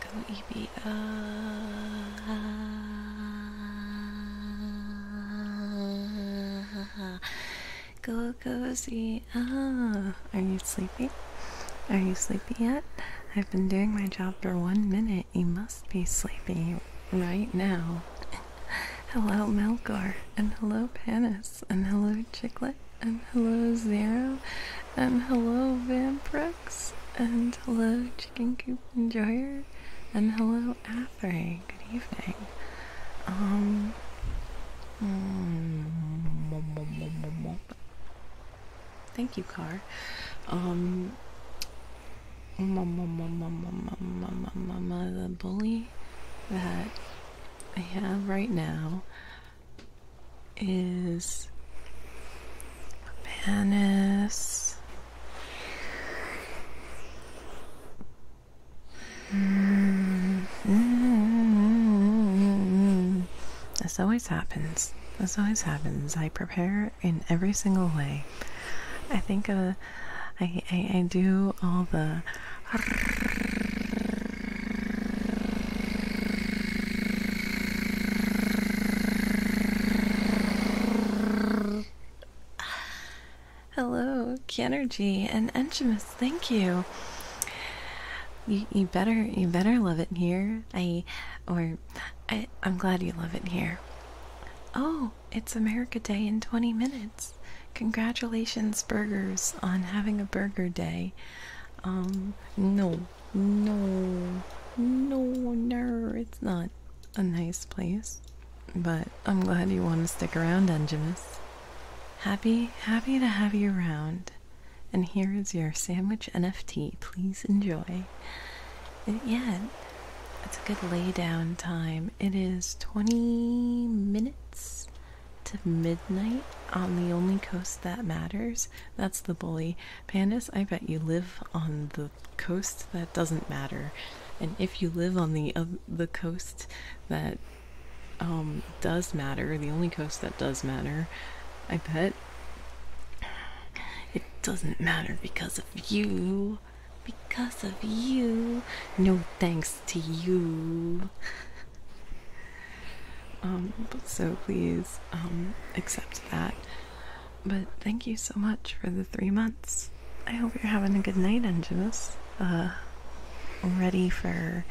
Go EB. Uh, go cozy. Uh. are you sleepy? Are you sleepy yet? I've been doing my job for one minute. You must be sleepy right now. hello, Melgar, and hello, Panis, and hello, Chiclet. Violet, and um, hello Zero, and um, hello Vamprex, and hello Chicken Coop Enjoyer, and hello Athray. Good evening. Um. Mm, thank you, Car. Um. The bully that I have right now is Venice. Mm-hmm. This always happens. This always happens. I prepare in every single way. I think uh, I, I I do all the Hello, Kenergy and Enchimus, thank you. you. better you better love it here. I or I'm glad you love it here. Oh, it's America Day in 20 minutes. Congratulations, burgers, on having a burger day. Um, no, no, no, no, it's not a nice place. But I'm glad you want to stick around, Enjimus. Happy, happy to have you around. And here is your sandwich NFT. Please enjoy. And uh, yeah, it's a good laydown time. It is 20 minutes to midnight on the only coast that matters. That's the bully. Pandas, I bet you live on the coast that doesn't matter. And if you live on the the coast that um, does matter, the only coast that does matter, I bet it doesn't matter because of you. Because of you. No thanks to you. Um, so please um, accept that. But thank you so much for the three months. I hope you're having a good night, Angelus. Uh, ready for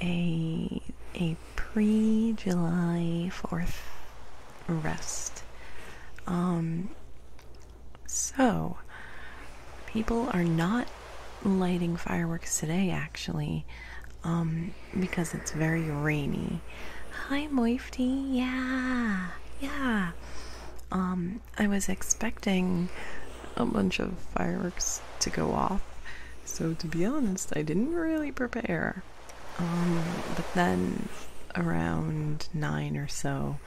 a a pre July Fourth rest. Um. So, people are not lighting fireworks today. Actually, um, because it's very rainy. Hi, Moifty. Yeah, yeah. Um, I was expecting a bunch of fireworks to go off, so to be honest, I didn't really prepare. Um, but then around nine or so,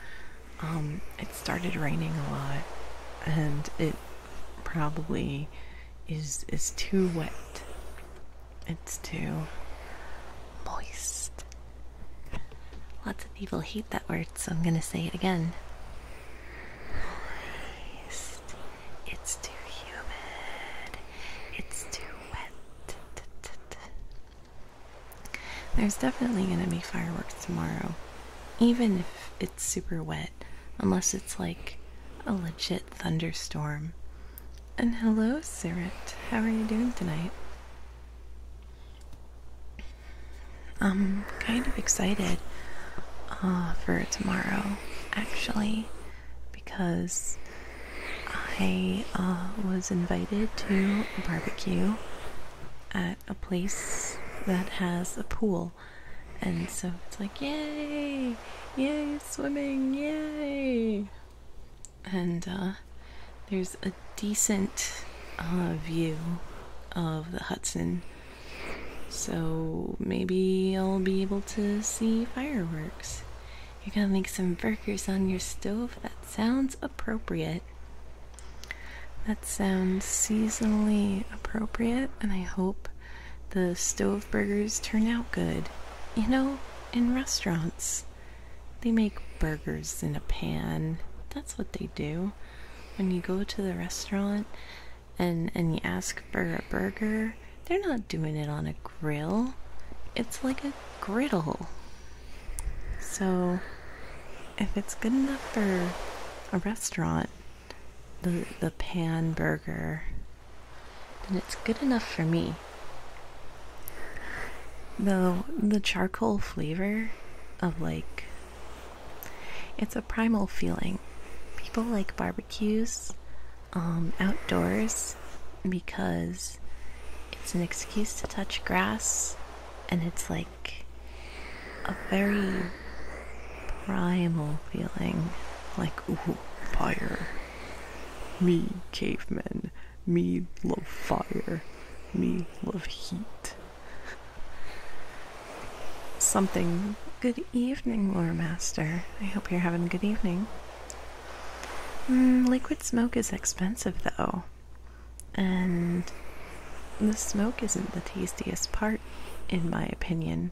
um, it started raining a lot, and it probably is is too wet it's too moist. Lots of people hate that word, so I'm gonna say it again. Moist. It's too humid. It's too wet. There's definitely gonna be fireworks tomorrow, even if it's super wet, unless it's like a legit thunderstorm. And hello, Sirit. How are you doing tonight? I'm kind of excited uh, for tomorrow, actually, because I uh, was invited to a barbecue at a place that has a pool. And so it's like, yay! yay, swimming, yay! And uh, there's a decent uh, view of the Hudson, so maybe I'll be able to see fireworks. You're gonna make some burgers on your stove? That sounds appropriate. That sounds seasonally appropriate, and I hope the stove burgers turn out good. You know, in restaurants, they make burgers in a pan. That's what they do. When you go to the restaurant and and you ask for a burger, they're not doing it on a grill. It's like a griddle. So, if it's good enough for a restaurant, the the pan burger then it's good enough for me. Though the charcoal flavor of like it's a primal feeling. People like barbecues um, outdoors because it's an excuse to touch grass and it's like a very primal feeling like fire me, cavemen. Me, love fire. Me, love heat. Something. Good evening, Lore Master. I hope you're having a good evening. Mm, liquid smoke is expensive, though. And the smoke isn't the tastiest part, in my opinion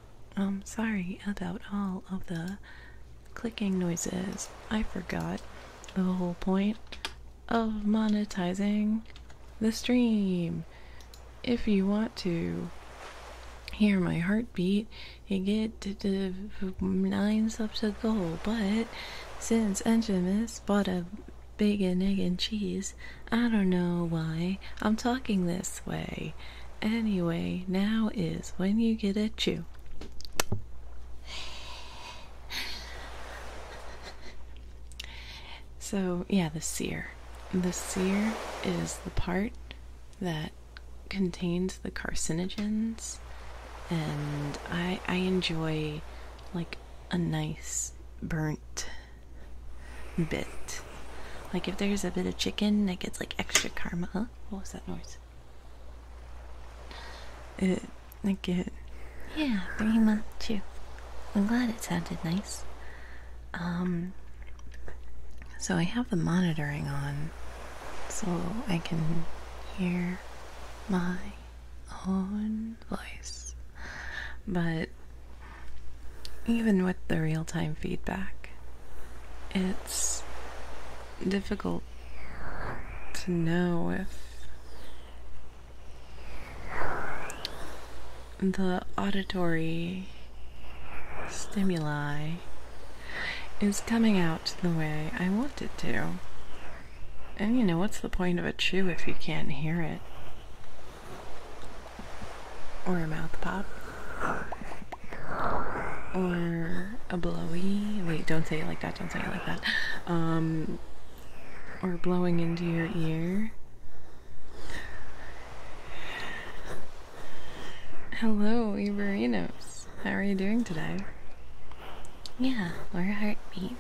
I'm um, sorry about all of the clicking noises. I forgot the whole point of monetizing the stream. If you want to hear my heartbeat, you get to the nine subs to go. But since Enchimus bought a bacon, egg, and cheese, I don't know why I'm talking this way. Anyway, now is when you get a chew. So, yeah, the sear. The sear is the part that contains the carcinogens and I I enjoy like a nice burnt bit. Like if there's a bit of chicken, it gets like extra karma. What was that noise? It, I get. Yeah, very much too. I'm glad it sounded nice. Um, so I have the monitoring on, so I can hear my own voice. But even with the real time feedback, it's difficult to know if the auditory stimuli is coming out the way I want it to. And you know, what's the point of a chew if you can't hear it? Or a mouth pop? or a blowy. Wait, don't say it like that. Don't say it like that. Um, or blowing into your ear. Hello, Iberinos. How are you doing today? Yeah, or heartbeat.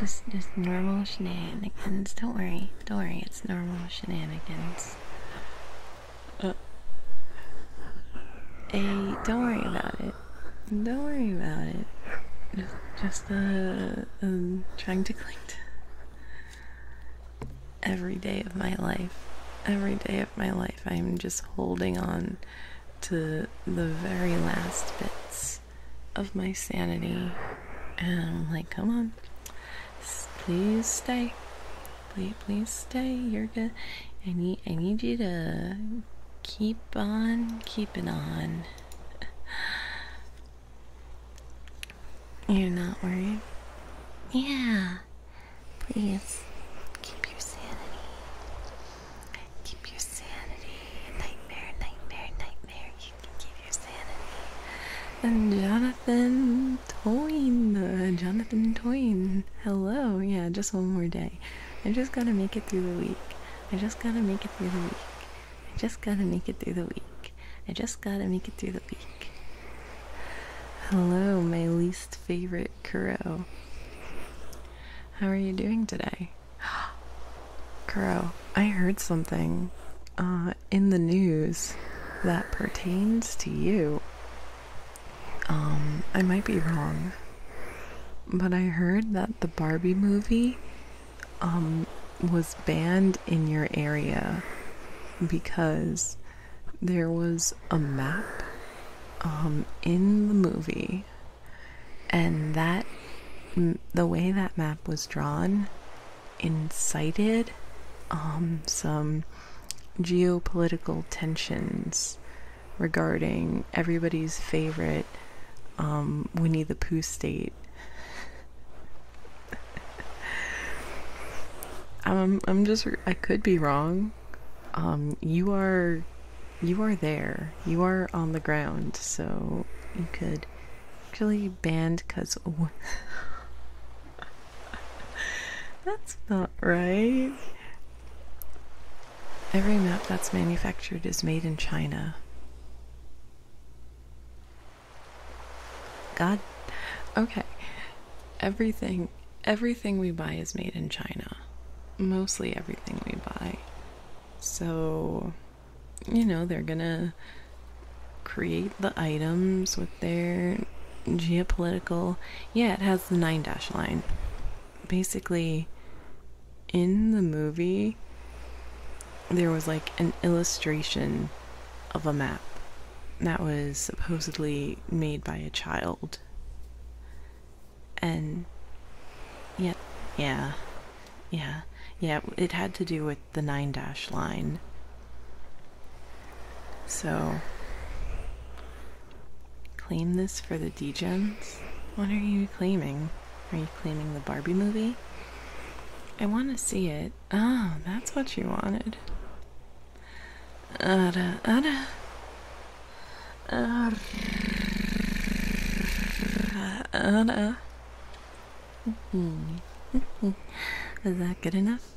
Just, just normal shenanigans. Don't worry. Don't worry. It's normal shenanigans. Uh, hey, don't worry about it. Don't worry about it. Just, just uh, um, trying to cling to every day of my life. Every day of my life, I'm just holding on to the very last bits of my sanity. And I'm like, come on, please stay please, please stay. You're good. I need, I need you to keep on keeping on. You're not worried? Yeah. Please keep your sanity. Keep your sanity. Nightmare, nightmare, nightmare. You can keep your sanity. And uh, Jonathan Toine. Uh, Jonathan Toine. Hello, yeah, just one more day. I just gotta make it through the week. I just gotta make it through the week. I just gotta make it through the week. I just gotta make it through the week. Hello, my least favorite Crow. How are you doing today? Crow, I heard something uh, in the news that pertains to you. Um, I might be wrong, but I heard that the Barbie movie um, was banned in your area because there was a map um, in the movie, and that the way that map was drawn incited some geopolitical tensions regarding everybody's favorite um, Winnie the Pooh state. um, I'm just, I could be wrong. Um, you are, you are there. You are on the ground, so you could actually band because. that's not right. Every map that's manufactured is made in China. God. Okay. Everything everything we buy is made in China. Mostly everything we buy. So, you know, they're going to create the items with their geopolitical. Yeah, it has the nine dash line. Basically, in the movie, there was like an illustration of a map that was supposedly made by a child. And yeah, yeah, yeah, yeah, it had to do with the nine dash line. So claim this for the Dgens? What are you claiming? Are you claiming the Barbie movie? I want to see it. Oh, that's what you wanted. Ada, ada. Hmm. Is that good enough?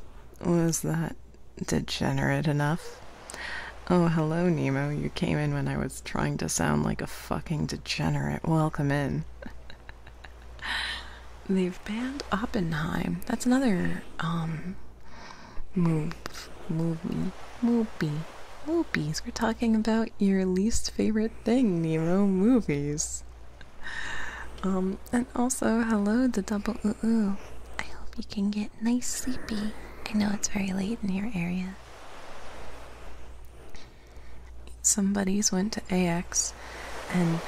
Was that degenerate enough. Oh, hello, Nemo. You came in when I was trying to sound like a fucking degenerate. Welcome in. They've banned Oppenheim. That's another, um, move, movie, movie, movies. We're talking about your least favorite thing, Nemo, movies. Um, and also, hello, the double ooh ooh. I hope you can get nice sleepy. I know it's very late in your area. Somebody's went to AX and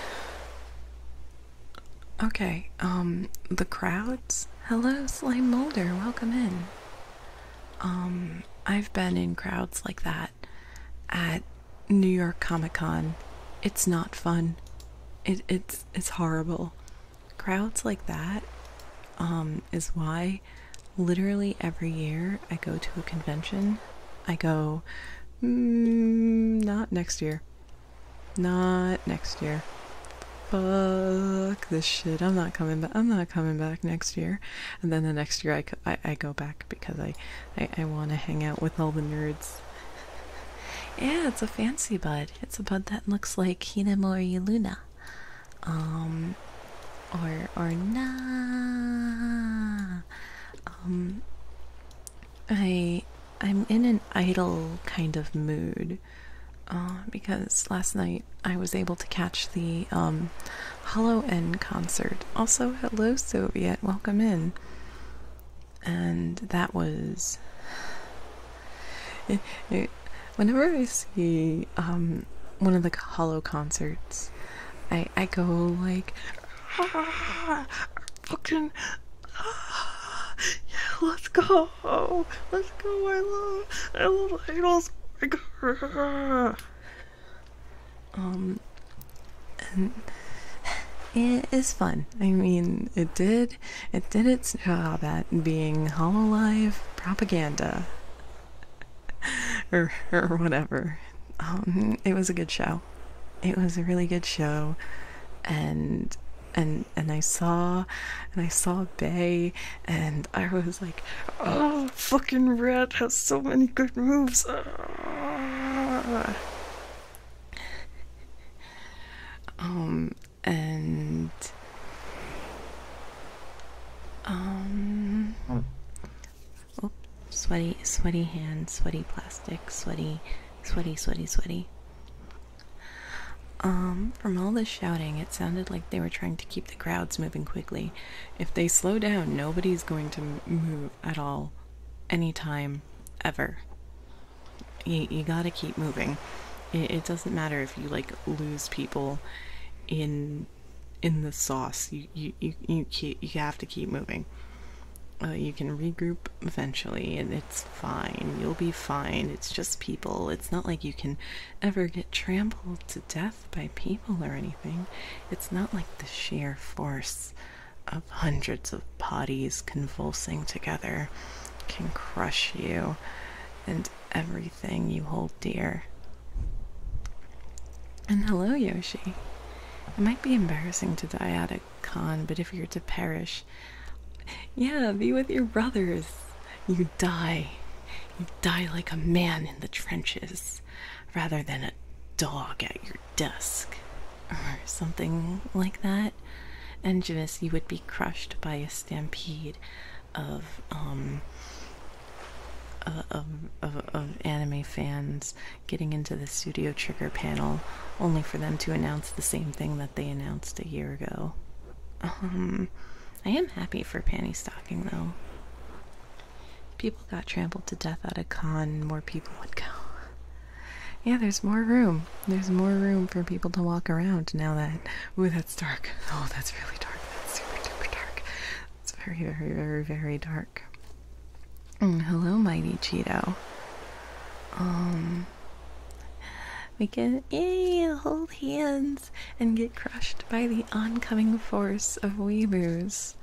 Okay, um the crowds. Hello, Slime Molder, welcome in. Um I've been in crowds like that at New York Comic Con. It's not fun. It it's it's horrible crowds like that um, is why literally every year I go to a convention. I go, mm, not next year. Not next year. Fuck this shit. I'm not coming back. I'm not coming back next year. And then the next year I, I, go back because I, I, want to hang out with all the nerds. Yeah, it's a fancy butt. It's about that looks like Hinamori Luna. Um or or nah. Um I I'm in an idle kind of mood. Uh, because last night I was able to catch the um, Hollow End concert. Also, hello Soviet, welcome in. And that was Eh, eh, whenever I see um, one of the hollow concerts, I I go like, ah, fucking, ah, yeah, let's go, let's go. I love, I love idols. um, it is fun. I mean, it did it, did its job at being Hololive propaganda. or, or whatever. Um, it was a good show. It was a really good show. And and and I saw and I saw Bay and I was like, oh fucking Red has so many good moves. Ah. Um and um oh, sweaty sweaty hands, sweaty plastic sweaty sweaty sweaty sweaty um from all this shouting it sounded like they were trying to keep the crowds moving quickly if they slow down nobody's going to move at all anytime ever you, gotta keep moving it, doesn't matter if you like lose people in in the sauce you you you, you, you have to keep moving uh, you can regroup eventually and it's fine you'll be fine it's just people it's not like you can ever get trampled to death by people or anything it's not like the sheer force of hundreds of bodies convulsing together can crush you and everything you hold dear. And hello, Yoshi. It might be embarrassing to die at a con, but if you're to perish, yeah, be with your brothers. You die. You die like a man in the trenches rather than a dog at your desk or something like that. And Jamis, you would be crushed by a stampede um, uh, of of, anime fans getting into the studio trigger panel only for them to announce the same thing that they announced a year ago um, i am happy for panty stocking though people got trampled to death at a con more people would go yeah there's more room there's more room for people to walk around now that with that's dark. Oh, that's really dark. That's super dark. It's very, very, very, very dark. Mm, hello, mighty Cheeto. Um, we can hold hands and get crushed by the oncoming force of weeboos.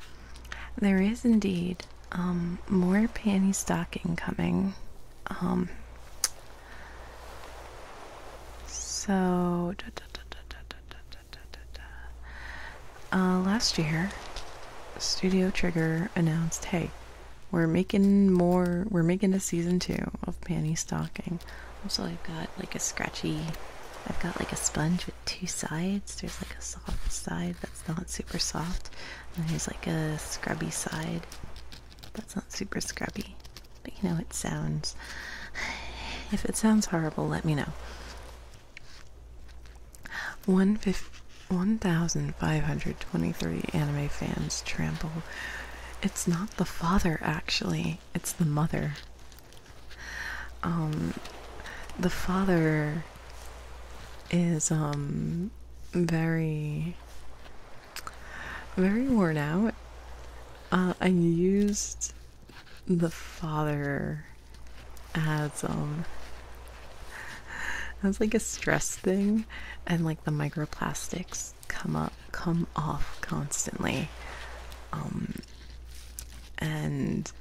There is indeed um, more panty stocking coming. Um, so, last year, Studio Trigger announced, "Hey, we're making more. We're making a season two of Panty Stocking." So I've got like a scratchy. I've got like a sponge with two sides. There's like a soft side that's not super soft, and there's like a scrubby side that's not super scrubby, but you know, it sounds. If it sounds horrible, let me know. One fif 1,523 anime fans trample. It's not the father, actually, it's the mother. Um, the father is, um, very very worn out. Uh, I used the father as um as like a stress thing, and like the microplastics come up come off constantly, um, and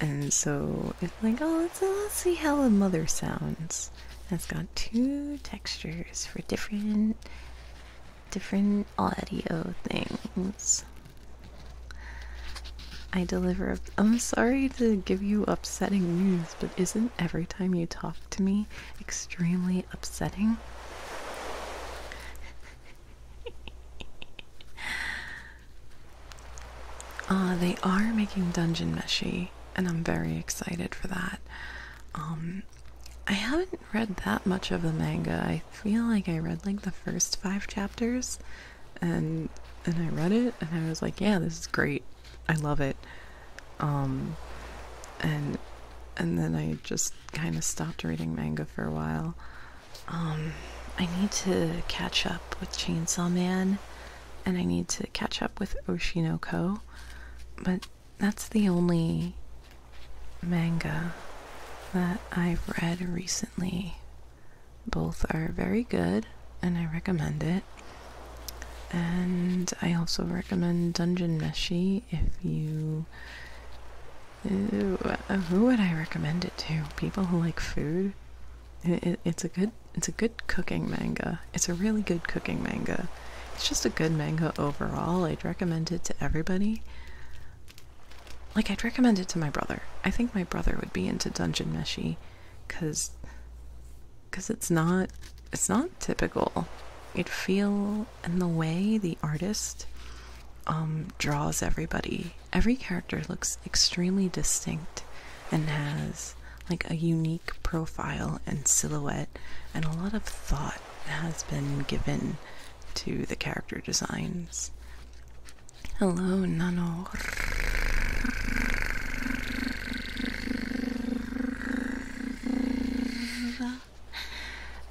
and so it's like oh let's let's see how the mother sounds. That's got two textures for different different audio things. I deliver. I'm sorry to give you upsetting news, but isn't every time you talk to me extremely upsetting? Ah, they are making Dungeon Meshi, and I'm very excited for that. Um, I haven't read that much of the manga. I feel like I read like the first five chapters and and I read it and I was like, yeah, this is great. I love it. Um and and then I just kind of stopped reading manga for a while. Um I need to catch up with Chainsaw Man and I need to catch up with Oshinoko. But that's the only manga that I've read recently. Both are very good and I recommend it. And I also recommend Dungeon Meshi if you. Uh, who would I recommend it to? People who like food. it's a good. It's a good cooking manga. It's a really good cooking manga. It's just a good manga overall. I'd recommend it to everybody. Like, I'd recommend it to my brother. I think my brother would be into Dungeon Meshi because because it's not it's not typical it feel in the way the artist um, draws everybody every character looks extremely distinct and has like a unique profile and silhouette and a lot of thought thought has been given to the character designs. Hello, Nano.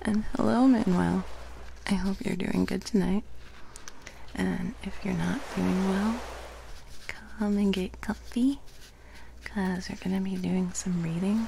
And hello, Manuel. I hope you're doing good tonight. And if you're not doing well, come and get comfy because we're going to be doing some reading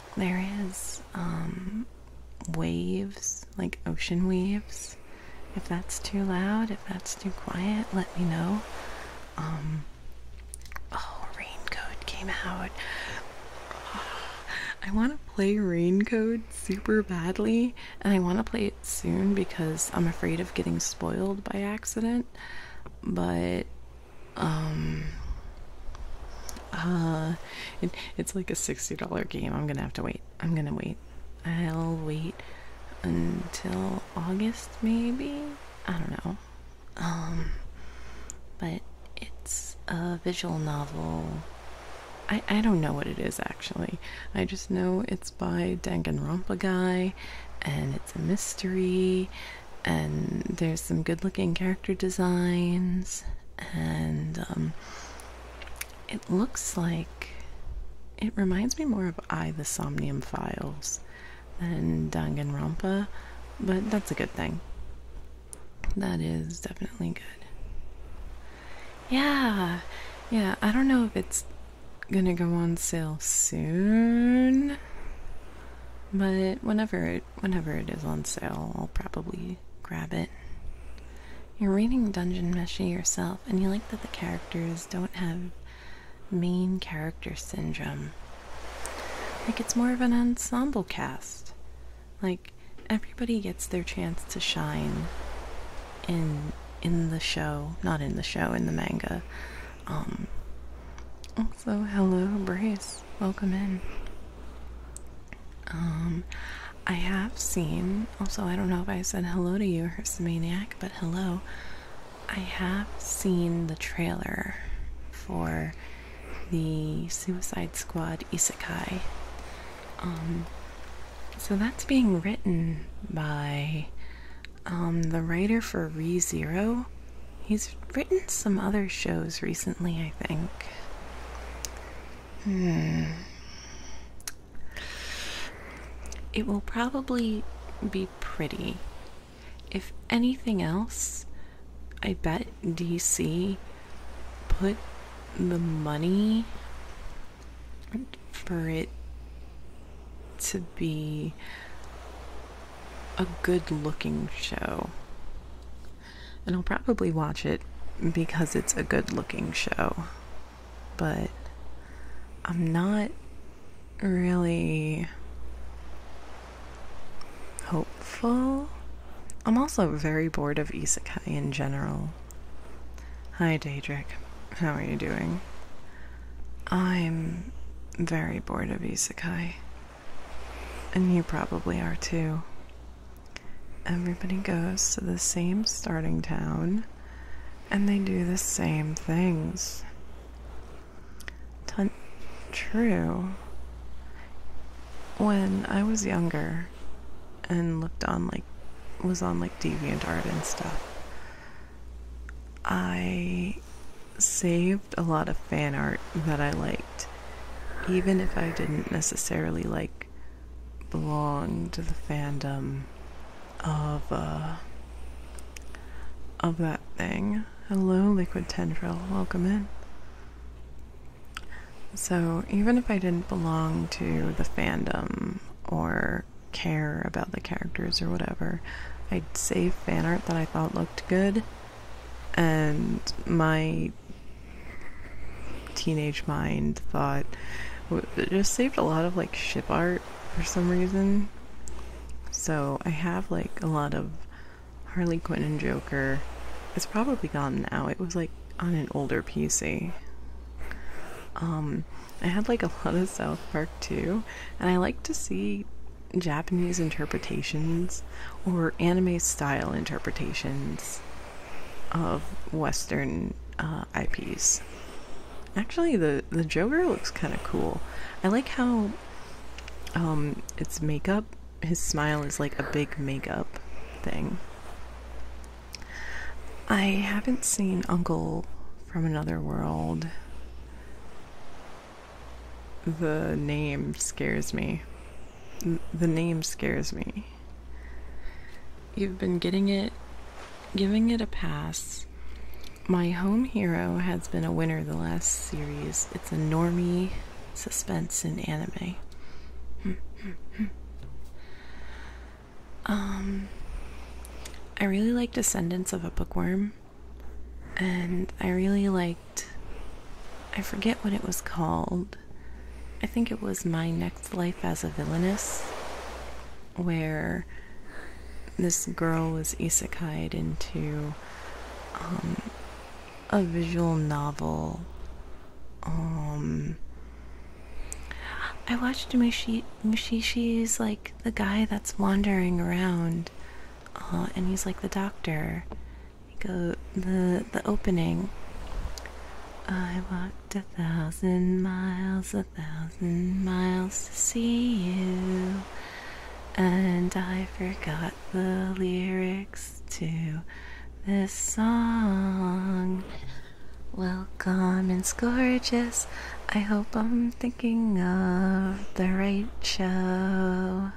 there is um, waves, like ocean waves. If that's too loud, if that's too quiet, let me know. Um, oh, Raincoat came out. I want to play Raincoat super badly, and I want to play it soon because I'm afraid of getting spoiled by accident. But um, uh, it's like a $60 game. I'm gonna have to wait. I'm gonna wait. I'll wait until August, maybe? I don't know. Um, but it's a visual novel. I, I don't know what it is actually. I just know it's by Danganronpa guy, and it's a mystery, and there's some good looking character designs and um, it looks like it reminds me more of I the Somnium Files than Danganronpa, but that's a good thing. That is definitely good. Yeah, yeah, I don't know if it's gonna go on sale soon, but whenever it whenever it is on sale, I'll probably grab it. You're reading Dungeon Meshi yourself, and you like that the characters don't have main character syndrome. Like, it's more of an ensemble cast. Like, everybody gets their chance to shine in in the show, not in the show, in the manga. Um, also, hello, Brace. Welcome in. Um, I have seen, also, I don't know if I said hello to you, Hercemaniac, but hello. I have seen the trailer for the Suicide Squad Isekai. Um, so that's being written by um, the writer for ReZero. He's written some other shows recently, I think. Hmm. It will probably be pretty. If anything else, I bet DC put the money for it to be a good looking show and I'll probably watch it because it's a good looking show. But I'm not really hopeful. I'm also very bored of isekai in general. Hi, Daedric. How are you doing? I'm very bored of isekai. And you probably are too. Everybody goes to the same starting town and they do the same things. true. When I was younger and looked on like was on like deviant art and stuff, I saved a lot of fan art that I liked even if I didn't necessarily like belong to the fandom of uh, of that thing. Hello, Liquid Tendril. Welcome in. So, even if I didn't belong to the fandom or care about the characters or whatever, I'd save fan art that I thought looked good and my teenage mind thought it just saved a lot of like ship art for some reason. So I have like a lot of Harley Quinn and Joker. It's probably gone now. It was like on an older PC. Um, I had like a lot of South Park too, and I like to see Japanese interpretations or anime style interpretations of Western uh, IPs. Actually, the the Joker looks kind of cool. I like how um, its makeup, his smile is like a big makeup thing. I haven't seen Uncle from Another World. The name scares me. The name scares me. You've been getting it, giving it a pass. My home hero has been a winner the last series. It's a normie suspense in anime. um, I really like Descendants of a Bookworm, and I really liked. I forget what it was called, I think it was my next life as a villainess, where this girl was isekai'd into um, a visual novel. Um, I watched Mushi Mushishi's like the guy that's wandering around, uh, and he's like the doctor, go the the opening. I walked a thousand miles, a thousand miles to see you, and I forgot the lyrics to this song. Welcome and gorgeous. I hope I'm thinking of the right show.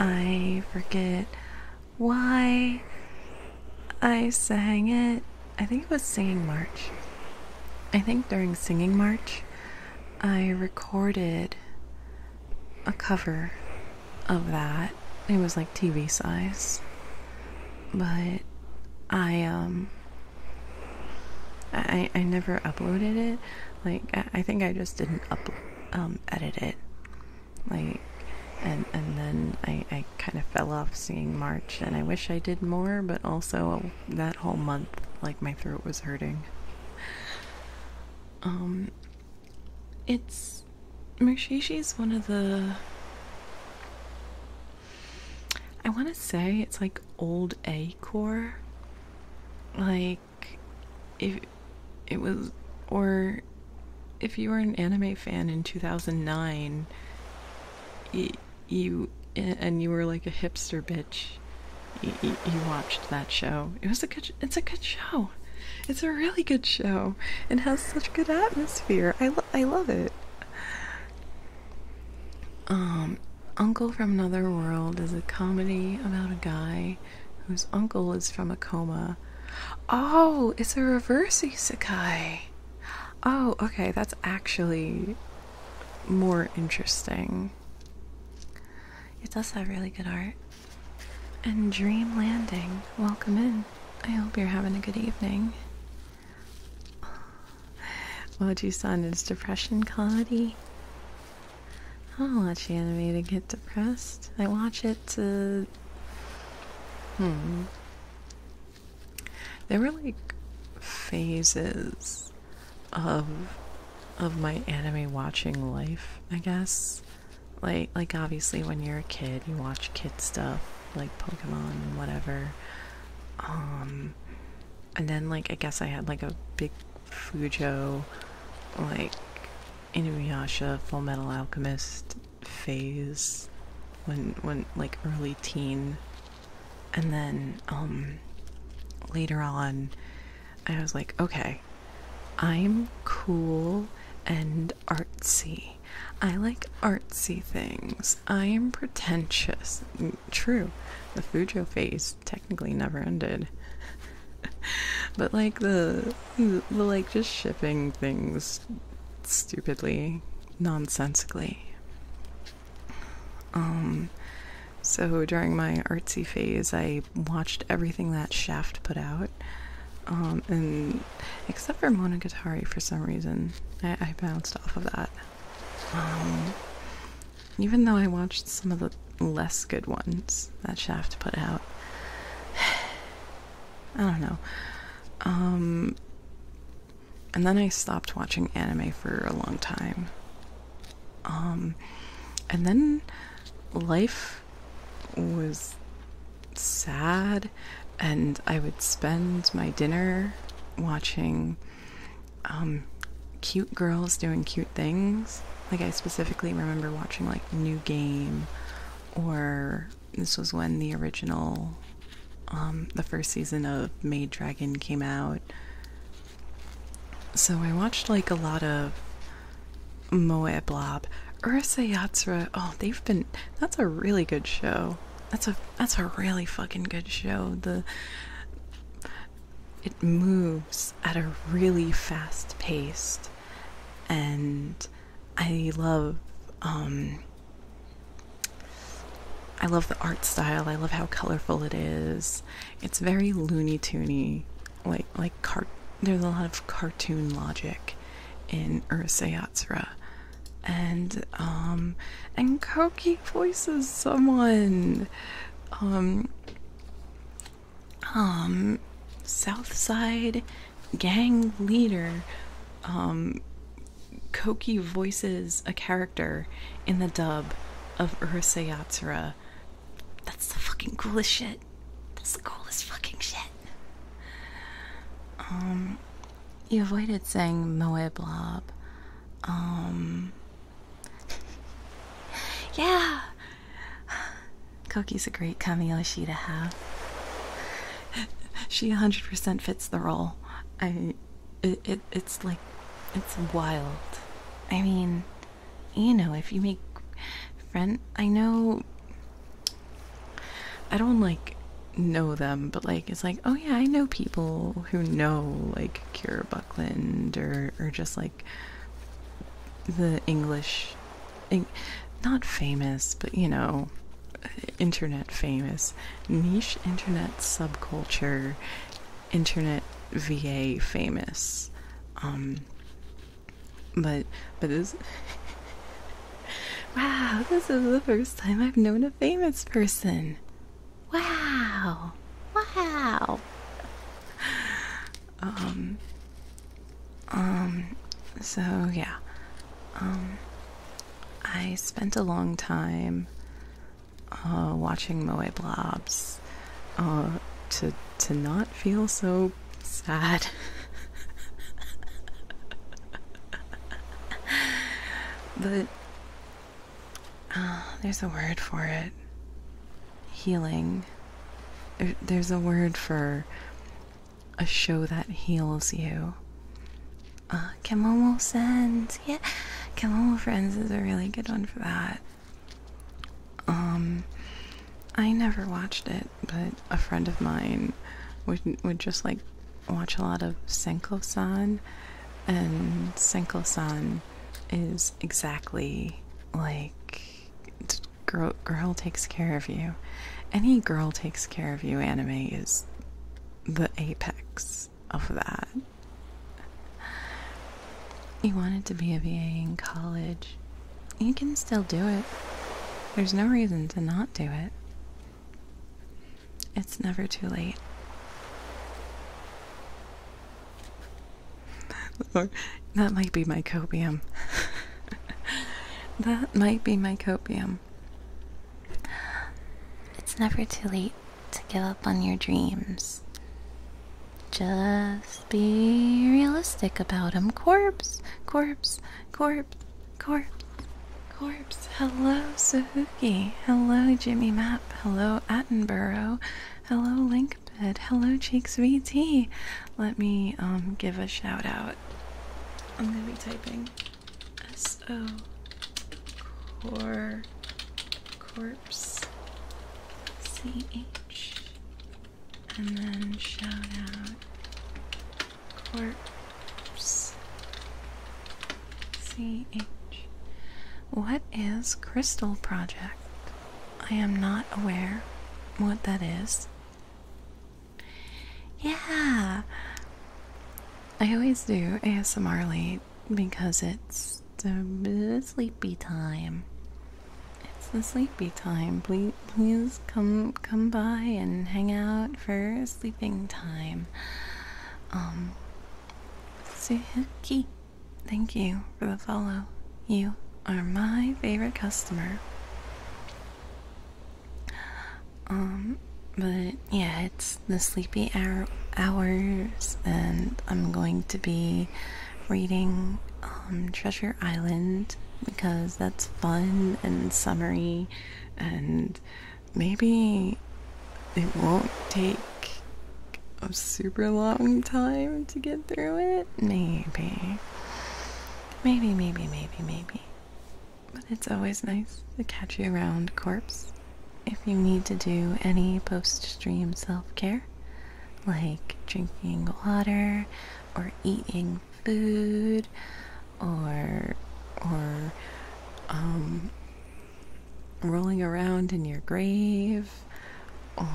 I forget why I sang it. I think it was Singing March. I think during Singing March, I recorded a cover of that. It was like TV size. But I, um, I, I never uploaded it. Like, I, think I just didn't up, um, edit it like and and then I, I kind of fell off singing March and I wish I did more but also that whole month like my throat was hurting um it's Mushishi is one of the I want to say it's like old A core like if it was or if you were an anime fan in 2009 you, and you were like a hipster bitch you, watched that show it was a good it's a good show it's a really good show It has such good atmosphere i i love it um uncle from another world is a comedy about a guy whose uncle is from a Oh, it's a reverse Sakai. Oh, okay, that's actually more interesting. It does have really good art. And Dream Landing, welcome in. I hope you're having a good evening. you san is depression comedy. I don't watch anime to get depressed. I watch it to Hmm. There were like phases of of my anime watching life, I guess. Like like obviously when you're a kid, you watch kid stuff like Pokemon and whatever. Um and then like I guess I had like a big Fujo like Inuyasha, Full Metal Alchemist phase when when like early teen and then um, later on I was like okay I'm cool and artsy. I like artsy things. I am pretentious. Mm, true. The Fujo phase technically never ended. but like the like just shipping things stupidly, nonsensically. Um, so during my artsy phase, I watched everything that Shaft put out, um, and except for Monogatari for some reason, I, bounced off of that. Um, even though I watched some of the less good ones that Shaft put out, I don't know. Um, and then I stopped watching anime for a long time. Um, and then life was sad, and I would spend my dinner watching um, cute girls doing cute things. Like, I specifically remember watching, like, New Game or this was when the original, um, the first season of Maid Dragon came out. So I watched like a lot of *Moeblob*, Blob. Ursa Yatsura, oh, they've been, that's a really good show. That's a, that's a really fucking good show. The, it moves at a really fast pace and I love um, I love the art style. I love how colorful it is. It's very loony toony, like like there's a lot of cartoon logic in Ursa Yatsura. And um and Koki voices someone. Um um Southside gang leader um, Koki voices a character in the dub of Urusei Yatsura. That's the fucking coolest shit. That's the coolest fucking shit. Um, you avoided saying Moeblob. Um, yeah. Koki's a great Kamiyoshi to have she 100% fits the role. I it, it it's like it's wild. I mean, you know, if you make friend, I know I don't like know them, but like it's like, oh yeah, I know people who know like Kira Buckland or or just like the English not famous, but you know, internet famous, niche internet subculture, internet VA famous. Um, but but this. wow, this is the first time I've known a famous person. Wow, wow. Um, um, so yeah. Um, I spent a long time uh, watching Moe Blobs uh, to, to not feel so sad. but uh, there's a word for it healing. there's a word for a show that heals you. Uh, Kemomo Sends, yeah, Kimono Friends is a really good one for that. Um, I never watched it, but a friend of mine would would just like watch a lot of Senko-san, and Senko-san is exactly like girl girl takes care of you. Any girl takes care of you anime is the apex of that. You wanted to be a VA in college. You can still do it. There's no reason to not do it. It's never too late. that might be my copium. that might be my copium it's never too late to give up on your dreams. Just be realistic about them. Corpse, corpse, corpse, corpse, corpse. Hello, Sahuki. Hello, Jimmy Map. Hello, Attenborough. Hello, Linkbed. Hello, Cheeks VT. Let me um, give a shout out. I'm gonna be typing. S-O Cor Corpse C-H and then shout out Corpse C-H What is Crystal Project? I am not aware what that is. Yeah. I always do ASMR late because it's the sleepy time. It's the sleepy time. Please, please come come by and hang out for sleeping time. Um, Suzuki, thank you for the follow. You are my favorite customer. Um, but yeah, it's the sleepy hours, and I'm going to be reading um, Treasure Island because that's fun and summery, and maybe it won't take a super long time to get through it. Maybe. Maybe, maybe, maybe, maybe. But it's always nice to catch you around, corpse. If you need to do any post-stream self-care, like drinking water or eating food or or um rolling around in your grave or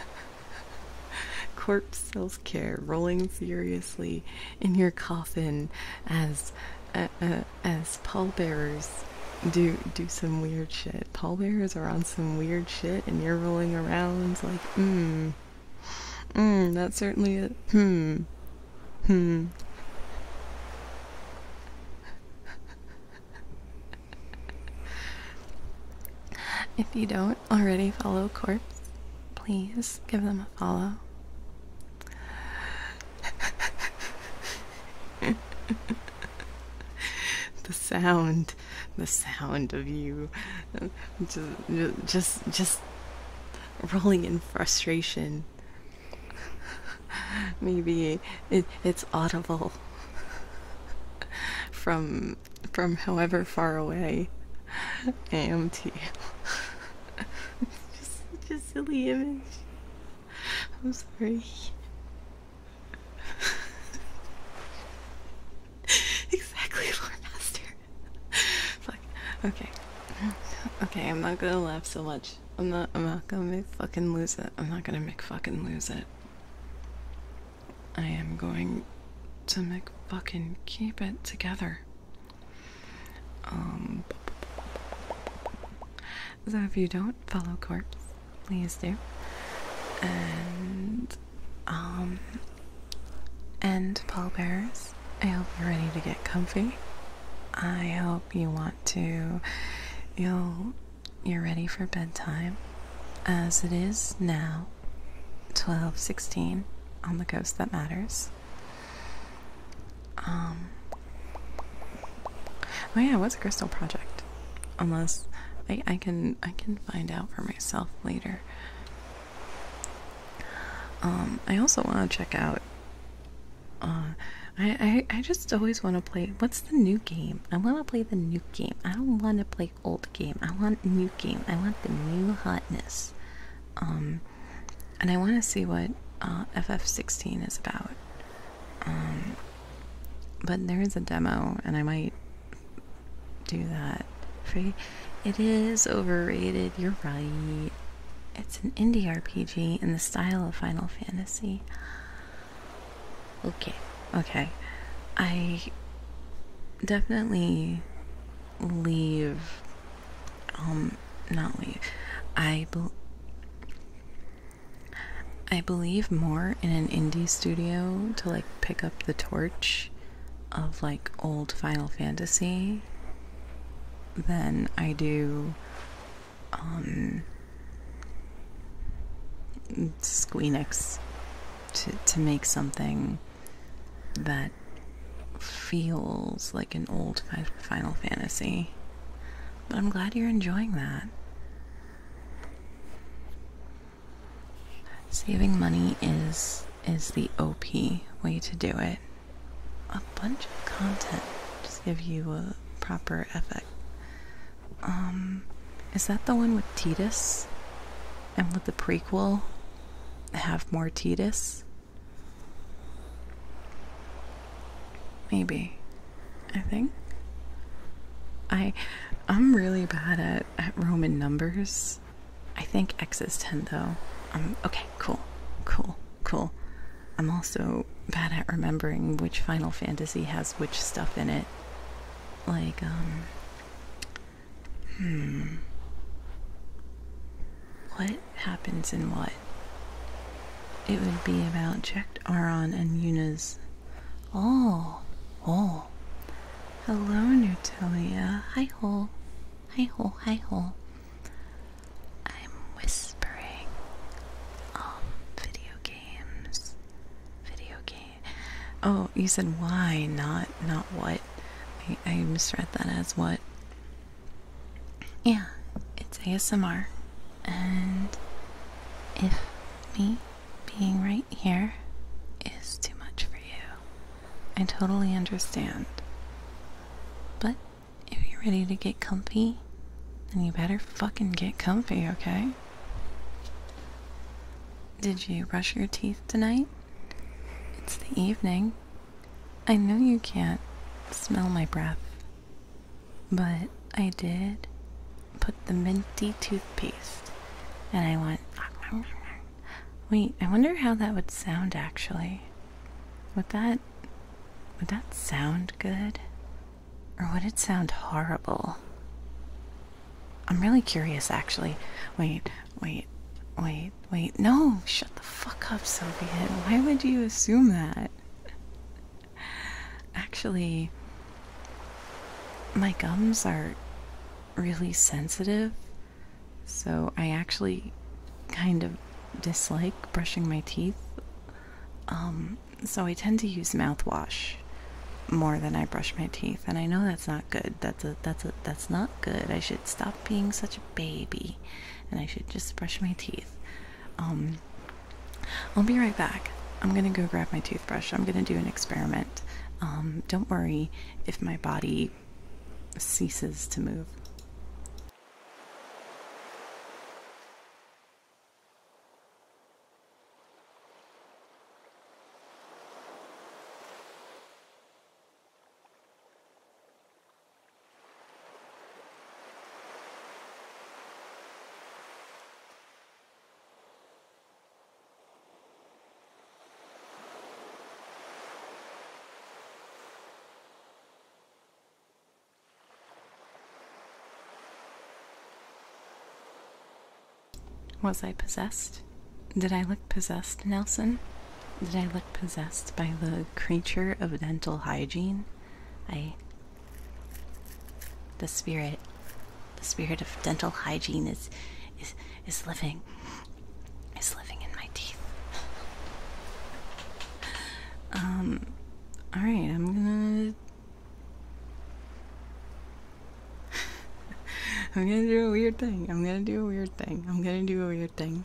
corpse self-care rolling seriously in your coffin as uh, uh, as pallbearers do do some weird shit. Pallbearers are on some weird shit, and you're rolling around like, hmm, hmm, that's certainly it. Hmm, hmm. If you don't already follow Corpse, please give them a to the sound, the sound of you just, just, just rolling in frustration. Maybe it's audible from from however far away I just such a silly image. I'm sorry. exactly, Lord Master. Fuck. Okay. Okay, I'm not gonna laugh so much. I'm not I'm not gonna make fucking lose it. I'm not gonna make fucking lose it. I am going to make fucking keep it together. Um, so if you don't follow Corps, please do. And um, and Bears. I hope you're ready to get comfy. I hope you want to. You'll you're ready for bedtime, as it is now, twelve sixteen on the ghost that matters. Um, oh yeah, what's a crystal project? Unless I, can I can find out for myself later. Um, I also want to check out. Uh, I, I I just always want to play. What's the new game? I want to play the new game. I don't want to play old game. I want new game. I want the new hotness. Um, and I want to see what uh, FF16 is about. Um, but there is a demo, and I might do that. It is overrated, you're right. It's an indie RPG in the style of Final Fantasy. Okay, okay. I definitely leave um not leave i i believe more in an indie studio to like pick up the torch of like old final fantasy than i do um squeenix to to make something that feels like an old Final Fantasy. But I'm glad you're enjoying that. Saving money is is the OP way to do it. A bunch of content. Just give you a proper effect. Um is that the one with Titus? And with the prequel have more Titus? Maybe. I think. I I'm really bad at, at Roman numbers. I think X is ten though. Um okay, cool. Cool. Cool. I'm also bad at remembering which Final Fantasy has which stuff in it. Like, um. Hmm. What happens in what. It would be about Jack Aron and Yuna's. Oh, oh. Hello, Nutalia. Hi, hole. Hi, hole. hi, hole. I'm whispering. Um, video games. Video game. Oh, you said why, not not what. I misread that as what yeah, it's ASMR, and if me being right here is too much for you, I totally understand. But if you're ready to get comfy, then you better fucking get comfy, okay? Did you brush your teeth tonight? It's the evening. I know you can't smell my breath, but I did put the minty toothpaste and I went. Wait, I wonder how that would sound actually. Would that would that sound good? Or would it sound horrible? I'm really curious actually. Wait, wait, wait. Wait, no, shut the fuck up, Soviet. Why would you assume that? Actually, my gums are really sensitive, so I actually kind of dislike brushing my teeth. Um, so I tend to use mouthwash more than I brush my teeth, and I know that's not good. That's a that's a that's not good. I should stop being such a baby and I should just brush my teeth. Um, I'll be right back. I'm gonna go grab my toothbrush. I'm gonna do an experiment. Um, don't worry if my body ceases to move. Was I possessed? Did I look possessed, Nelson? Did I look possessed by the creature of dental hygiene? I. The spirit. The spirit of dental hygiene is. is. is living. is living in my teeth. um. Alright, I'm gonna. I'm gonna do a weird thing. I'm gonna do a weird thing. I'm gonna do a weird thing.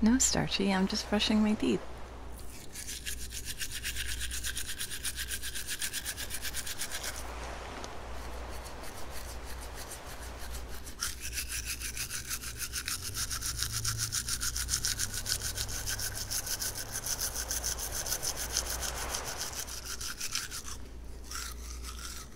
No, Starchy, I'm just brushing my teeth.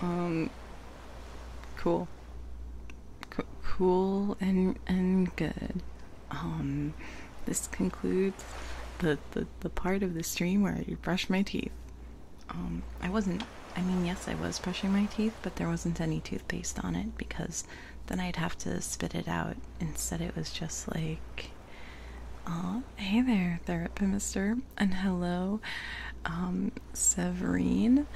Um, cool. cool and and good. Um, this concludes the, the, the part of the stream where I brush my teeth. Um, I wasn't I mean, yes, I was brushing my teeth, but there wasn't any toothpaste on it because then I'd have to spit it out. Instead, it was just like, oh, hey there, Therapimister, and hello, um, Severine,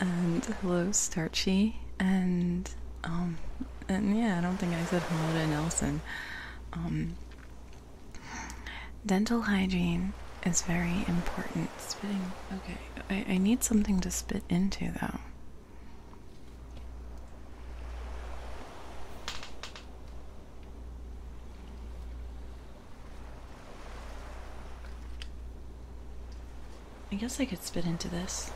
and hello, Starchy, and, um, and yeah, I don't think I said hello to Nelson. Um, dental hygiene is very important spitting. Okay, I, need something to spit into though. I guess I could spit into this.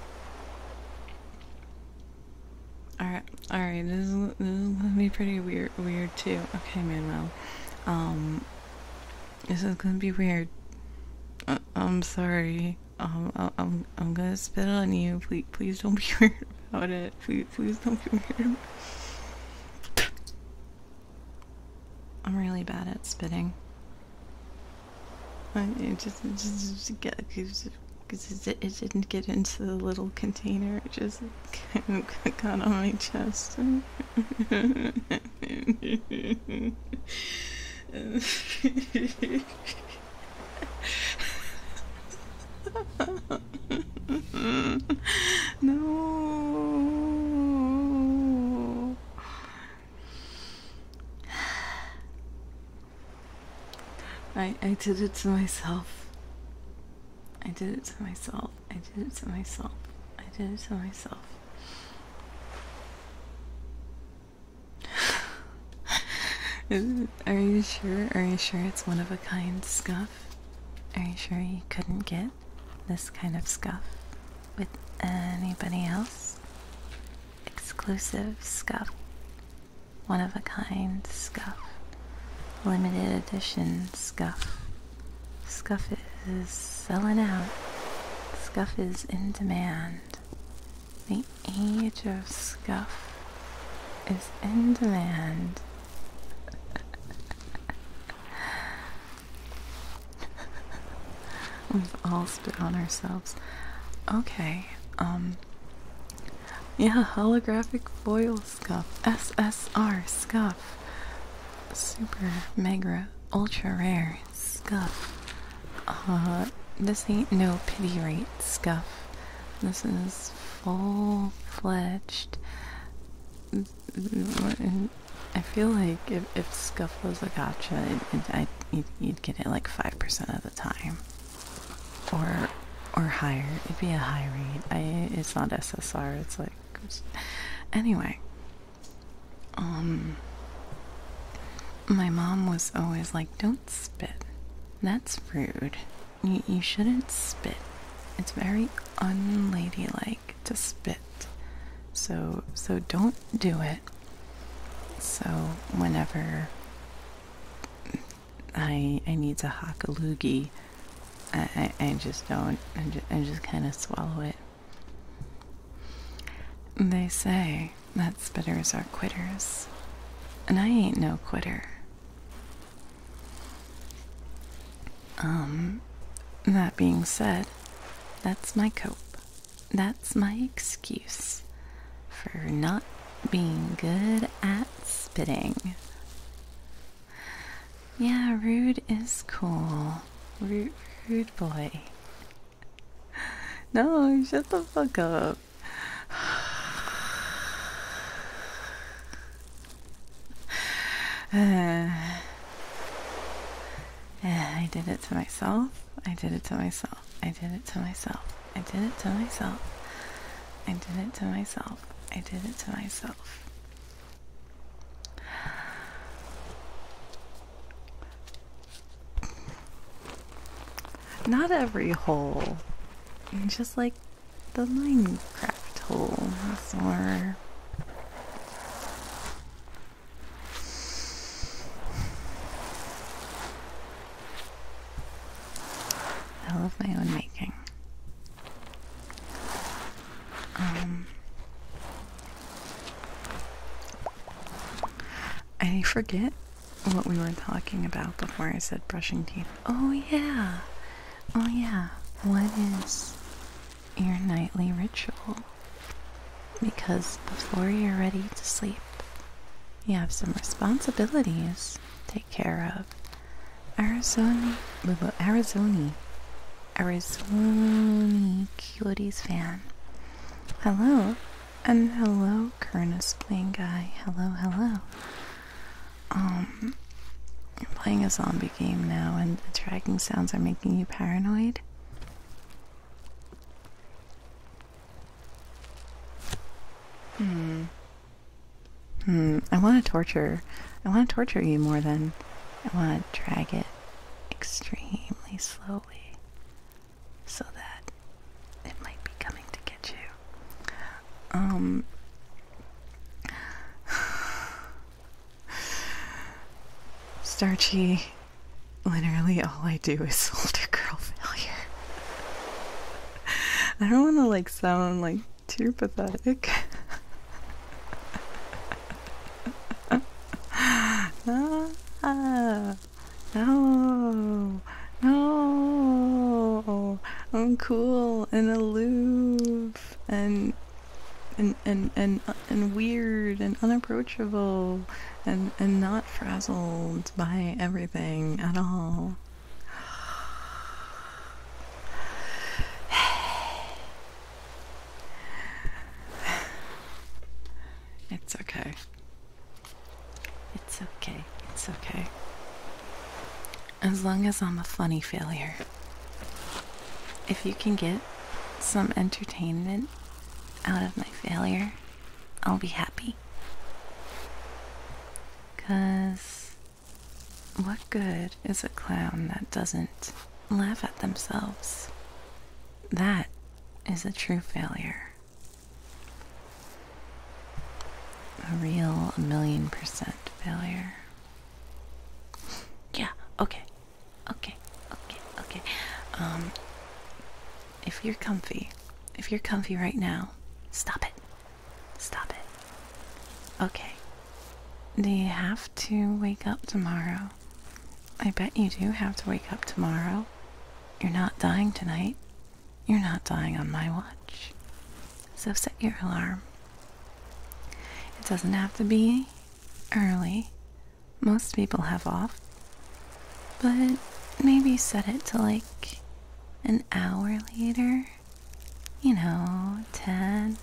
Alright, alright, this, will be pretty weird, weird too. Okay, Manuel. Um, this is gonna be weird. Uh, I am sorry. Um, I I'm I'm gonna spit on you. Please, please don't be weird about it. Please, please don't be weird. I'm really bad at spitting. it just just, just get because it, it didn't get into the little container. It just kind of got on my chest. no. I I did it to myself. I did it to myself. I did it to myself. I did it to myself. Are you sure? Are you sure it's one of a kind scuff? Are you sure you couldn't get this kind of scuff with anybody else? Exclusive scuff. One of a kind scuff. Limited edition scuff. Scuff it is selling out. Scuff is in demand. The age of scuff is in demand. We've all spit on ourselves. Okay, um. Yeah, holographic foil scuff. SSR scuff. Super, mega, ultra rare scuff. Uh, this ain't no pity rate scuff. This is full fledged. I feel like if, scuff was a gotcha, I, you'd, you'd get it like 5% of the time. Or or higher. It'd be a high rate. I, it's not SSR. It's like. Anyway, um my mom was always like don't spit that's rude you, you shouldn't spit it's very unladylike to spit so so don't do it so whenever i i need to hock a loogie i i, just don't I just kind of swallow it they say that spitters are quitters, and I ain't no quitter. Um, that being said, that's my cope. That's my excuse for not being good at spitting. Yeah, rude is cool. Rude, rude boy. no, shut the fuck up. I did it to myself. I did it to myself. I did it to myself. I did it to myself. I did it to myself. I did it to myself. Not every hole. Just like the Minecraft hole. That's more. I my own making. Um, I forget what we were talking about before I said brushing teeth. Oh, yeah. Oh, yeah. What is your nightly ritual? Because before you're ready to sleep, you have some responsibilities to take care of. Arizona, Arizona, Arizona Cuties fan. Hello, and hello, Kernus playing guy. Hello, hello. Um, i playing a zombie game now, and the dragging sounds are making you paranoid. Hmm. Hmm. I want to torture. I want to torture you more than I want to drag it extremely slowly so that it might be coming to get you. Um. Starchy, literally all I do is older girl failure. I don't want to like sound like too pathetic. Ah. No. No. I'm cool and aloof and and and and and weird and unapproachable and and not frazzled by everything at all. It's okay. It's okay. It's okay. As long as I'm a funny failure. If you can get some entertainment out of my failure, I'll be happy. Because what good is a clown that doesn't laugh at themselves? That is a true failure. A real million percent failure. yeah, okay. Okay, okay, okay. Um, if you're comfy, if you're comfy right now, stop it. Stop it. Okay. Do you have to wake up tomorrow? I bet you do have to wake up tomorrow. You're not dying tonight. You're not dying on my watch. So set your alarm. It doesn't have to be early. Most people have off. But maybe set it to like an hour later. You know, 10,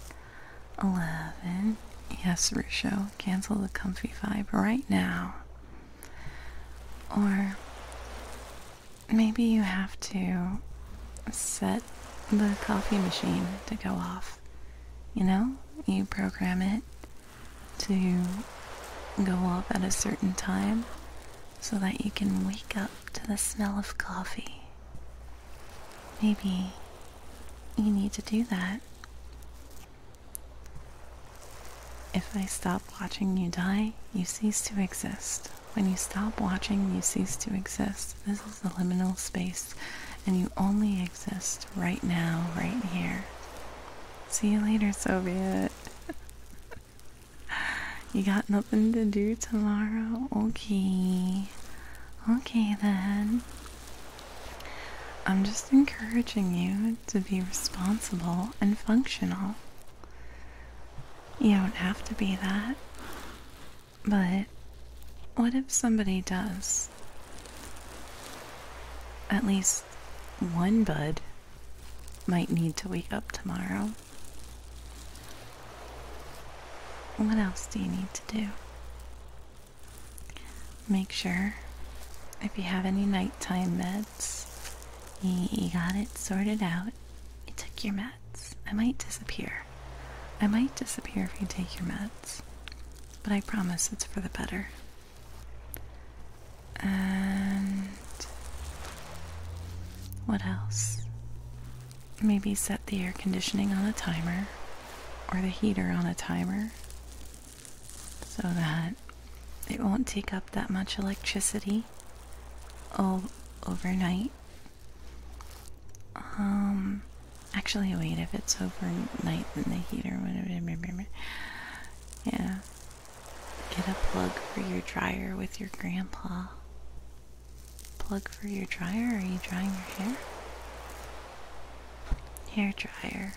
11. Yes, Rusho, cancel the comfy vibe right now. Or maybe you have to set the coffee machine to go off. You know, you program it to go off at a certain time so that you can wake up to the smell of coffee. Maybe you need to do that. If I stop watching you die, you cease to exist. When you stop watching, you cease to exist. This is the liminal space, and you only exist right now, right here. See you later, Soviet. you got nothing to do tomorrow? Okay. Okay then. I'm just encouraging you to be responsible and functional. You don't have to be that. But what if somebody does? At least one bud might need to wake up tomorrow. What else do you need to do? Make sure if you have any nighttime meds you got it sorted out. You took your meds. I might disappear. I might disappear if you take your meds. But I promise it's for the better. And. What else? Maybe set the air conditioning on a timer or the heater on a timer so that it won't take up that much electricity all overnight. Um, actually, wait, if it's overnight, then the heater would. Yeah. Get a plug for your dryer with your grandpa. Plug for your dryer? Are you drying your hair? Hair dryer.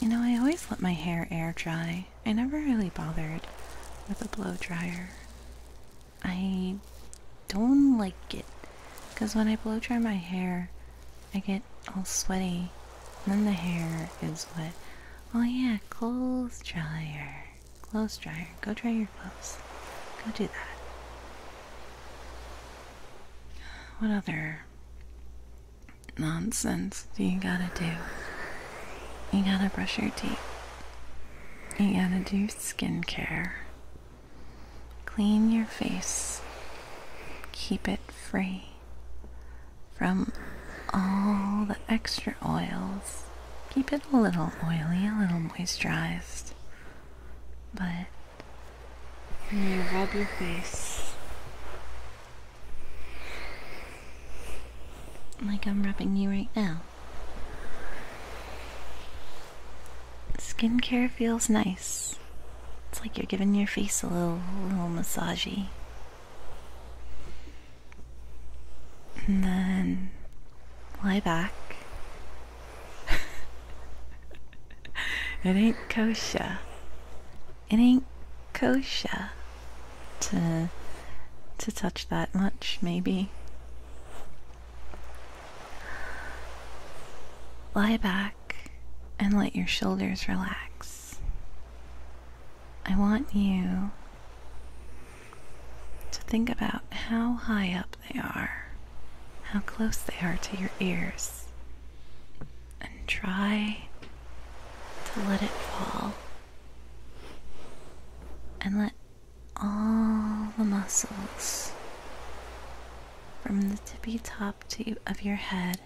You know, I always let my hair air dry. I never really bothered with a blow dryer. I don't like it because when I blow dry my hair, I get all sweaty. And then the hair is wet. Oh yeah, clothes dryer. Clothes dryer. Go dry your clothes. Go do that. What other nonsense you gotta do? You gotta brush your teeth. You gotta do skincare. Clean your face. Keep it free from all the extra oils. Keep it a little oily, a little moisturized. But when you rub your face, like I'm rubbing you right now. Skincare feels nice. It's like you're giving your face a little, little massagey. And then lie back. it ain't kosher. It ain't kosher to to touch that much maybe lie back and let your shoulders relax i want you to think about how high up they are how close they are to your ears and try to let it fall and let all the muscles from the tippy top to, of your head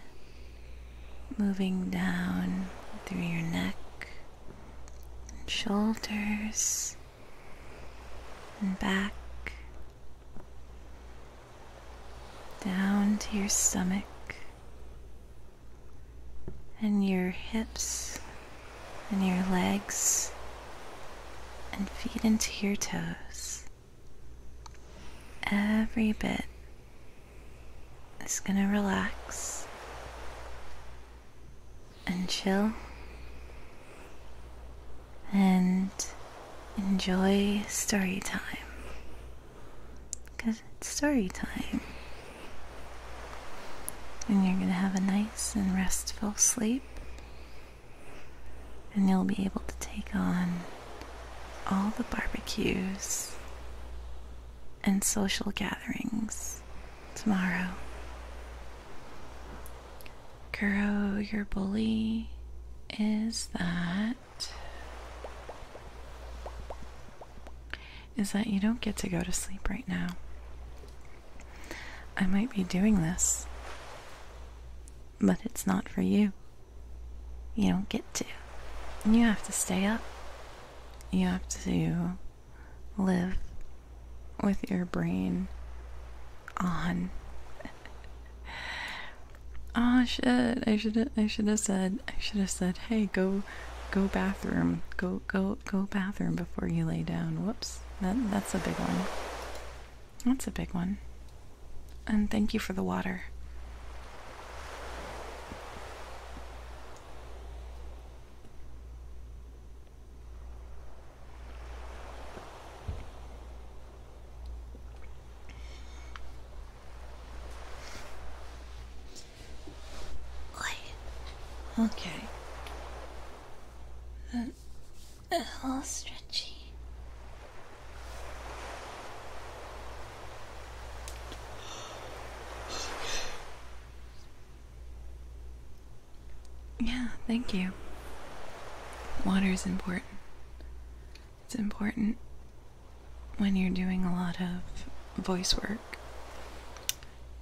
moving down through your neck and shoulders and back down to your stomach and your hips and your legs and feet into your toes. Every bit is going to relax and chill and enjoy story time. Because it's story time. And you're going to have a nice and restful sleep. And you'll be able to take on all the barbecues and social gatherings tomorrow. Kuro, your bully, is that is that you don't get to go to sleep right now. I might be doing this, but it's not for you. You don't get to. You have to stay up. You have to live with your brain on. oh, shit! I should I should have said I should have said, "Hey, go go bathroom go go go bathroom before you lay down whoops that, that's a big one that's a big one and thank you for the water Okay. A uh, little stretchy. Yeah, thank you. Water is important. It's important when you're doing a lot of voice work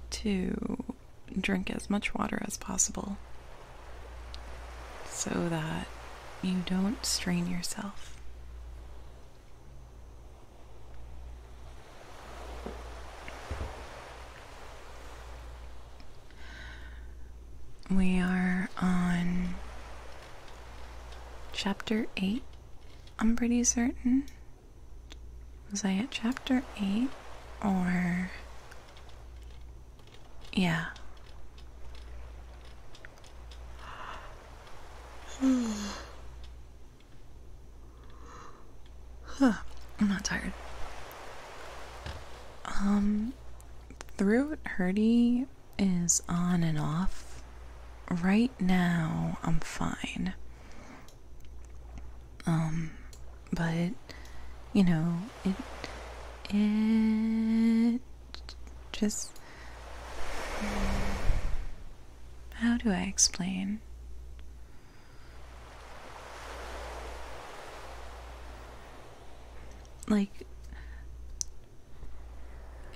to drink as much water as possible so that you don't strain yourself. We are on chapter 8, I'm pretty certain. Was I at chapter 8 or. Yeah. I'm not tired. Um, Throat Hurdy is on and off. Right now, I'm fine. Um, but you know, it it just how do I explain? Like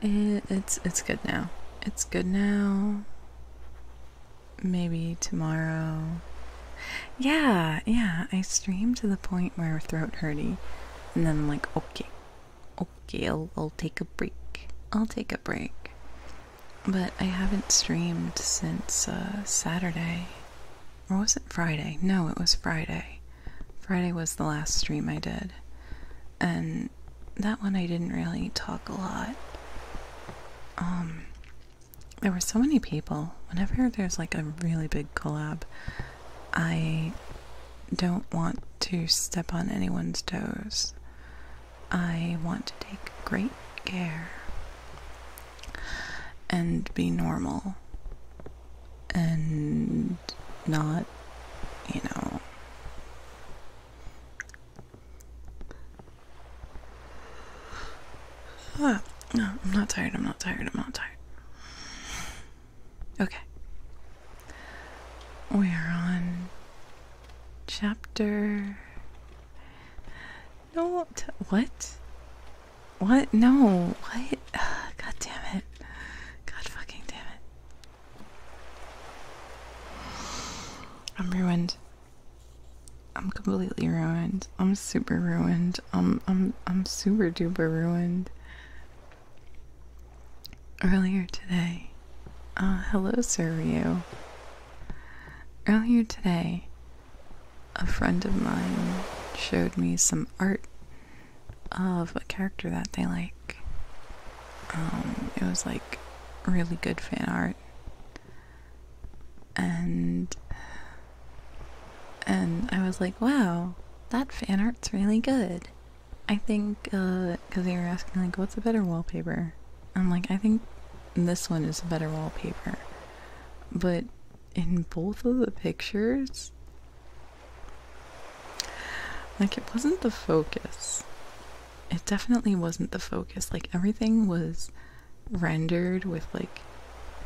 it's it's good now. It's good now maybe tomorrow. Yeah, yeah, I streamed to the point where my throat hurty, and then I'm like, okay, okay, I'll, I'll take a break. I'll take a break. But I haven't streamed since uh, Saturday. Or was it Friday? No, it was Friday. Friday was the last stream I did. And that one I didn't really talk a lot. Um, there were so many people. Whenever there's like a really big collab, I don't want to step on anyone's toes. I want to take great care and be normal and not, you know, Ah, no, I'm not tired. I'm not tired. I'm not tired. Okay. We are on chapter. No, what? What? No, what? God damn it. God fucking damn it. I'm ruined. I'm completely ruined. I'm super ruined. I'm I'm I'm super duper ruined. Earlier today. Uh, hello Sir Ryu. Earlier today, a friend of mine showed me some art of a character that they like. Um, it was like really good fan art and and I was like, wow, that fan art's really good. I think, because uh, they were asking, like, what's a better wallpaper? I'm like, I think this one is a better wallpaper. But in both of the pictures, like, it wasn't the focus it definitely wasn't the focus. Like everything was rendered with like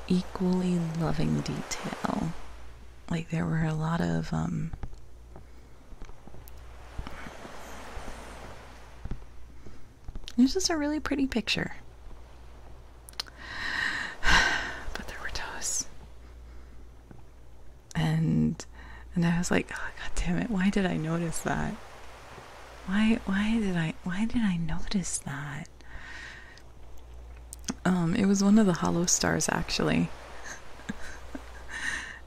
equally loving detail. Like there were a lot of um It's just a really pretty picture. but there were toes. And and I was like, oh, god damn it, why did I notice that? Why why did I why did I notice that? Um, it was one of the hollow stars actually.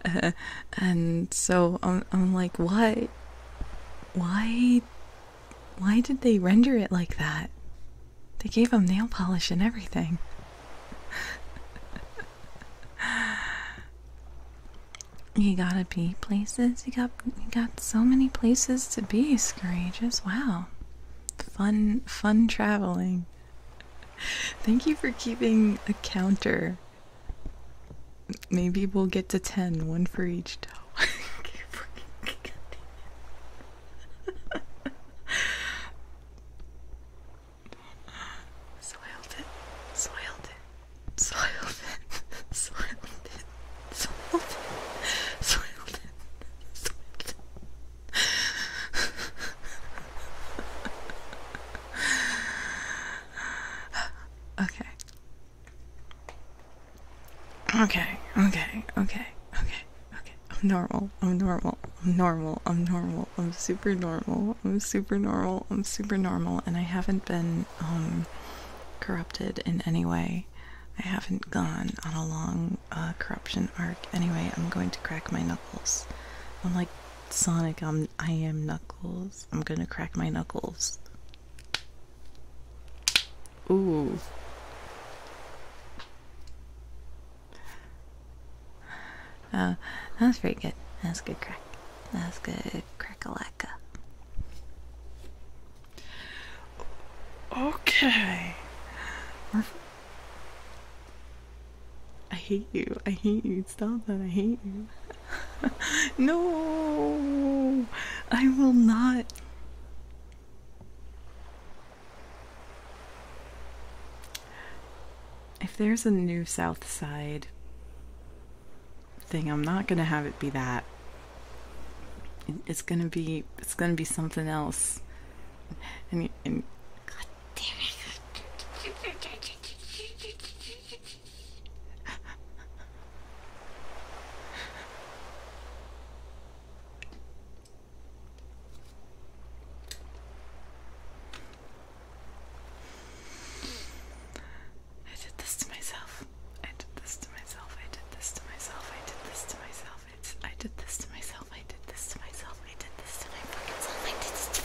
and so I'm um, I'm like, "What? Why why did they render it like that? They gave him nail polish and everything." You gotta be places. You got you got so many places to be, Scrooges. Wow. Fun fun traveling. Thank you for keeping a counter. Maybe we'll get to ten. One for each toe. Soiled it. Soiled it soil bin, soil bin, soil bin, soil bin, soil bin. Okay, okay, okay, okay, okay. I'm normal, I'm normal, I'm normal, I'm normal, I'm super normal, I'm super normal, I'm super normal, and I haven't been, um, corrupted in any way. I haven't gone on a long uh, corruption arc. Anyway, I'm going to crack my knuckles. I'm like Sonic. I'm I am Knuckles. I'm gonna crack my knuckles. Ooh. Uh, that was pretty good. That's good crack. That's good crack a lot. Okay. I hate you. I hate you. Stop that. I hate you. no, I will not. If there's a new South Side thing. I'm not gonna have it be that. It's gonna be it's gonna be something else. And, and God damn it. I did this to myself. I did this to myself. I did this to myself. I did this to myself. It's, I did this to myself. I did this to myself. I did this to my fucking self. I did this to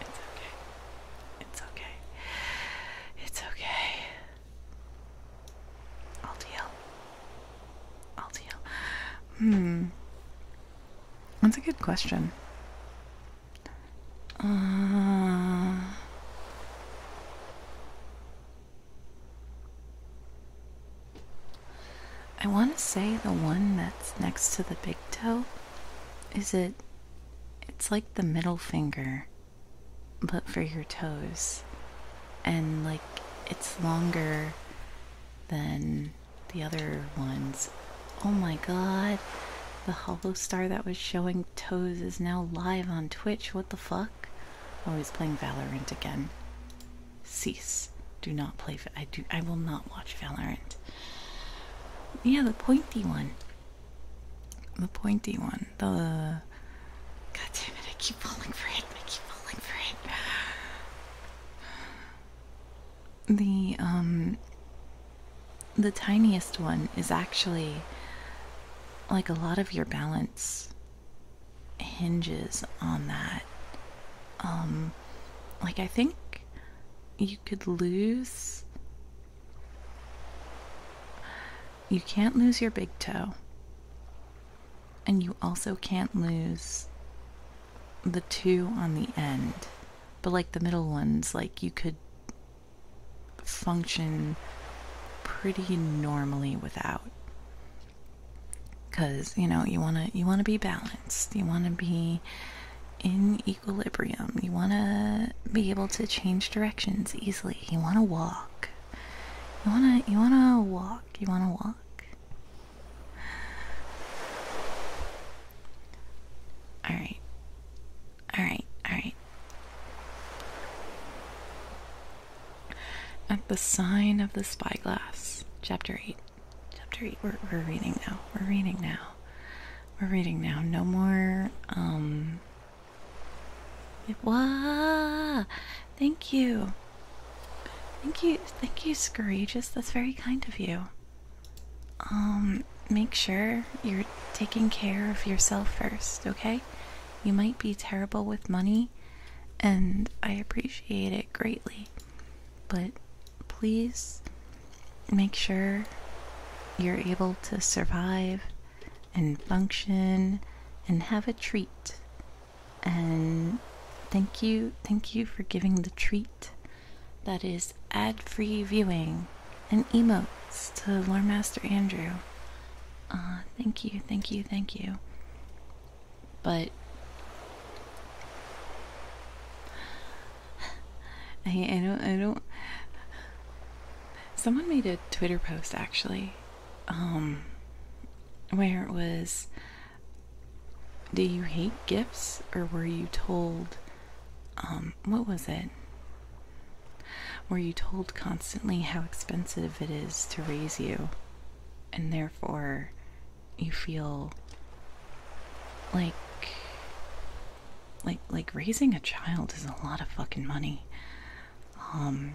It's It's okay. It's okay. It's okay. It's okay. It's okay. I'll deal. I'll deal. Hmm. That's a good question. Uh, I want to say the one that's next to the big toe is it it's like the middle finger but for your toes and like it's longer than the other ones. Oh my god. The hollow star that was showing toes is now live on Twitch. What the fuck? Always oh, playing Valorant again. Cease. Do not play. I do. I will not watch Valorant. Yeah, the pointy one. The pointy one. The. God damn it! I keep falling for it. I keep falling for it the um the tiniest one is actually like a lot of your balance hinges on that um like i think you could lose you can't lose your big toe and you also can't lose the two on the end but like the middle ones, like you could function pretty normally without cuz you know you want to you want to be balanced you want to be in equilibrium you want to be able to change directions easily you want to walk you want to you want to walk you want to walk all right. All right. All right. At the sign of the spyglass, chapter 8. Chapter 8. We're, we're reading now. We're reading now. We're reading now. No more, um. Thank you. Thank you. Thank you, Scrooge. That's very kind of you. Um, make sure you're taking care of yourself first, okay? You might be terrible with money, and I appreciate it greatly, but please make sure you're able to survive and function and have a treat. And thank you, thank you for giving the treat that is ad free viewing and emotes to Lore Master Andrew. Uh, thank you, thank you, thank you. But I, don't, I don't. Someone made a Twitter post actually, um, where it was do you hate gifts or were you told um what was it were you told constantly how expensive it is to raise you and therefore you feel like like like raising a child is a lot of fucking money um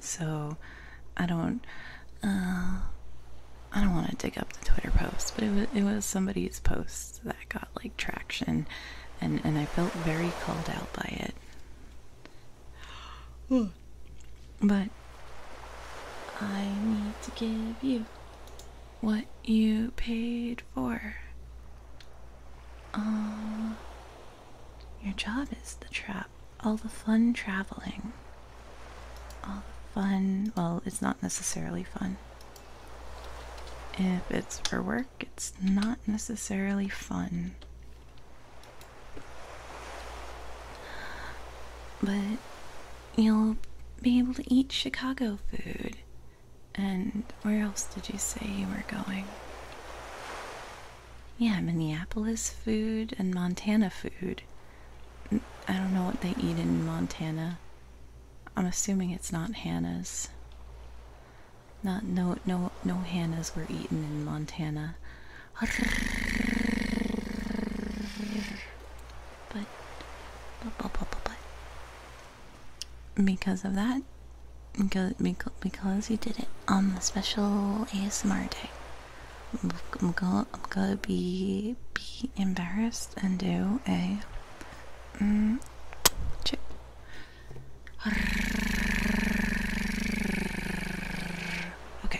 so I don't. Uh, I don't want to dig up the Twitter post, but it was it was somebody's post that got like traction, and and I felt very called out by it. But I need to give you what you paid for. Uh, your job is the trap all the fun traveling. All the fun, well, it's not necessarily fun. If it's for work, it's not necessarily fun. But you'll be able to eat Chicago food. And where else did you say you were going? Yeah, Minneapolis food and Montana food I don't know what they eat in Montana. I'm assuming it's not Hannah's. Not no no no Hannah's were eaten in Montana. But, because of that, because because you did it on the special ASMR day. I'm, gonna be be embarrassed and do a mm, Okay.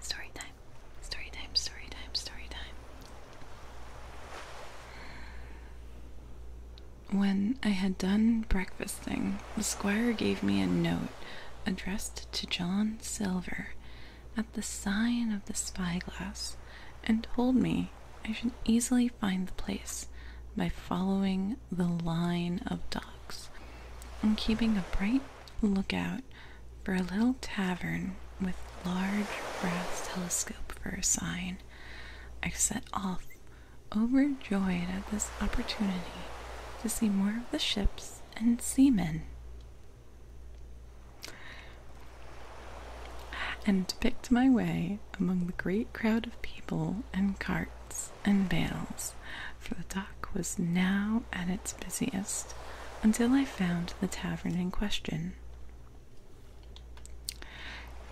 Story time. Story time. Story time. Story time. When I had done breakfast thing. The squire gave me a note addressed to John Silver at the sign of the spyglass and told me I should easily find the place by following the line of docks and keeping a bright lookout for a little tavern with large brass telescope for a sign. I set off overjoyed at this opportunity to see more of the ships and seamen. And picked my way among the great crowd of people and carts and bales, for the dock was now at its busiest, until I found the tavern in question.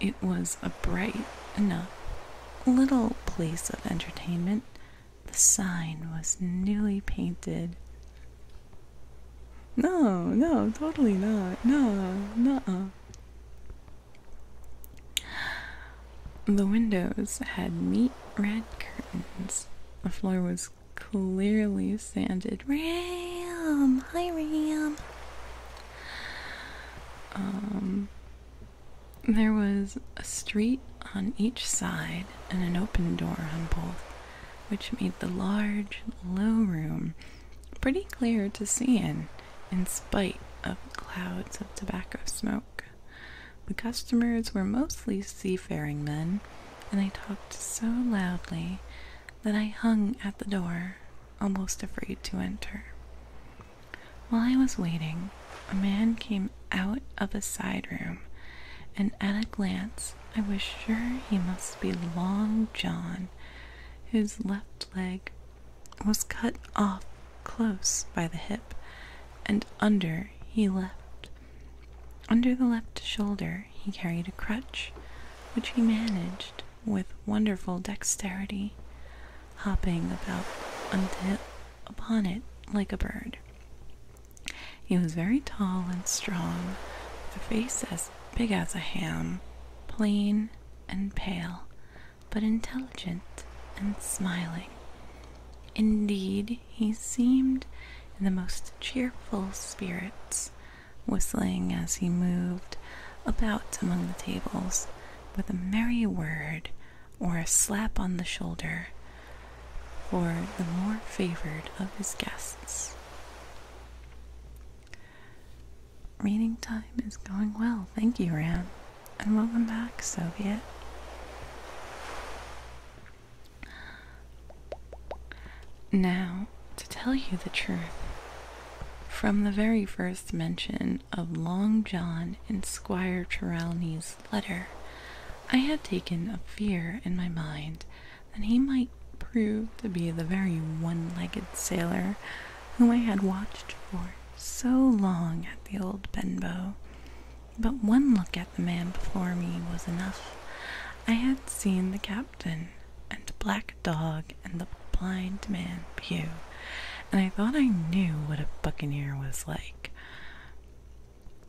It was a bright enough little place of entertainment the sign was newly painted. No, no, totally not. No, no. The windows had neat red curtains. The floor was clearly sanded. Ram! Hi, Ram! Um, there was a street on each side and an open door on both, which made the large, low room pretty clear to see in, in spite of clouds of tobacco smoke. The customers were mostly seafaring men, and they talked so loudly that I hung at the door, almost afraid to enter. While I was waiting, a man came out of a side room, and at a glance I was sure he must be Long John, whose left leg was cut off close by the hip, and under he leapt. under the left shoulder he carried a crutch, which he managed with wonderful dexterity, hopping about upon it like a bird. He was very tall and strong, with a face as big as a ham, plain and pale, but intelligent and smiling. Indeed, he seemed in the most cheerful spirits, whistling as he moved about among the tables with a merry word or a slap on the shoulder for the more favored of his guests. Reading time is going well. Thank you, Ram. And welcome back, Soviet. Now, to tell you the truth, from the very first mention of Long John in Squire Trelawney's letter, I had taken a fear in my mind that he might prove to be the very one-legged sailor whom I had watched for so long at the old Benbow. But one look at the man before me was enough. I had seen the captain and Black Dog and the blind man Pew, and I thought I knew what a buccaneer was like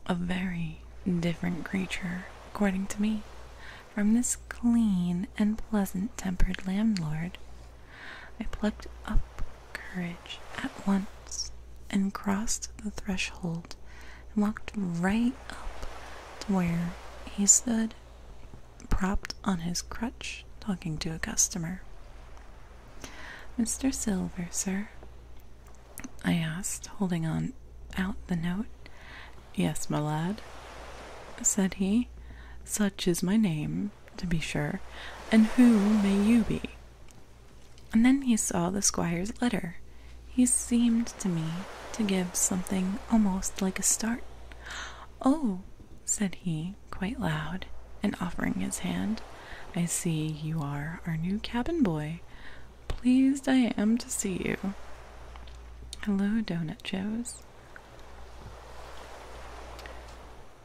a very different creature, according to me, from this clean and pleasant tempered landlord. I plucked up courage at once and crossed the threshold and walked right up to where he stood, propped on his crutch, talking to a customer. Mr. Silver, sir, I asked, holding on out the note. Yes, my lad, said he. Such is my name, to be sure, and who may you be? And then he saw the squire's letter. He seemed to me to give something almost like a start. Oh, said he, quite loud, and offering his hand, I see you are our new cabin boy. Pleased I am to see you. Hello, Donut Joes.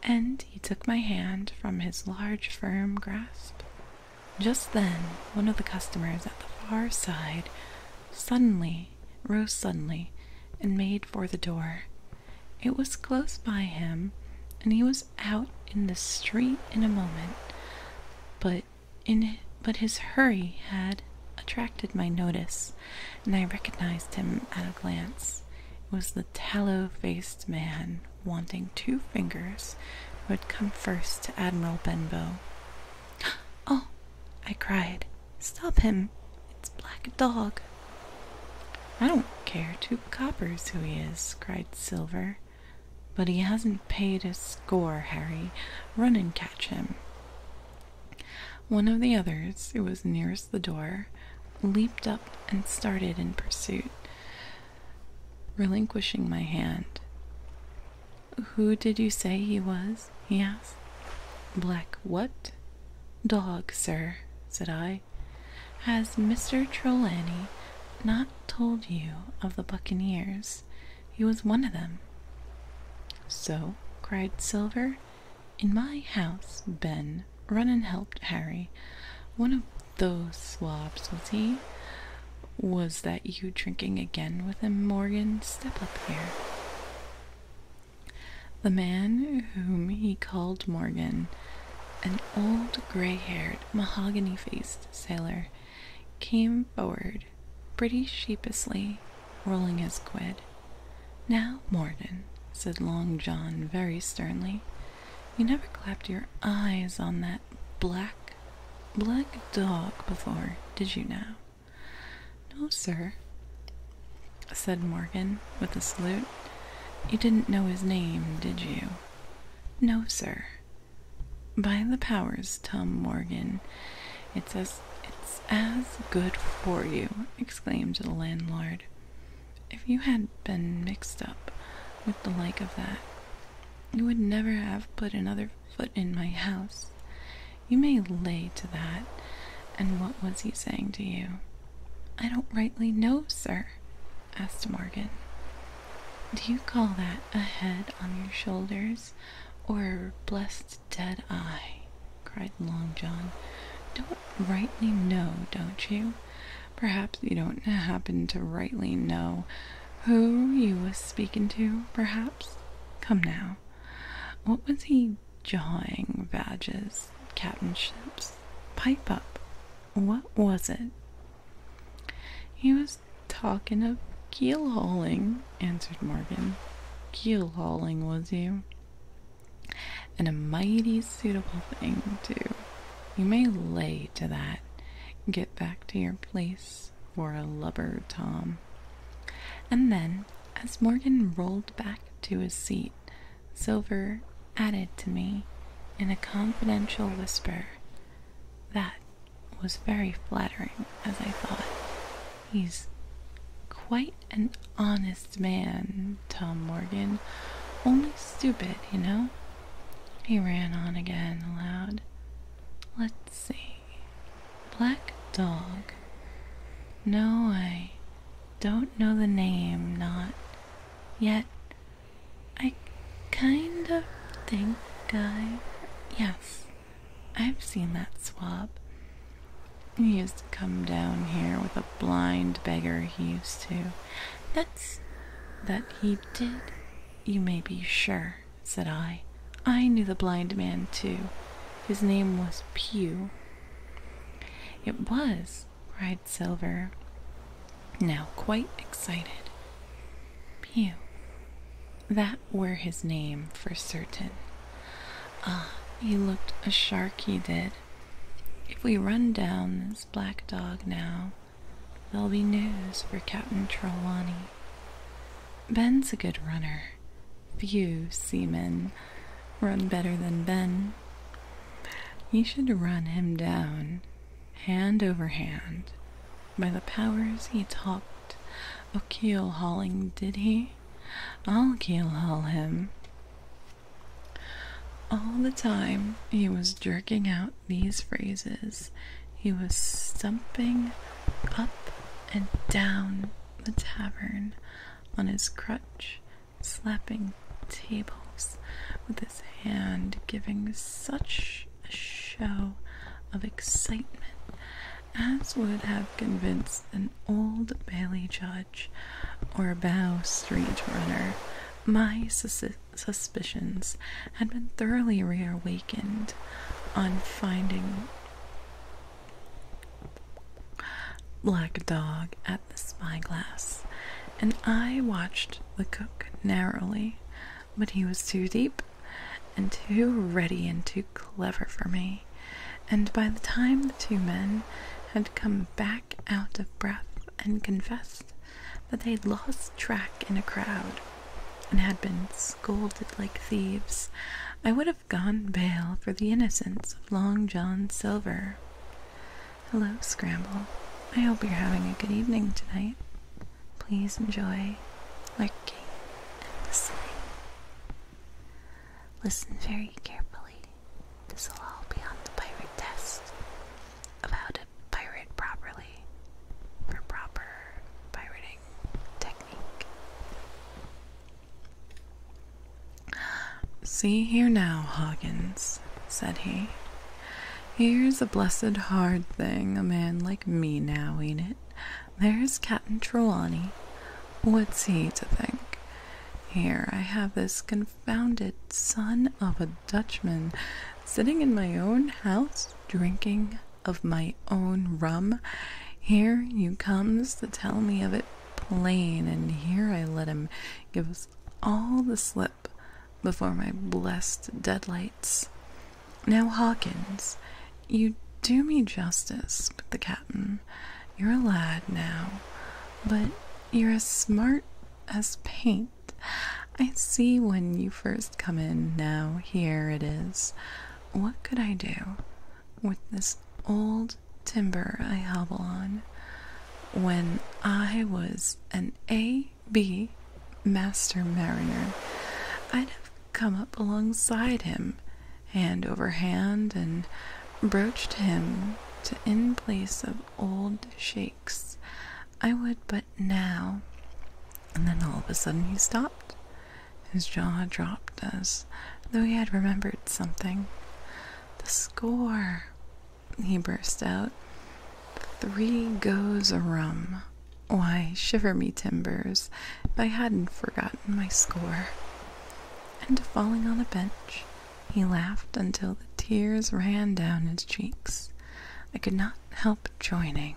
And he took my hand from his large, firm grasp. Just then, one of the customers at the far side suddenly rose suddenly and made for the door. It was close by him, and he was out in the street in a moment, but in but his hurry had attracted my notice, and I recognized him at a glance. It was the tallow-faced man wanting two fingers who had come first to Admiral Benbow. Oh, I cried. Stop him. It's Black Dog. I don't care two coppers who he is, cried Silver, but he hasn't paid his score, Harry. Run and catch him. One of the others, who was nearest the door, leaped up and started in pursuit, relinquishing my hand. Who did you say he was? he asked. Black what? Dog, sir, said I. Has Mr. Trelawney not told you of the buccaneers. He was one of them. So, cried Silver, in my house, Ben, run and help Harry. One of those swabs, was he? Was that you drinking again with a Morgan? Step up here. The man whom he called Morgan, an old gray haired, mahogany faced sailor, came forward pretty sheepishly, rolling his quid. Now, Morgan said Long John very sternly, you never clapped your eyes on that black, black dog before, did you now? No, sir, said Morgan with a salute. You didn't know his name, did you? No, sir, by the powers, Tom Morgan, it's as it's as good for you, exclaimed the landlord. If you had been mixed up with the like of that, you would never have put another foot in my house. You may lay to that. And what was he saying to you? I don't rightly know, sir, asked Morgan. Do you call that a head on your shoulders or a blessed dead eye? cried Long John. Don't rightly know, don't you? Perhaps you don't happen to rightly know who you was speaking to, perhaps? Come now. What was he jawing, badges, captainships? Pipe up. What was it? He was was talking of keel hauling, answered Morgan. Keel hauling, was you? And a mighty suitable thing, too. You may lay to that. Get back to your place, for a lubber Tom. And then, as Morgan rolled back to his seat, Silver added to me in a confidential whisper, That was very flattering, as I thought. He's quite an honest man, Tom Morgan. Only stupid, you know? He ran on again aloud. Let's see. Black Dog. No, I don't know the name, not yet. I kind of think I. Yes, I've seen that swab. He used to come down here with a blind beggar he used to. That's. that he did, you may be sure, said I. I knew the blind man too. His name was Pew. It was, cried Silver, now quite excited. Pew. That were his name for certain. Ah, he looked a shark, he did. If we run down this black dog now, there'll be news for Captain Trelawney. Ben's a good runner. Few seamen run better than Ben. You should run him down hand over hand, by the powers he talked of keel hauling, did he? I'll keel haul him. All the time he was jerking out these phrases, he was stumping up and down the tavern on his crutch, slapping tables with his hand, giving such a show of excitement as would have convinced an old Bailey judge or Bow Street runner. My suspicions had been thoroughly reawakened on finding Black Dog at the spyglass, and I watched the cook narrowly, but he was too deep and too ready and too clever for me, and by the time the two men had come back out of breath and confessed that they'd lost track in a crowd and had been scolded like thieves, I would have gone bail for the innocence of Long John Silver. Hello, Scramble. I hope you're having a good evening tonight. Please enjoy lurking and listening. Listen very carefully. This will all be on the pirate test of how to pirate properly for proper pirating technique. See here now, Hoggins said he. Here's a blessed hard thing a man like me now, ain't it? there's Captain Trelawney. What's he to think? Here I have this confounded son of a Dutchman sitting in my own house drinking of my own rum. Here you comes to tell me of it plain, and here I let him give us all the slip before my blessed deadlights. Now, Hawkins, you do me justice but the captain. You're a lad now, but you're as smart as paint. I see when you first come in now, here it is. What could I do with this old timber I hobble on? When I was an A.B. Master Mariner, I'd have come up alongside him, hand over hand, and broached him to in place of old shakes. I would but now. And then all of a sudden he stopped. His jaw dropped as though he had remembered something. The score, he burst out. Three goes a rum. Why, shiver me timbers, if I hadn't forgotten my score. And falling on a bench, he laughed until the tears ran down his cheeks. I could not help joining,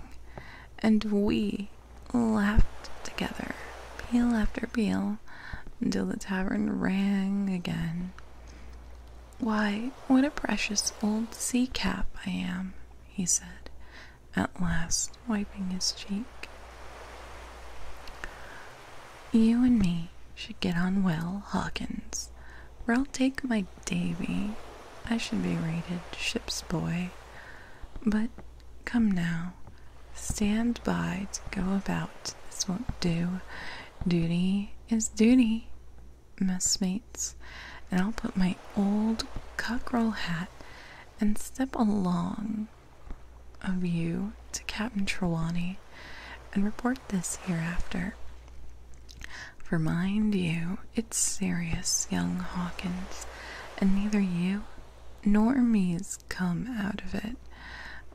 and we laughed together, peal after peal, until the tavern rang again. Why, what a precious old sea cap I am, he said, at last, wiping his cheek. You and me should get on well, Hawkins, or I'll take my Davy. I should be rated ship's boy. But come now, stand by to go about. This won't do. Duty is duty, messmates, and I'll put my old cockerel hat and step along of you to Captain Trelawney and report this hereafter. For mind you, it's serious, young Hawkins, and neither you nor me's come out of it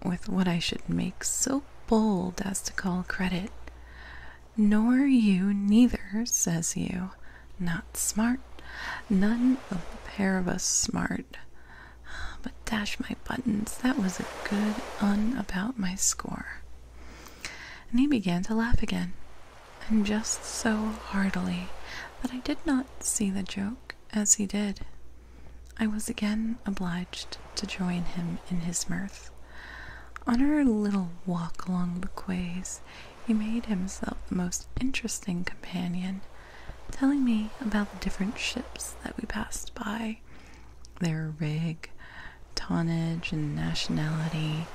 with what I should make so bold as to call credit. Nor you neither, says you, not smart. None of the pair of us smart. But dash my buttons, that was a good un about my score. And he began to laugh again, and just so heartily that I did not see the joke as he did. I was again obliged to join him in his mirth. On our little walk along the quays, he made himself the most interesting companion, telling me about the different ships that we passed by, their rig, tonnage, and nationality,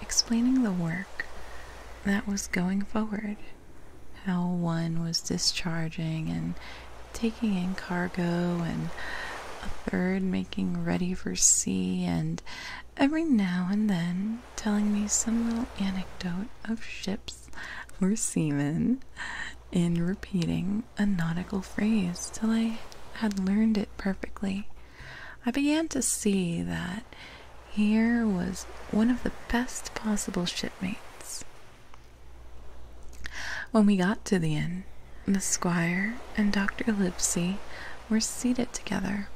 explaining the work that was going forward, how one was discharging and taking in cargo, and a third making ready for sea, and every now and then telling me some little anecdote of ships or seamen and repeating a nautical phrase till I had learned it perfectly. I began to see that here was one of the best possible shipmates. When we got to the inn, the squire and Dr. Livesey were seated together,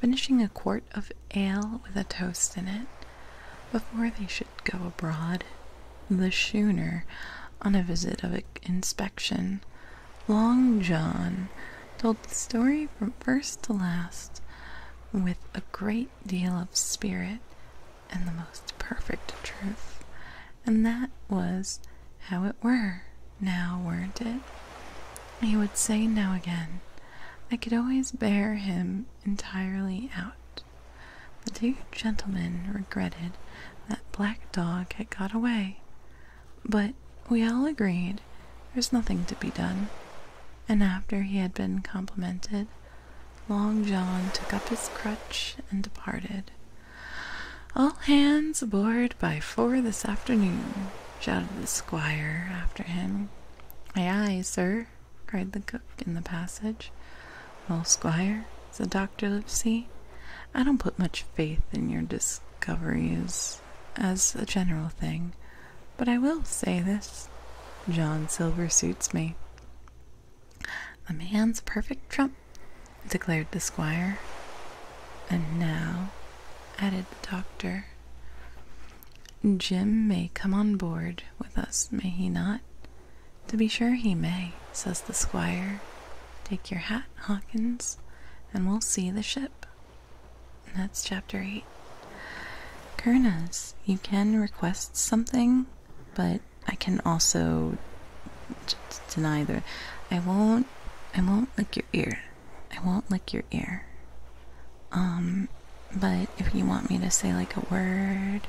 finishing a quart of ale with a toast in it, before they should go abroad, the schooner, on a visit of inspection. Long John told the story from first to last with a great deal of spirit and the most perfect truth, and that was how it were now, weren't it? He would say now again, I could always bear him entirely out. The two gentlemen regretted that black dog had got away, but we all agreed there was nothing to be done. And after he had been complimented, Long John took up his crutch and departed. All hands aboard by four this afternoon, shouted the squire after him, Ay, ay, sir, cried the cook in the passage. Well, squire, said Dr. Livesey, I don't put much faith in your discoveries as a general thing, but I will say this. John Silver suits me. The man's perfect trump, declared the squire. And now, added the doctor, Jim may come on board with us, may he not? To be sure he may, says the squire. Take your hat, Hawkins, and we'll see the ship. That's chapter 8. Kernas, you can request something, but I can also deny the. I won't. I won't lick your ear. I won't lick your ear. Um, but if you want me to say like a word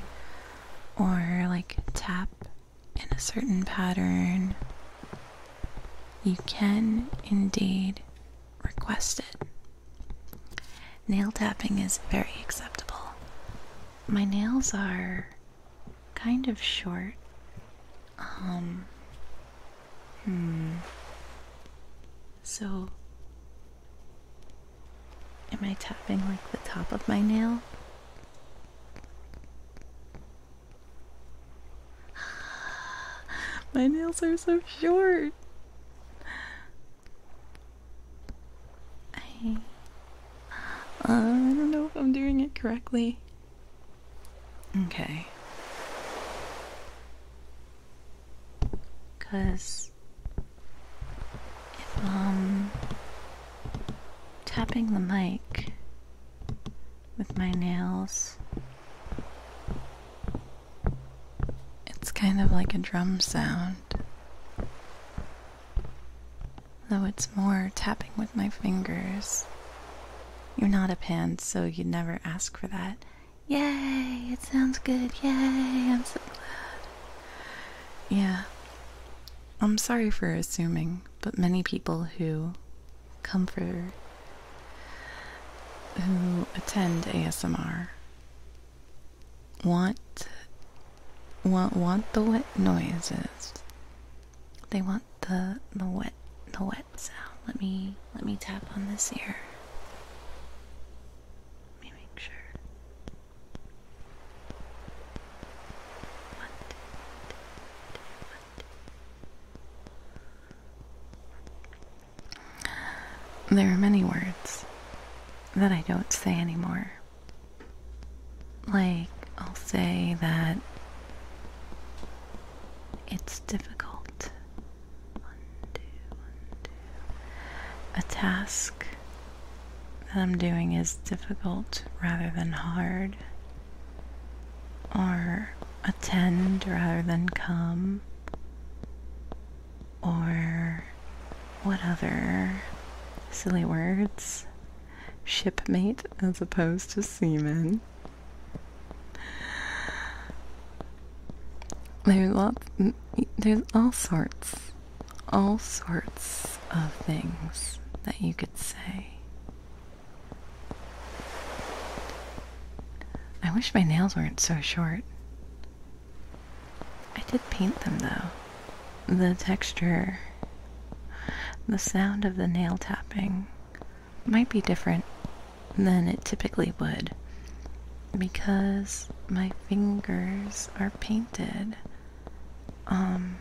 or like tap in a certain pattern, you can indeed request it. Nail tapping is very acceptable. My nails are kind of short. Um, Hmm. So, am I tapping like the top of my nail? my nails are so short. I, uh, I don't know if I'm doing it correctly. Okay. Because if I'm um, tapping the mic with my nails, it's kind of like a drum sound. Though it's more tapping with my fingers. You're not a pan, so you'd never ask for that. Yay, it sounds good. Yay, I'm so glad. Yeah. I'm sorry for assuming, but many people who come for who attend ASMR want want want the wet noises. They want the the wet the wet sound. Let me let me tap on this ear make sure. There are many words that I don't say anymore. Like, I'll say that it's difficult a task that I'm doing is difficult rather than hard, or attend rather than come, or what other silly words? Shipmate as opposed to seaman. There's lots. There's all sorts, all sorts of things that you could say. I wish my nails weren't so short. I did paint them though. The texture, the sound of the nail tapping might be different than it typically would because my fingers are painted. Um,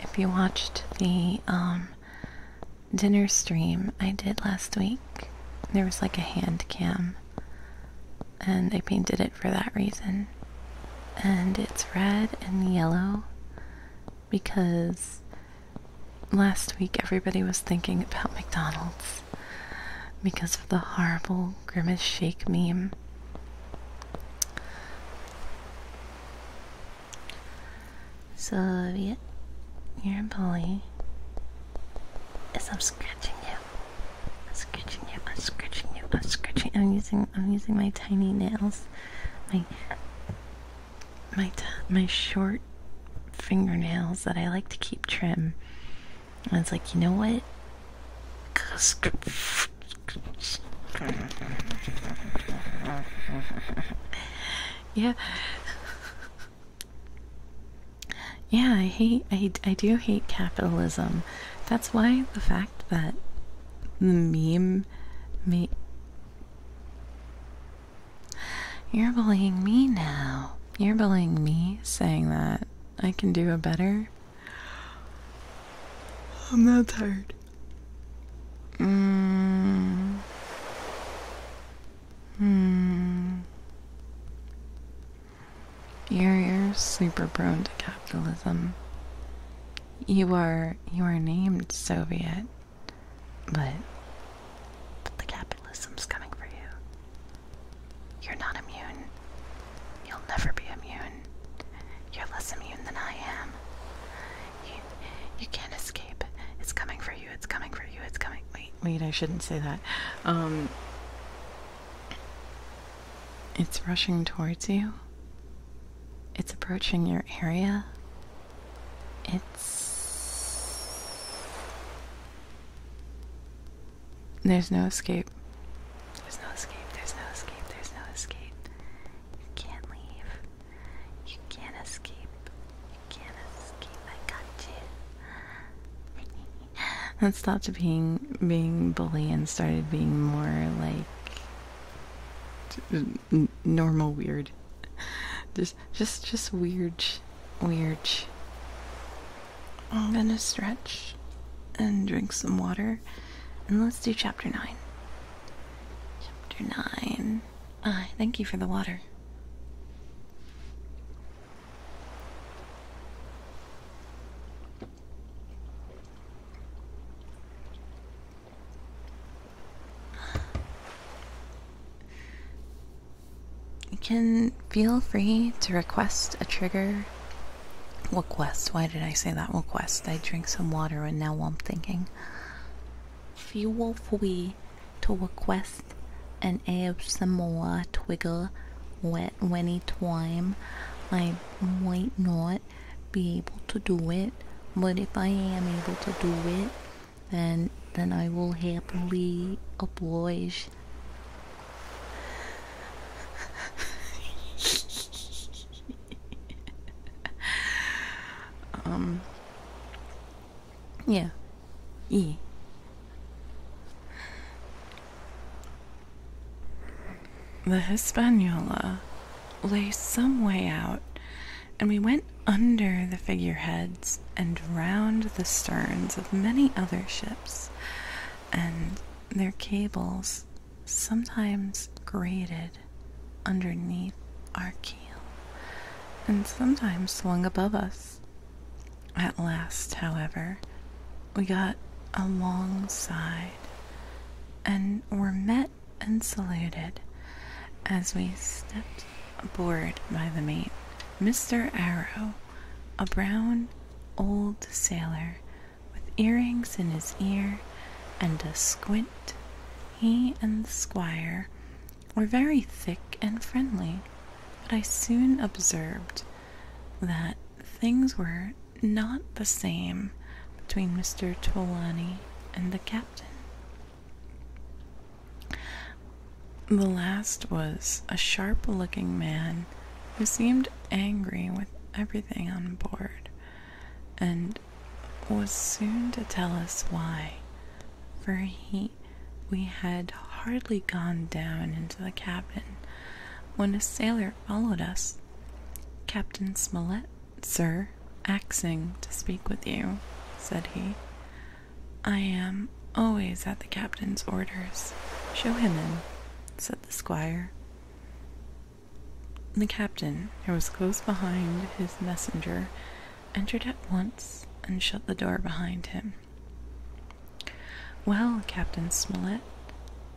if you watched the um, dinner stream I did last week, there was like a hand cam, and I painted it for that reason. And it's red and yellow because last week everybody was thinking about McDonald's because of the horrible Grimace Shake meme. So, yeah, you're a bully. Yes, I'm scratching you. I'm scratching you. I'm scratching you. I'm scratching. I'm using. I'm using my tiny nails. My my my short fingernails that I like to keep trim. And it's like, you know what? yeah. Yeah, I hate, I, I do hate capitalism. That's why the fact that the meme me. You're bullying me now. You're bullying me saying that I can do a better. I'm not tired. Mm. Hmm. You're you're super prone to capitalism. You are you are named Soviet, but but the capitalism's coming for you. You're not immune. You'll never be immune. You're less immune than I am. You, you can't escape. It's coming for you. It's coming for you. It's coming. Wait, wait, I shouldn't say that. Um, it's rushing towards you. It's approaching your area. It's there's no escape. There's no escape. There's no escape. There's no escape. You can't leave. You can't escape. You can't escape. I got you. Let's being being bully and started being more like normal weird. Just just just weird weird. I'm gonna stretch and drink some water and let's do chapter 9. Chapter 9. Ah, thank you for the water you can feel free to request a trigger. Request, why did I say that? Request. I drink some water and now I'm thinking. Feel free to request an more trigger wet any time. I might not be able to do it, but if I am able to do it, then then I will happily oblige um. Yeah. Yeah. The Hispaniola lay some way out, and we went under the figureheads and round the sterns of many other ships and their cables sometimes grated underneath our keel, and sometimes swung above us. At last, however, we got alongside and were met and saluted as we stepped aboard by the mate, Mr. Arrow, a brown old sailor with earrings in his ear and a squint. He and the squire were very thick and friendly, but I soon observed that things were not the same between Mr. Trelawney and the captain. The last was a sharp looking man who seemed angry with everything on board and was soon to tell us why, for he we had hardly gone down into the cabin when a sailor followed us. Captain Smollett, sir, axing to speak with you, said he. I am always at the captain's orders. Show him in, said the squire. The captain, who was close behind his messenger, entered at once and shut the door behind him. Well, Captain Smollett,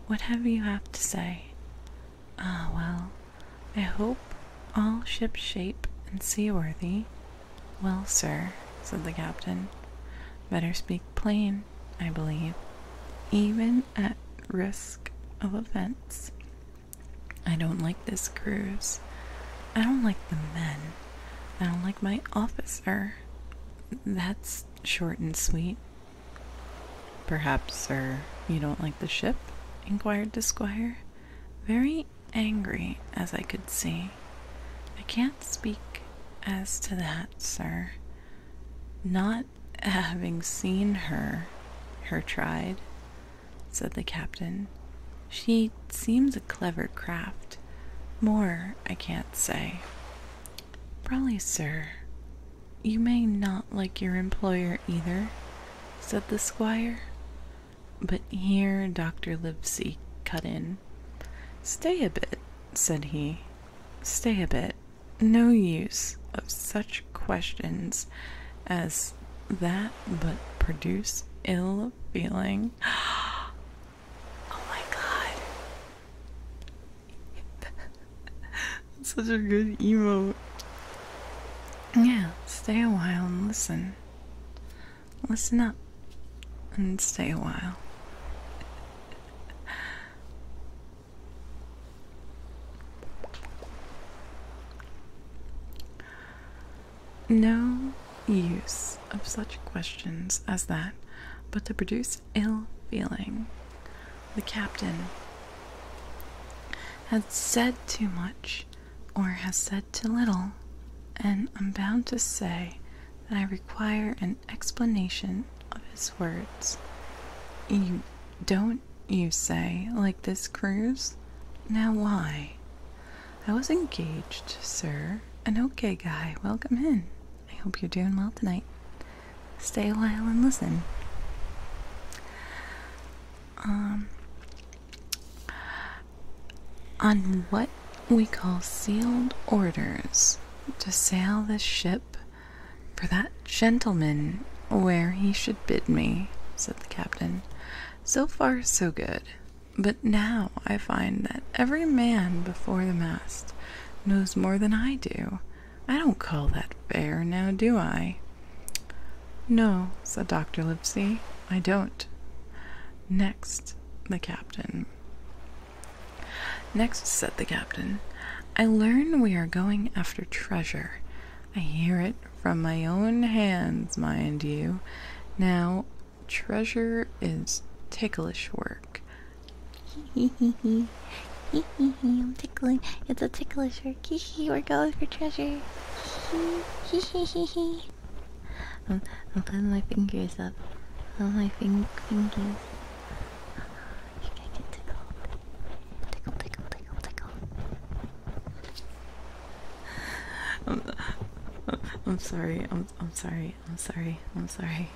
what have you to say? Ah, well, I hope all shipshape and seaworthy. Well, sir, said the captain, better speak plane, I believe, even at risk of offense. I don't like this cruise. I don't like the men. I don't like my officer. That's short and sweet. Perhaps, sir, you don't like the ship? inquired the squire, very angry as I could see. I can't speak as to that sir. Not having seen her, her tried, said the captain. She seems a clever craft. More I can't say. Probably, sir. You may not like your employer either, said the squire. But here Dr. Livesey cut in. Stay a bit, said he. Stay a bit. No use of such questions as that but produce ill feeling. oh my god. such a good emote. Yeah, stay a while and listen. Listen up and stay a while. No use of such questions as that but to produce ill feeling. The captain had said too much or has said too little, and I'm bound to say that I require an explanation of his words. You don't, you say, like this cruise? Now why? I was engaged, sir. An okay guy. Welcome in. I hope you're doing well tonight. Stay a while and listen. Um, on what we call sealed orders to sail this ship for that gentleman where he should bid me, said the captain. So far, so good. But now I find that every man before the mast knows more than I do. I don't call that fair, now do I? No, said Dr. Livesey, I don't. Next, the captain. Next, said the captain, I learn we are going after treasure. I hear it from my own hands, mind you. Now, treasure is ticklish work. Hee hee hee. Hee hee hee. I'm tickling. It's a ticklish work. Hee hee. We're going for treasure. Hee hee hee hee. I'm, I'm putting my fingers up. All my fing fingers. I'm, sorry. I'm, I'm sorry. I'm sorry. I'm sorry.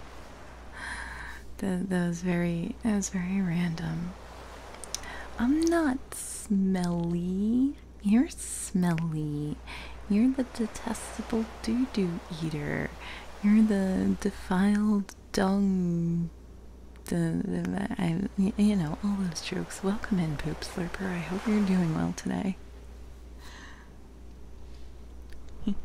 That, that was very. That was very random. I'm not smelly. You're smelly. You're the detestable doo doo eater. You're the defiled dung. The, I, you know all those jokes. Welcome in, poop slurper. I hope you're doing well today.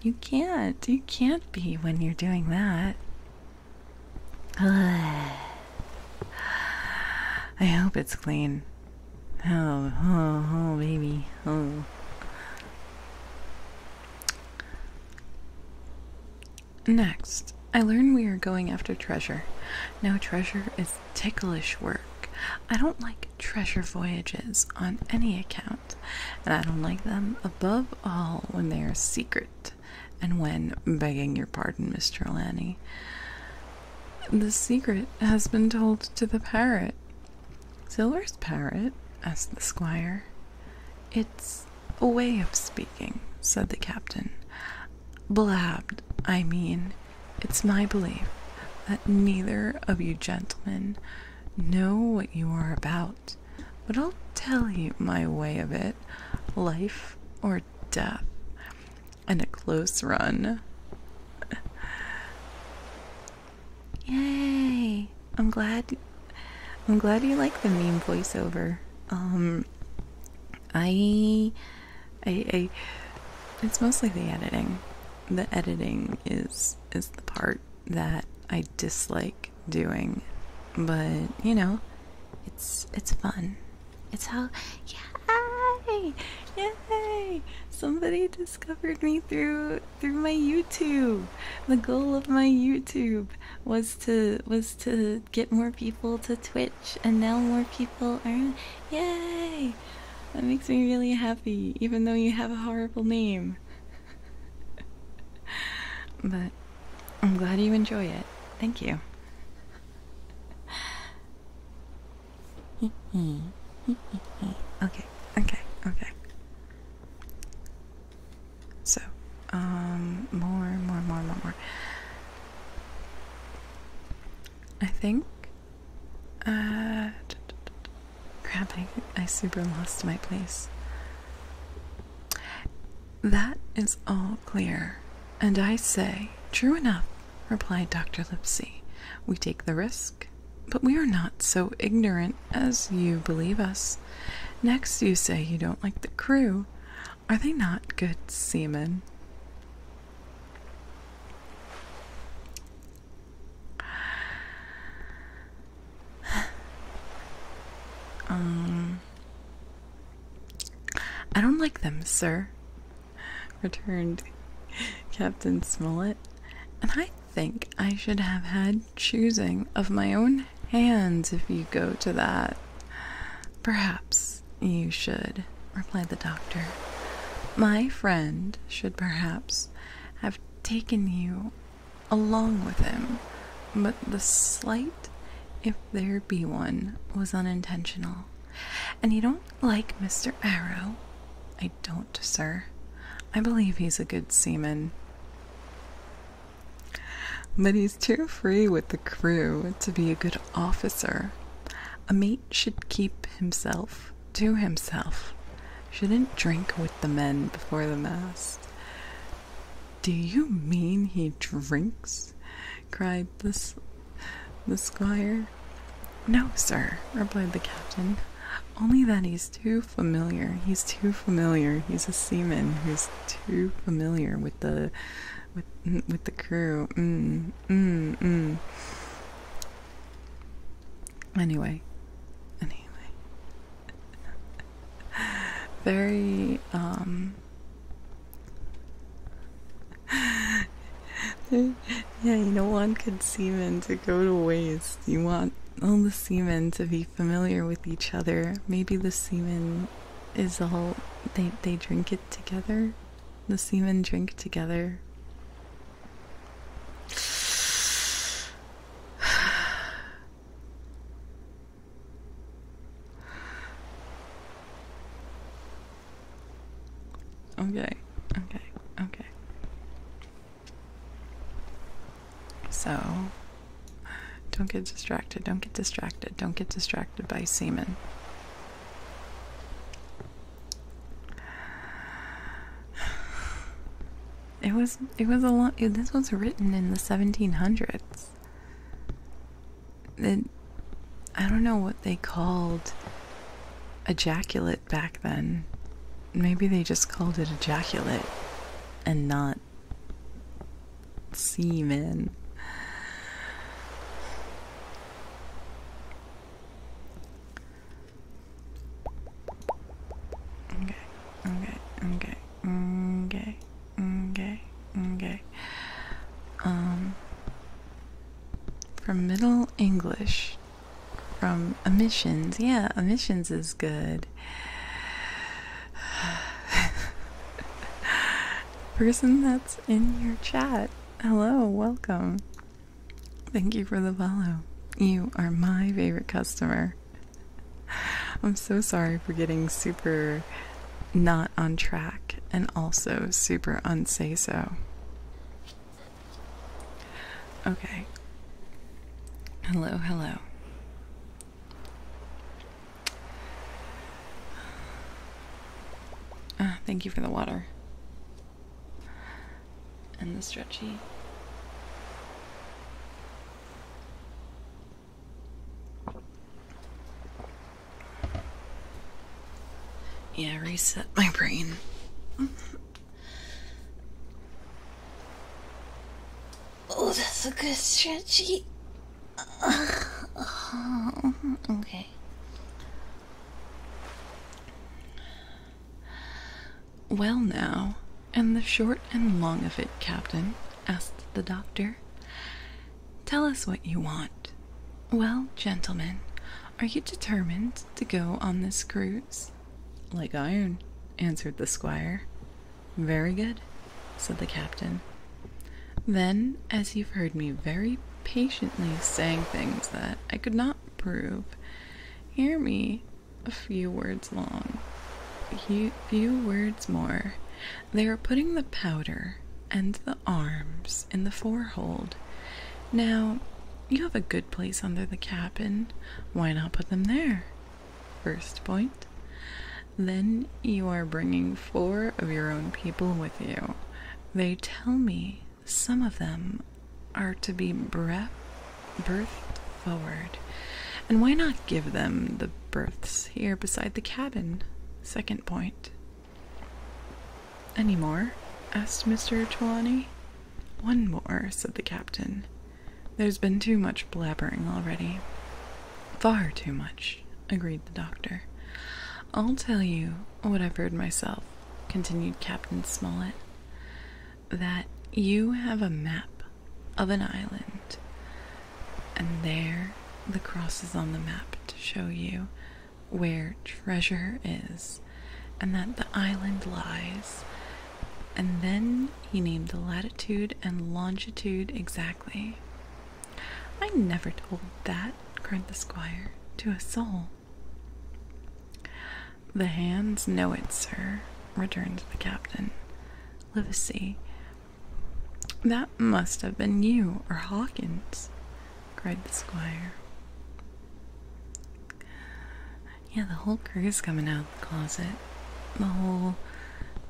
you can't. You can't be when you're doing that. I hope it's clean. Oh, oh, oh, baby. Oh. Next, I learn we are going after treasure. Now, treasure is ticklish work. I don't like treasure voyages on any account, and I don't like them above all when they are secret and when, begging your pardon, Mister Trelawney, the secret has been told to the parrot. Silver's parrot? asked the squire. It's a way of speaking, said the captain. Blabbed, I mean. It's my belief that neither of you gentlemen know what you are about, but I'll tell you my way of it life or death, and a close run. Yay! I'm glad I'm glad you like the meme voiceover. Um I it's mostly the editing. The editing is is the part that I dislike doing. But, you know, it's it's fun. It's how yay! Yay! Somebody just discovered me through through my YouTube. The goal of my YouTube was to was to get more people to Twitch and now more people are Yay! That makes me really happy, even though you have a horrible name. but I'm glad you enjoy it. Thank you okay, okay, okay. So, um, more, more, more, more, more. I think, uh, crap, I, I super lost my place. That is all clear, and I say, true enough, replied Dr. Lipsy. We take the risk, but we are not so ignorant as you believe us. Next, you say you don't like the crew. Are they not good seamen? um, I don't like them, sir, returned Captain Smollett, and I think I should have had choosing of my own hands if you go to that. Perhaps you should, replied the doctor. My friend should perhaps have taken you along with him, but the slight, if there be one, was unintentional. And you don't like Mr. Arrow? I don't sir. I believe he's a good seaman. But he's too free with the crew to be a good officer. A mate should keep himself to himself, shouldn't drink with the men before the mast. Do you mean he drinks? cried this the squire. No, sir, replied the captain. Only that he's too familiar. He's too familiar. He's a seaman who's too familiar with the with with the crew. Mm, mm, mm. Anyway, anyway, very um. Yeah, you don't want good semen to go to waste. You want all the semen to be familiar with each other. Maybe the semen is all they they drink it together. The semen drink together. okay, okay, okay. So don't get distracted, don't get distracted, don't get distracted by semen. It was it was a lot this was written in the 1700s. It, I don't know what they called ejaculate back then. Maybe they just called it ejaculate and not semen. Okay, okay, okay, okay, okay, okay. Um, from Middle English from emissions. Yeah, emissions is good. Person that's in your chat, hello, welcome. Thank you for the follow. You are my favorite customer. I'm so sorry for getting super not on track and also super unsay so. Okay. Hello, hello. Ah, thank you for the water. And the stretchy. Yeah, reset my brain. Oh, that's a good stretchy. okay. Well, now, and the short and long of it, Captain, asked the doctor. Tell us what you want. Well, gentlemen, are you determined to go on this cruise? Like iron, answered the squire. Very good, said the captain. Then, as you've heard me very patiently saying things that I could not prove, hear me a few words long, few, few words more. They are putting the powder and the arms in the forehold. Now, you have a good place under the cabin. Why not put them there? First point. Then you are bringing four of your own people with you. They tell me some of them are to be bre birthed forward. And why not give them the berths here beside the cabin? Second point. Any more? asked Mr. Trelawney. One more, said the captain. There's been too much blabbering already. Far too much, agreed the doctor. I'll tell you what I've heard myself, continued Captain Smollett, that you have a map of an island, and there the cross is on the map to show you where treasure is, and that the island lies and then he named the latitude and longitude exactly. I never told that, cried the squire, to a soul. The hands know it, sir, returned the captain. Livesey, that must have been you or Hawkins, cried the squire. Yeah, the whole crew's coming out of the closet. The whole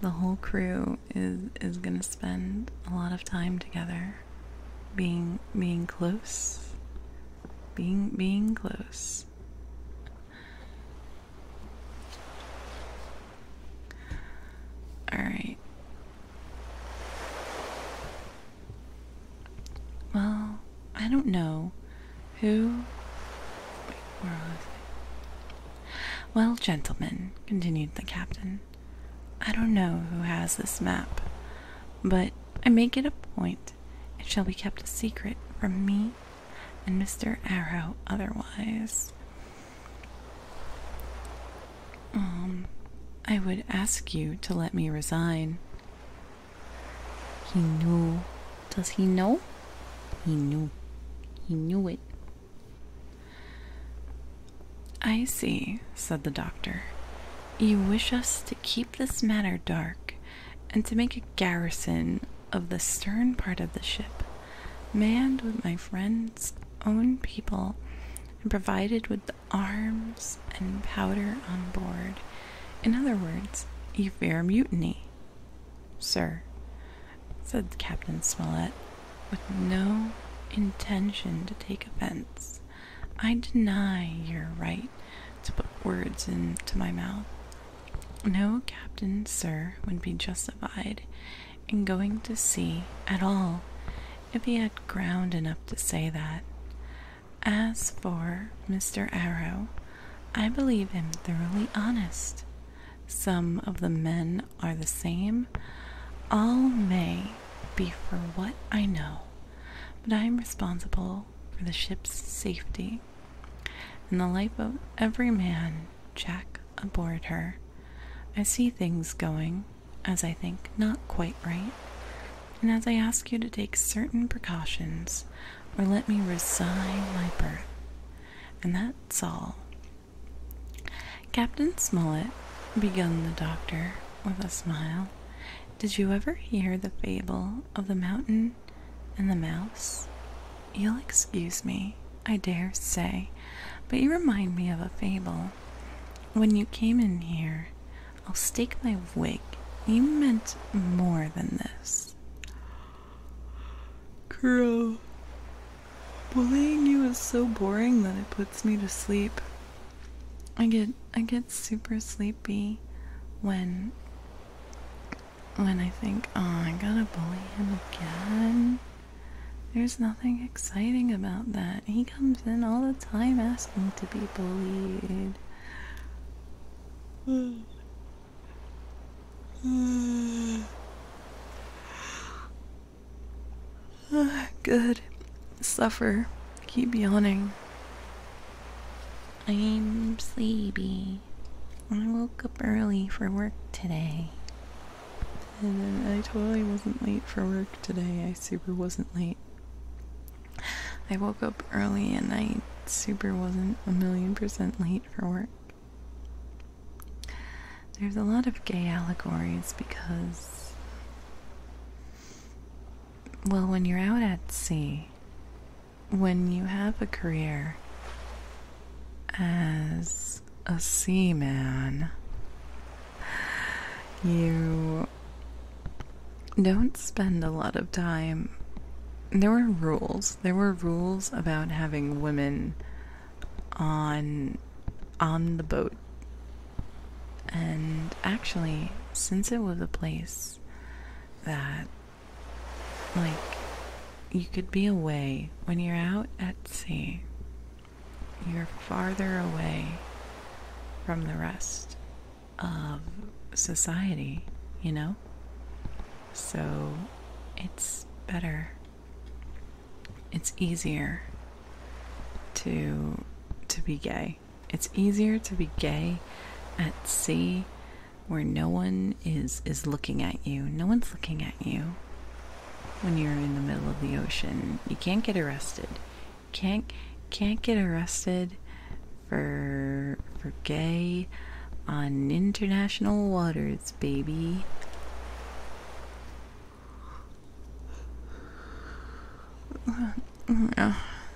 the whole crew is is gonna spend a lot of time together being being close. Being being close. Alright. Well, I don't know. Who? Wait, where Well, gentlemen, continued the captain, I don't know who has this map, but I make it a point it shall be kept a secret from me and Mr. Arrow otherwise. Um, I would ask you to let me resign. He knew. Does he know? He knew. He knew it. I see, said the doctor. You wish us to keep this matter dark and to make a garrison of the stern part of the ship, manned with my friend's own people and provided with arms and powder on board. In other words, you fear mutiny. Sir, said Captain Smollett, with no intention to take offense, I deny your right to put words into my mouth. No captain, sir, would be justified in going to sea at all if he had ground enough to say that. As for Mr. Arrow, I believe him thoroughly honest. Some of the men are the same. All may be for what I know, but I am responsible for the ship's safety and the life of every man, Jack, aboard her. I see things going, as I think, not quite right, and as I ask you to take certain precautions or let me resign my berth, and that's all. Captain Smollett, began the doctor with a smile, did you ever hear the fable of the mountain and the mouse? You'll excuse me, I dare say, but you remind me of a fable. When you came in here, I'll stake my wig you meant more than this. Girl, bullying you is so boring that it puts me to sleep. I get I get super sleepy when when I think, oh, I gotta bully him again. There's nothing exciting about that. He comes in all the time asking to be bullied. Good. Suffer. Keep yawning. I'm sleepy. I woke up early for work today. And I totally wasn't late for work today. I super wasn't late. I woke up early and I super wasn't a million percent late for work. There's a lot of gay allegories because, well, when you're out at sea, when you have a career as a seaman, you don't spend a lot of time there were rules. There were rules about having women on on the boat. And actually, since it was a place that like you could be away when you're out at sea, you're farther away from the rest of society, you know? So it's better. It's easier to to be gay. It's easier to be gay at sea where no one is is looking at you. No one's looking at you when you're in the middle of the ocean. You can't get arrested. Can't can't get arrested for for gay on international waters, baby.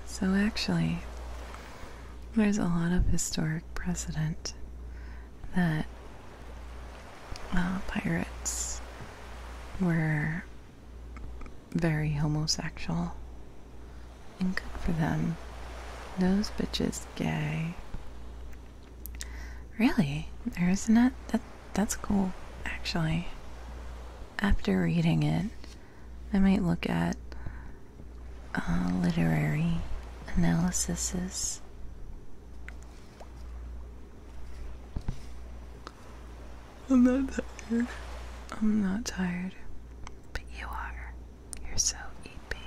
So, actually, there's a lot of historic precedent that uh, pirates were very homosexual and good for them. Those bitches gay. Really? There isn't it? That that's cool, actually. After reading it, I might look at uh, literary analyses. I'm not tired. I'm not tired, but you are. You're so eepy.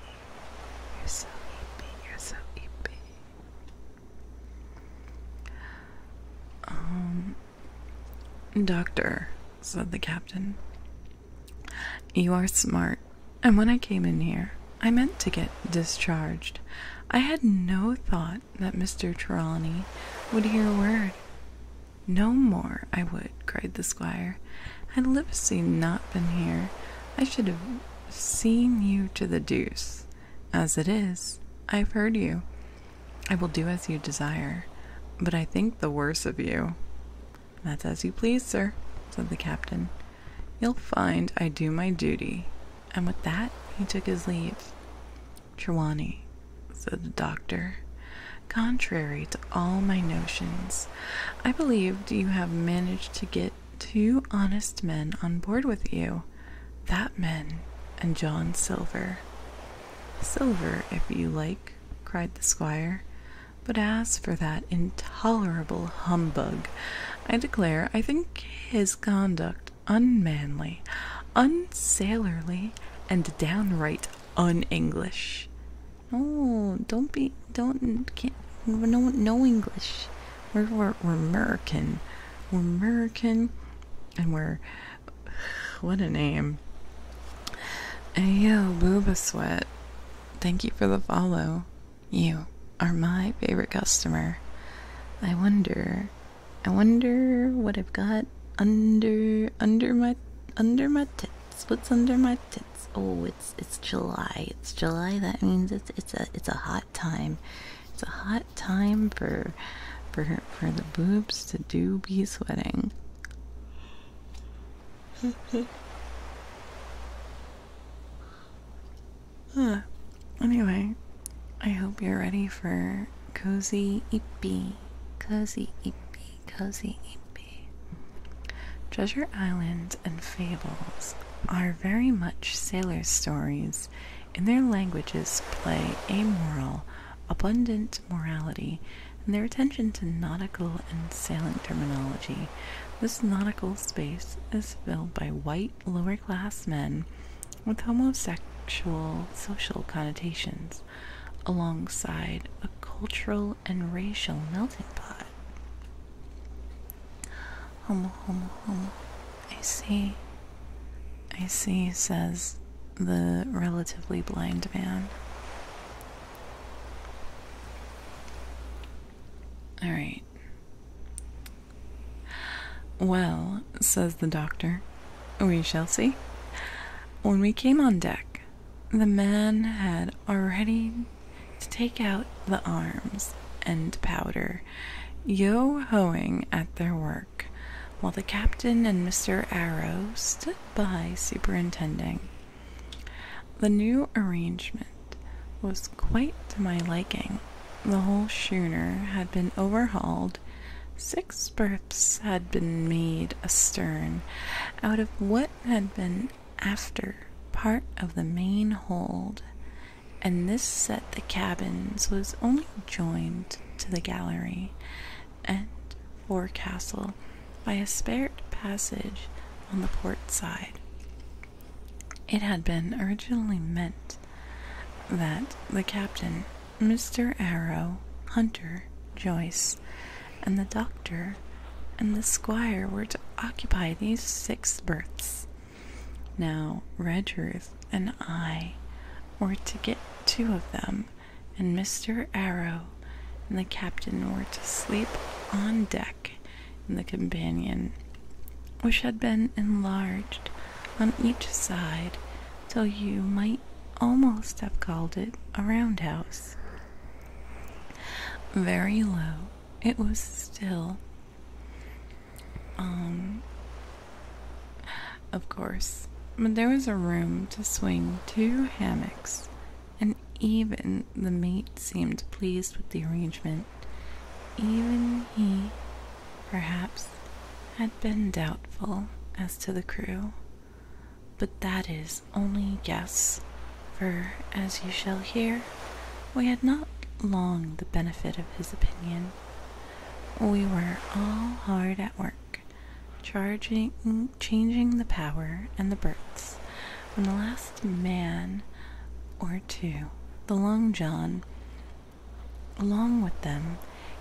You're so eepy. You're so eepy. Um, Doctor, said the captain, you are smart, and when I came in here, I meant to get discharged. I had no thought that Mr. Trelawney would hear a word. No more I would, cried the squire. Had Livesey not been here, I should have seen you to the deuce. As it is, I've heard you. I will do as you desire, but I think the worse of you. That's as you please, sir, said the captain. You'll find I do my duty. And with that, he took his leave. Trewani, said the doctor, contrary to all my notions, I believed you have managed to get two honest men on board with you that man and John Silver. Silver, if you like, cried the squire. But as for that intolerable humbug, I declare I think his conduct unmanly, unsailorly, and downright un English. Oh, don't be don't can't no no English. We're we're, we're American. We're American, and we're what a name. Ayo, booba sweat. Thank you for the follow. You are my favorite customer. I wonder, I wonder what I've got under under my under my tits. What's under my tits? Oh, it's it's July. It's July. That means it's it's a it's a hot time. It's a hot time for for for the boobs to do be sweating. huh. Anyway, I hope you're ready for cozy ippy, cozy ippy, cozy ippy. Treasure Island and Fables are very much sailors' stories, In their languages play a moral, abundant morality, and their attention to nautical and sailing terminology. This nautical space is filled by white lower class men with homosexual social connotations alongside a cultural and racial melting pot. Homo, homo, homo. I see. I see, says the relatively blind man. All right. Well, says the doctor, we shall see. When we came on deck, the man had already to take out the arms and powder, yo hoing at their work, while the captain and Mr. Arrow stood by superintending. The new arrangement was quite to my liking. The whole schooner had been overhauled, six berths had been made astern out of what had been after part of the main hold, and this set the cabins was only joined to the gallery and forecastle by a spared passage on the port side. It had been originally meant that the captain, Mr. Arrow, Hunter, Joyce, and the doctor and the squire were to occupy these six berths. Now, Redruth and I were to get two of them, and Mr. Arrow and the captain were to sleep on deck in the companion, which had been enlarged on each side till you might almost have called it a roundhouse. Very low, it was still um, of course, but there was a room to swing two hammocks, and even the mate seemed pleased with the arrangement. Even he, perhaps, had been doubtful as to the crew. But that is only guess, for as you shall hear, we had not long the benefit of his opinion. We were all hard at work, charging, changing the power and the berths, when the last man or two, the Long John, along with them,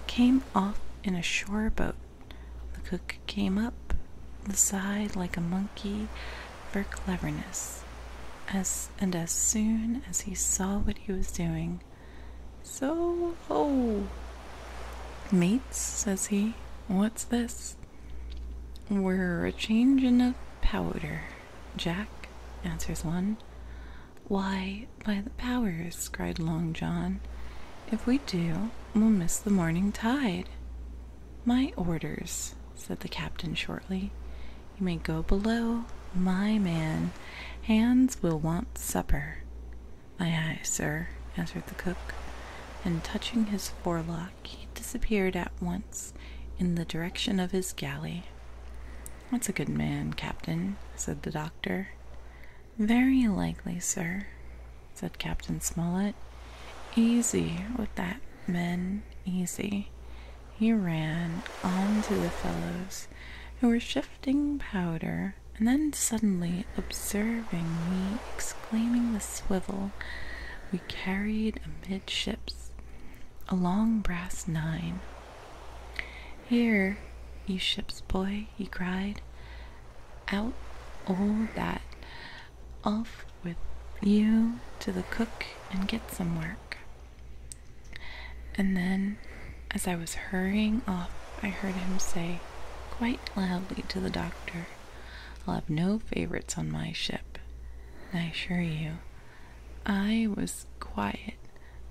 came off in a shore boat. The cook came up the side like a monkey, for cleverness. As, and as soon as he saw what he was doing, so ho! Mates, says he, what's this? We're a change in the powder, Jack, answers one. Why, by the powers, cried Long John, if we do, we'll miss the morning tide. My orders, said the captain shortly. You may go below, my man. Hands will want supper. Aye, aye, sir, answered the cook, and touching his forelock, he disappeared at once in the direction of his galley. That's a good man, Captain, said the doctor. Very likely, sir, said Captain Smollett. Easy with that, men, easy. He ran on to the fellows who were shifting powder, and then suddenly observing me, exclaiming the swivel we carried amidships, a long brass nine. Here, you ship's boy, he cried, out all that, off with you to the cook and get some work. And then, as I was hurrying off, I heard him say quite loudly to the doctor, I'll have no favorites on my ship. I assure you, I was quiet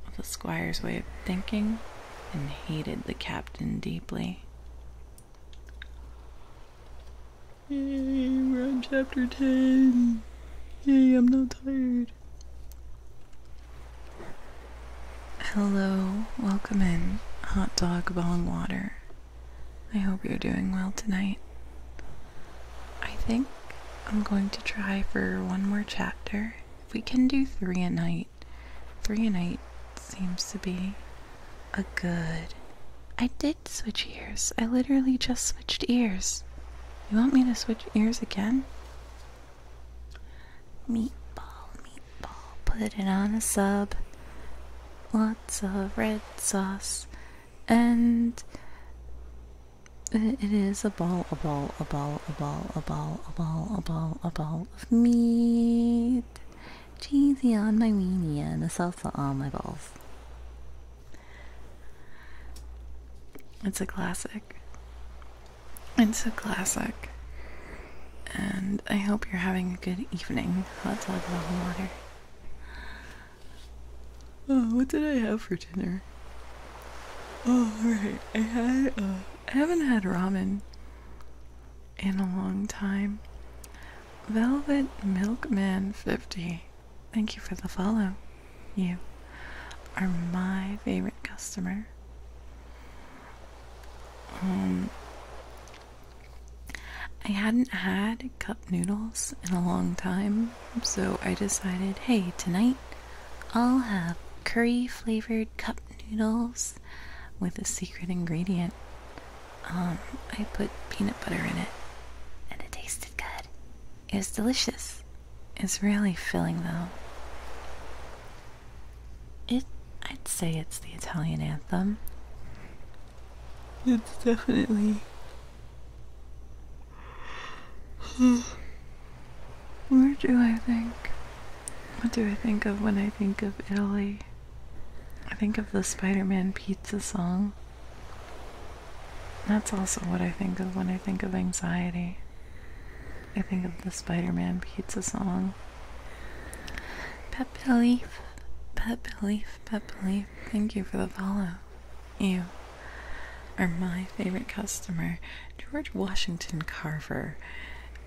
of the squire's way of thinking and hated the captain deeply. we're on chapter 10. Yay, I'm not Hello, welcome in. Hot dog bong water. I hope you're doing well tonight. I think I'm going to try for one more chapter. If we can do three a night, three a night seems to be a good. I did switch ears. I literally just switched ears. You want me to switch ears again? Meatball, meatball, put it on a sub. Lots of red sauce. And it is a ball, a ball, a ball, a ball, a ball, a ball, a ball, a ball of meat. Cheesy on my weenie and the salsa on my balls. It's a classic. It's a classic. And I hope you're having a good evening. Hot dog and water. Oh, what did I have for dinner? Oh, right. I had, uh, I haven't had ramen in a long time. Velvet Milkman 50 Thank you for the follow. You are my favorite customer. Um, I hadn't had cup noodles in a long time, so I decided, hey, tonight I'll have curry flavored cup noodles with a secret ingredient. Um, I put peanut butter in it, and it tasted good. It's delicious. It's really filling though. It I'd say it's the Italian anthem. It's definitely Where do I think? What do I think of when I think of Italy? I think of the Spider Man pizza song. That's also what I think of when I think of anxiety. I think of the Spider Man pizza song. Pet Belief, Pet Belief, Pet Belief, thank you for the follow. You are my favorite customer, George Washington Carver.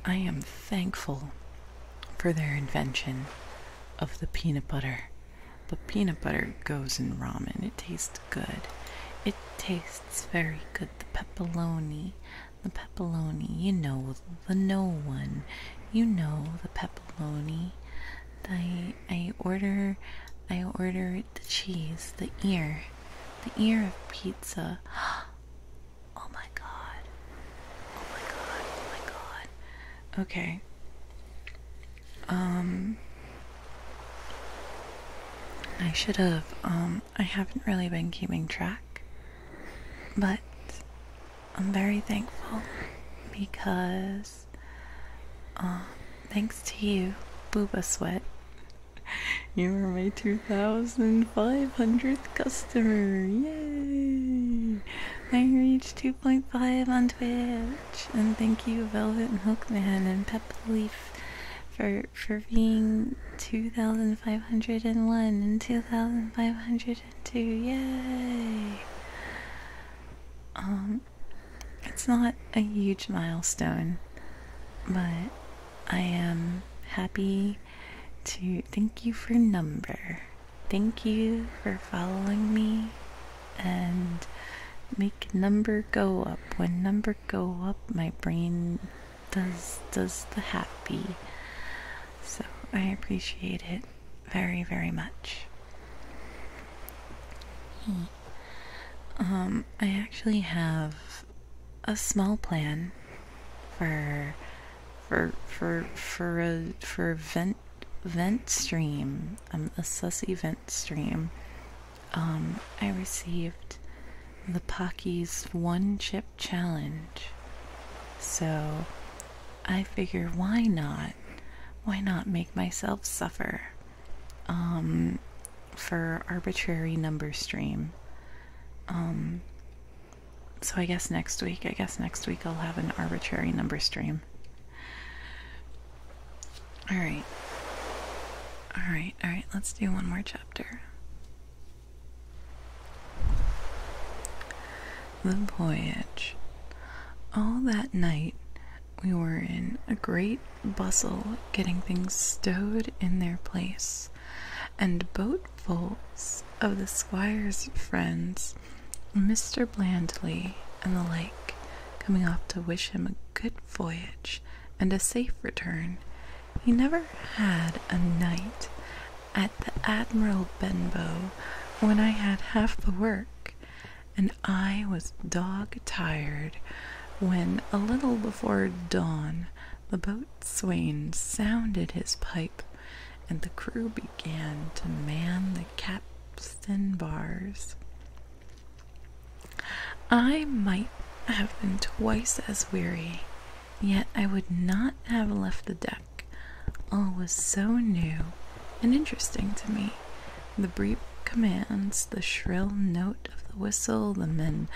I am thankful for their invention of the peanut butter. The peanut butter goes in ramen. It tastes good. It tastes very good. The pepperoni, the pepperoni. You know the no one. You know the pepperoni. I I order, I order the cheese, the ear, the ear of pizza. Oh my god! Oh my god! Oh my god! Okay. Um, I should have. Um, I haven't really been keeping track, but I'm very thankful because, uh, thanks to you, Booba Sweat, you are my 2,500th customer. Yay! I reached 2.5 on Twitch. And thank you, Velvet and Hookman and Peppa Leaf for for being 2501 and 2502 yay um it's not a huge milestone but i am happy to thank you for number thank you for following me and make number go up when number go up. My brain does does the happy. So I appreciate it very very much. Um, I actually have a small plan for for for for a for vent vent stream I'm um, a sussy vent stream um, I received the Pocky's One Chip Challenge. So I figure, why not? Why not make myself suffer um, for arbitrary number stream? Um, so I guess next week, I guess next week I'll have an arbitrary number stream. All right. All right, all right, let's do one more chapter. The voyage. All that night, we were in a great bustle getting things stowed in their place, and boatfuls of the squire's friends, Mr. Blandly and the like, coming off to wish him a good voyage and a safe return, he never had a night at the Admiral Benbow when I had half the work, and I was dog tired when, a little before dawn, the boatswain sounded his pipe and the crew began to man the capstan bars. I might have been twice as weary, yet I would not have left the deck. All was so new and interesting to me. The brief commands, the shrill note of the whistle, the men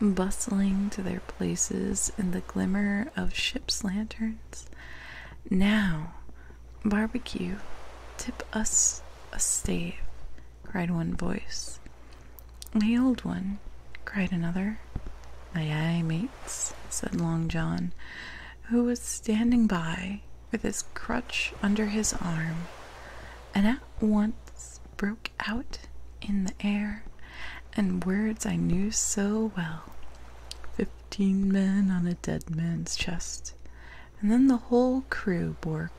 bustling to their places, in the glimmer of ship's lanterns. Now, barbecue, tip us a stave cried one voice. "The old one," cried another. "Aye, aye, mates," said Long John, who was standing by with his crutch under his arm, and at once broke out in the air in words I knew so well. Fifteen men on a dead man's chest, and then the whole crew bore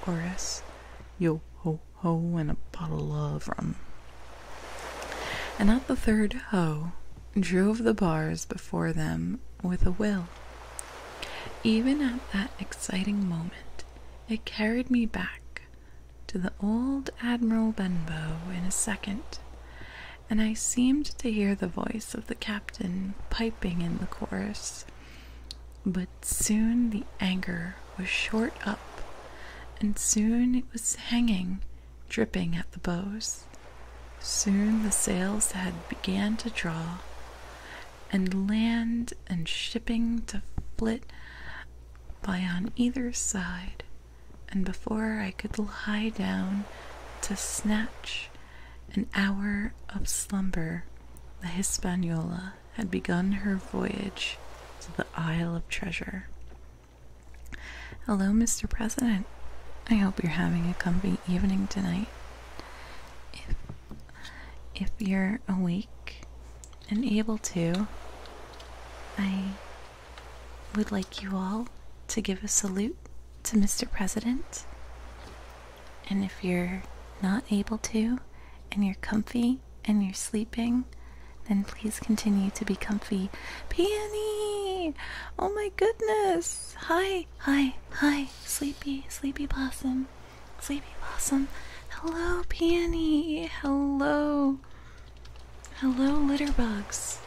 chorus yo ho ho and a bottle of rum. And at the third ho, drove the bars before them with a will. Even at that exciting moment, it carried me back to the old Admiral Benbow in a second, and I seemed to hear the voice of the captain piping in the chorus. But soon the anchor was short up, and soon it was hanging, dripping at the bows. Soon the sails had began to draw, and land and shipping to flit by on either side, and before I could lie down to snatch an hour of slumber, the Hispaniola had begun her voyage to the Isle of Treasure. Hello, Mr. President. I hope you're having a comfy evening tonight. If, if you're awake and able to, I would like you all to give a salute to Mr. President. And if you're not able to and you're comfy and you're sleeping, then please continue to be comfy. Peony! Oh my goodness! Hi, hi, hi, sleepy, sleepy blossom, sleepy blossom. Hello, Peony! Hello! Hello, litterbugs.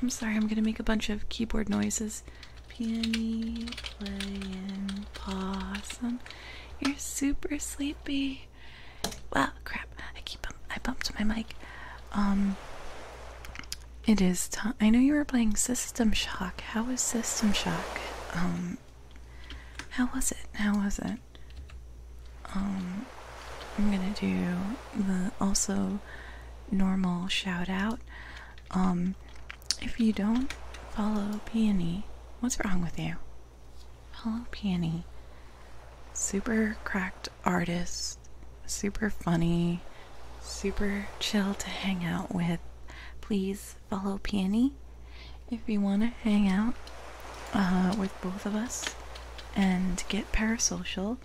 I'm sorry, I'm gonna make a bunch of keyboard noises. Peony playing possum. You're super sleepy. Well, crap. I keep I bumped my mic. Um it is time. I know you were playing System Shock. How was System Shock? Um How was it? How was it? Um I'm going to do the also normal shout out. Um if you don't follow Peony, what's wrong with you? Follow Peony. Super cracked artist, super funny, super chill to hang out with. Please follow Peony if you want to hang out uh, with both of us and get parasocial.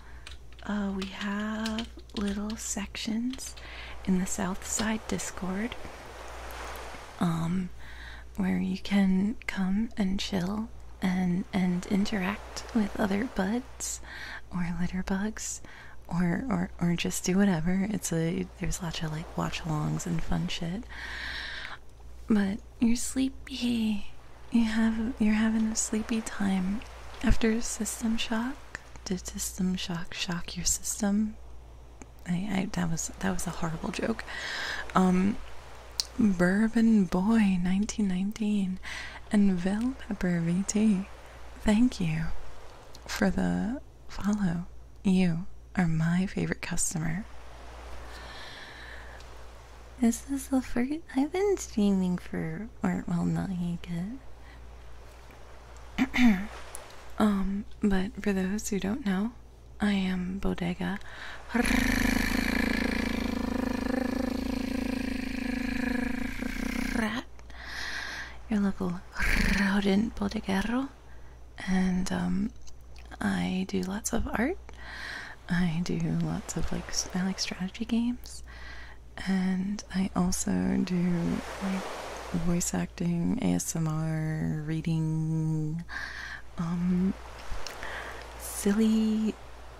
Uh, we have little sections in the South Side Discord um, where you can come and chill and and interact with other buds or litter bugs or or or just do whatever. It's a there's lots of like watch alongs and fun shit. But you're sleepy. You have you're having a sleepy time after system shock. Did system shock shock your system? that was that was a horrible joke. Um, Bourbon Boy, nineteen nineteen, and Vel Pepper VT. Thank you for the follow. You are my favorite customer. This is the first I've been streaming for, or well, not yet. um, but for those who don't know, I am Bodega. Rat. Your local rodent bodega, And um, I do lots of art. I do lots of like I like strategy games. And I also do like voice acting, ASMR, reading, silly,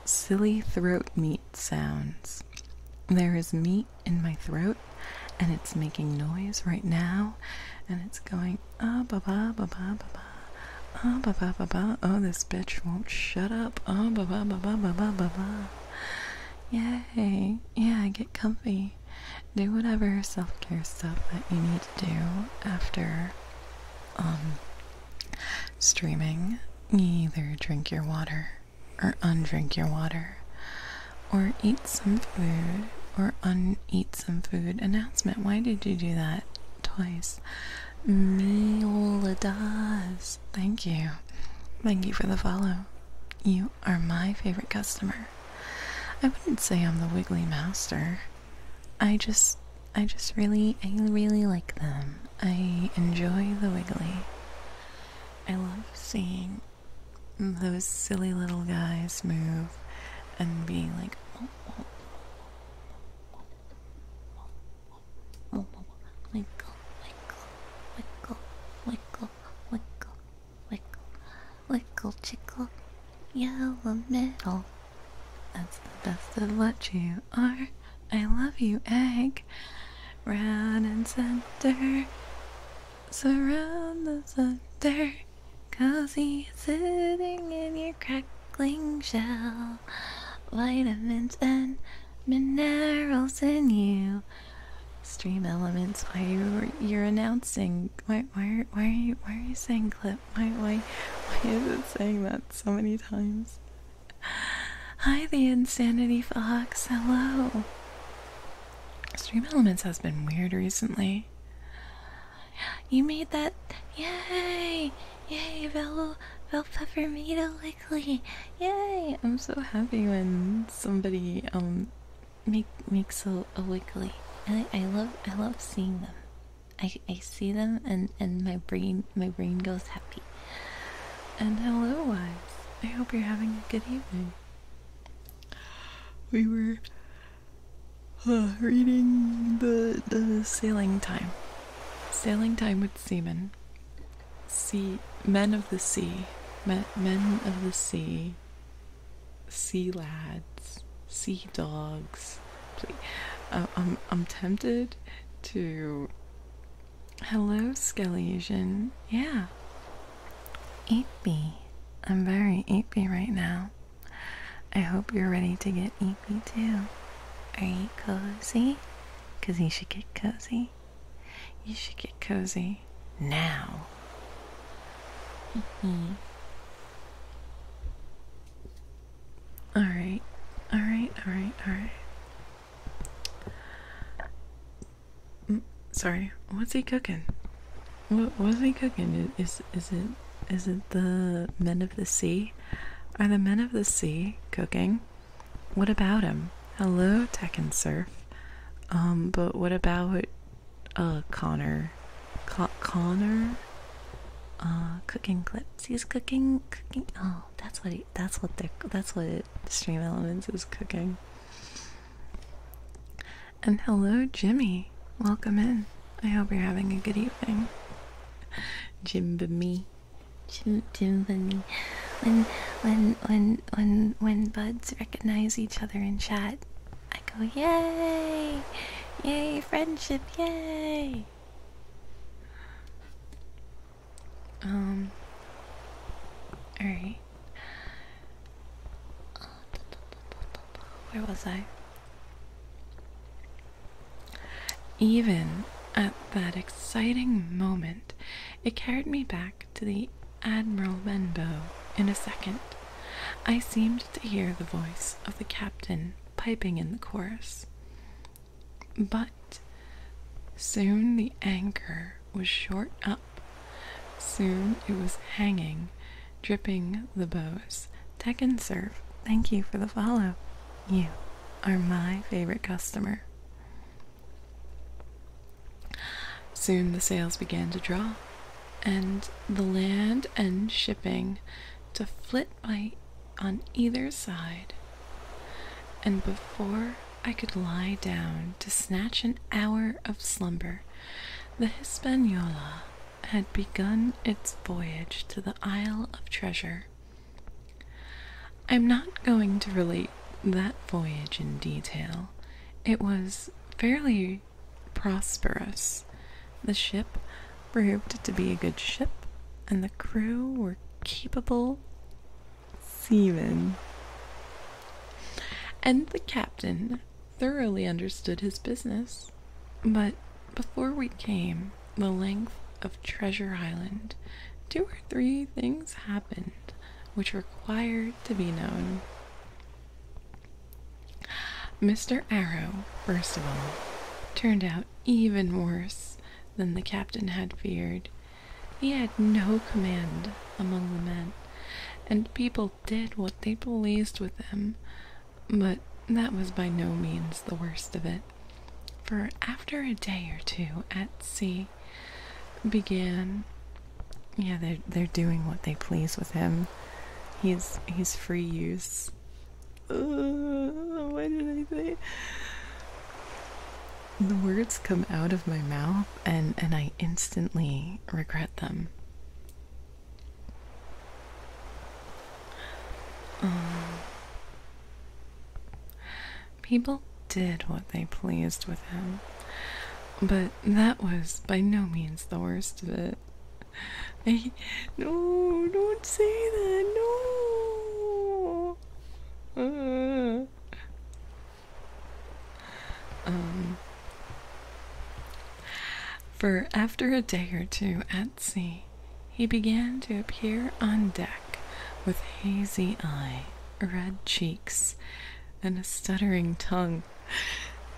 silly throat meat sounds. There is meat in my throat, and it's making noise right now, and it's going ah ba ba ba ba ba ba, ah ba ba ba ba. Oh, this bitch won't shut up. Ah ba ba ba ba ba ba ba ba. Yay! Yeah, get comfy. Do whatever self-care stuff that you need to do after um, streaming. Either drink your water or undrink your water or eat some food or uneat some food. Announcement. Why did you do that twice? Meoladas. Thank you. Thank you for the follow. You are my favorite customer. I wouldn't say I'm the wiggly master. I just I just really I really like them. I enjoy the wiggly. I love seeing those silly little guys move and be like Winkle, winkle, winkle, winkle, winkle, Wickle, wickle, chickle, yellow middle. That's the best of what you are. I love you, egg. Round and center, surround the center. Cozy sitting in your crackling shell. Vitamins and minerals in you. Stream elements while you you're announcing why why are why are you why are you saying clip? Why why why is it saying that so many times? Hi the insanity fox, hello. Stream Elements has been weird recently. You made that yay! Yay, Vel Vel Peppermito Lickly! Yay! I'm so happy when somebody um make makes so a I I love I love seeing them. I I see them and and my brain my brain goes happy. And hello wives. I hope you're having a good evening. We were uh, reading the the sailing time. Sailing time with seamen. Sea men of the sea. Men men of the sea sea lads, sea dogs. Please. I'm, I'm tempted to. Hello, Skellesian. Yeah. Eepy. I'm very eepy right now. I hope you're ready to get eepy too. Are you cozy? Because you should get cozy. You should get cozy now. Mm-hmm. All right, all right, all right, all right. Mm, sorry, what's he cooking? What was he cooking? Is is it is it the men of the sea? Are the men of the sea cooking? What about him? Hello, Tech and Surf. Um, but what about uh, Connor, Con Connor, uh, cooking clips. He's cooking, cooking. Oh, that's what he. That's what they. That's what it, Stream Elements is cooking. And hello, Jimmy. Welcome in. I hope you're having a good evening. Jim me. Jim Jim me. When when when when when buds recognize each other in chat, I go, yay! Yay, friendship, yay! Um, alright. Where was I? Even at that exciting moment, it carried me back to the Admiral Benbow in a second. I seemed to hear the voice of the captain piping in the chorus. But soon the anchor was short up. Soon it was hanging, dripping the bows. Tech and serve. Thank you for the follow. You are my favorite customer. Soon the sails began to draw and the land and shipping to flit by on either side. And before I could lie down to snatch an hour of slumber, the Hispaniola had begun its voyage to the Isle of Treasure. I'm not going to relate that voyage in detail. It was fairly prosperous. The ship proved to be a good ship, and the crew were capable seamen. And the captain thoroughly understood his business. But before we came the length of Treasure Island, two or three things happened which required to be known. Mr. Arrow, first of all, turned out even worse than the captain had feared. He had no command among the men, and people did what they pleased with him. But that was by no means the worst of it. For after a day or two at sea began, yeah, they're they're doing what they please with him. He's he's free use why did I say? The words come out of my mouth, and and I instantly regret them. Um, people did what they pleased with him, but that was by no means the worst of it. I, no, don't say that. No. Ah. Um. For after a day or two at sea, he began to appear on deck with hazy eye, red cheeks, and a stuttering tongue.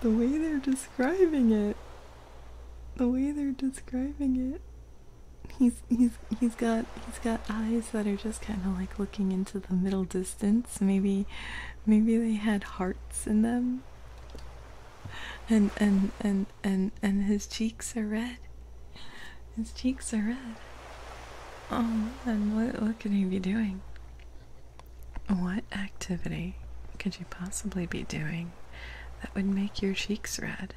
The way they're describing it the way they're describing it he's he's he's got he's got eyes that are just kind of like looking into the middle distance maybe maybe they had hearts in them and and and and and his cheeks are red his cheeks are red oh um, man, what could he be doing what activity could you possibly be doing that would make your cheeks red.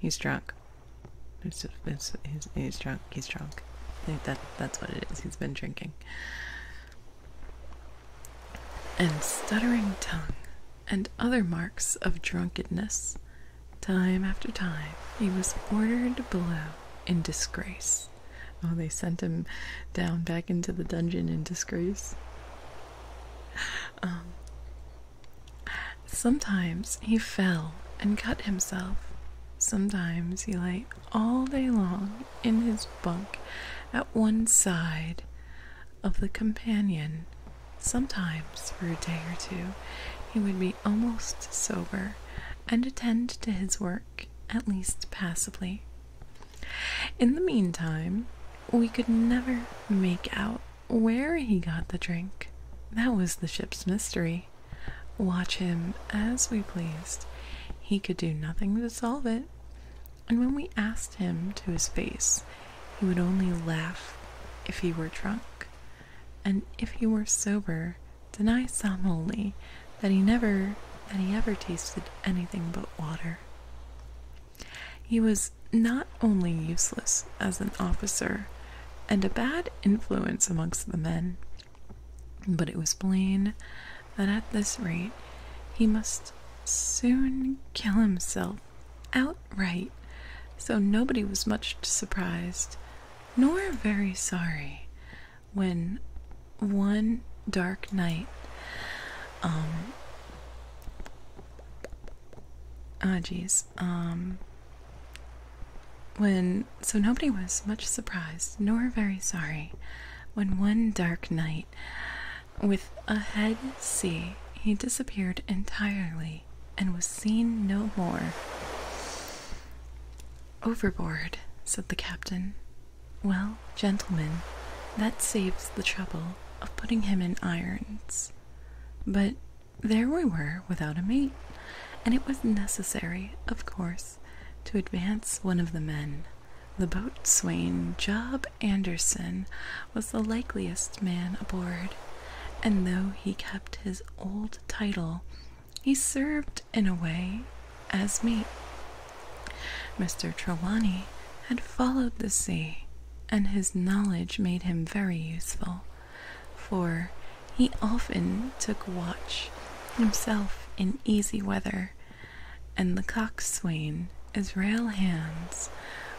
He's drunk. he's, drunk. He's drunk. that that's what it is. He's been drinking. And stuttering tongue, and other marks of drunkenness. Time after time, he was ordered below in disgrace. Oh, they sent him down back into the dungeon in disgrace. Um, sometimes he fell and cut himself. Sometimes he lay all day long in his bunk at one side of the companion. Sometimes, for a day or two, he would be almost sober and attend to his work at least passably. In the meantime, we could never make out where he got the drink. That was the ship's mystery. Watch him as we pleased. He could do nothing to solve it. And when we asked him to his face, he would only laugh if he were drunk. And if he were sober, deny solemnly that he never that he ever tasted anything but water. He was not only useless as an officer and a bad influence amongst the men, but it was plain that at this rate he must soon kill himself outright, so nobody was much surprised nor very sorry when one dark night um, Ah, jeez. Um, when so nobody was much surprised nor very sorry when one dark night, with a head sea, he disappeared entirely and was seen no more. Overboard, said the captain. Well, gentlemen, that saves the trouble of putting him in irons. But there we were without a mate, and it was necessary, of course, to advance one of the men. The boatswain, Job Anderson, was the likeliest man aboard, and though he kept his old title, he served in a way as mate. Mr. Trelawney had followed the sea, and his knowledge made him very useful, for he often took watch himself in easy weather, and the coxswain, Israel Hands,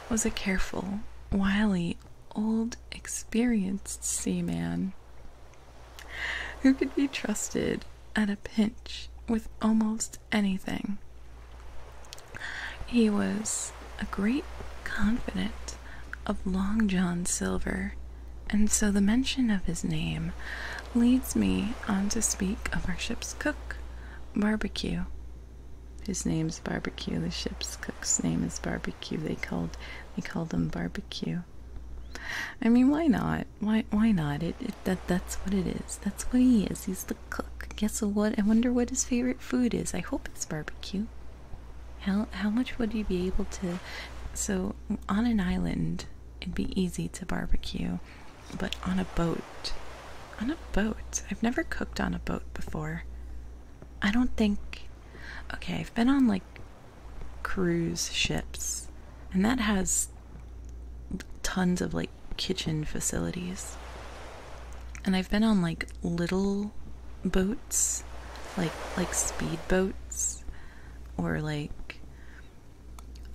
was a careful, wily, old, experienced seaman who could be trusted at a pinch with almost anything. He was a great confidant of Long John Silver, and so the mention of his name leads me on to speak of our ship's cook, Barbecue. His name's Barbecue. The ship's cook's name is Barbecue. They called they called him Barbecue. I mean, why not? Why why not? it that that's what it is. That's what he is. He's the the cook. Guess what? I wonder what his favorite food is. I hope it's barbecue. How how much would you be able to? So on an island, it'd be easy to barbecue, but on a boat, on a boat. I've never cooked on a boat before. I don't think. Okay, I've been on like cruise ships, and that has tons of like kitchen facilities. And I've been on like little boats, like like speed boats or like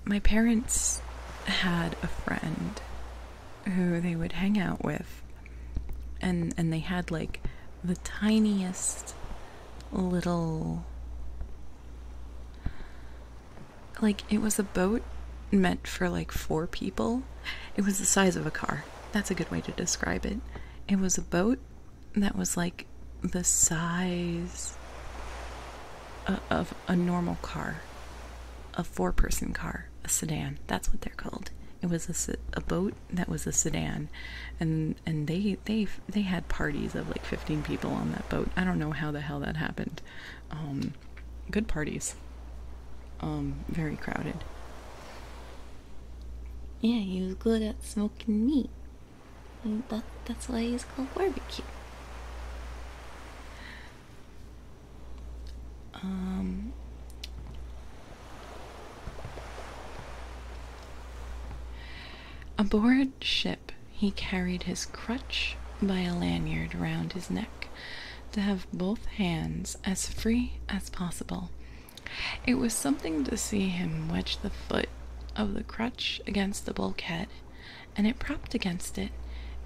my parents had a friend who they would hang out with and and they had like the tiniest little like it was a boat meant for like four people it was the size of a car. That's a good way to describe it. It was a boat that was like the size of a normal car, a four person car, a sedan. That's what they're called. It was a, boat that was a sedan, and and they they they had parties of like fifteen people on that boat. I don't know how the hell that happened. Um, Good parties. Um, very crowded. Yeah, he was good at smoking meat. And that, that's why he's called barbecue. Um, aboard ship, he carried his crutch by a lanyard round his neck to have both hands as free as possible. It was something to see him wedge the foot of the crutch against the bulkhead, and it propped against it,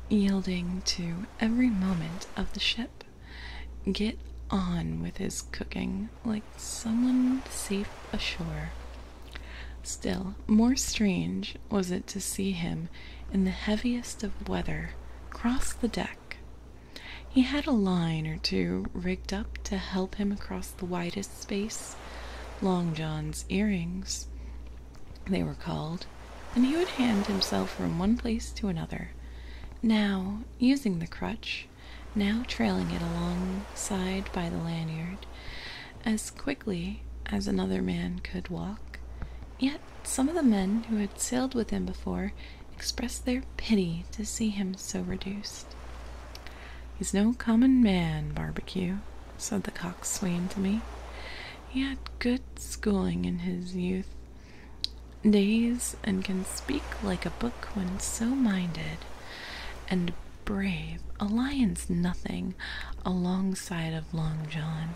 yielding to every moment of the ship. Get on with his cooking like someone safe ashore. Still, more strange was it to see him in the heaviest of weather cross the deck he had a line or two rigged up to help him across the widest space, Long John's earrings, they were called, and he would hand himself from one place to another, now using the crutch, now trailing it alongside by the lanyard, as quickly as another man could walk, yet some of the men who had sailed with him before expressed their pity to see him so reduced. He's no common man, Barbecue, said the coxswain to me. He had good schooling in his youth days and can speak like a book when so minded, and brave a lion's nothing alongside of Long John.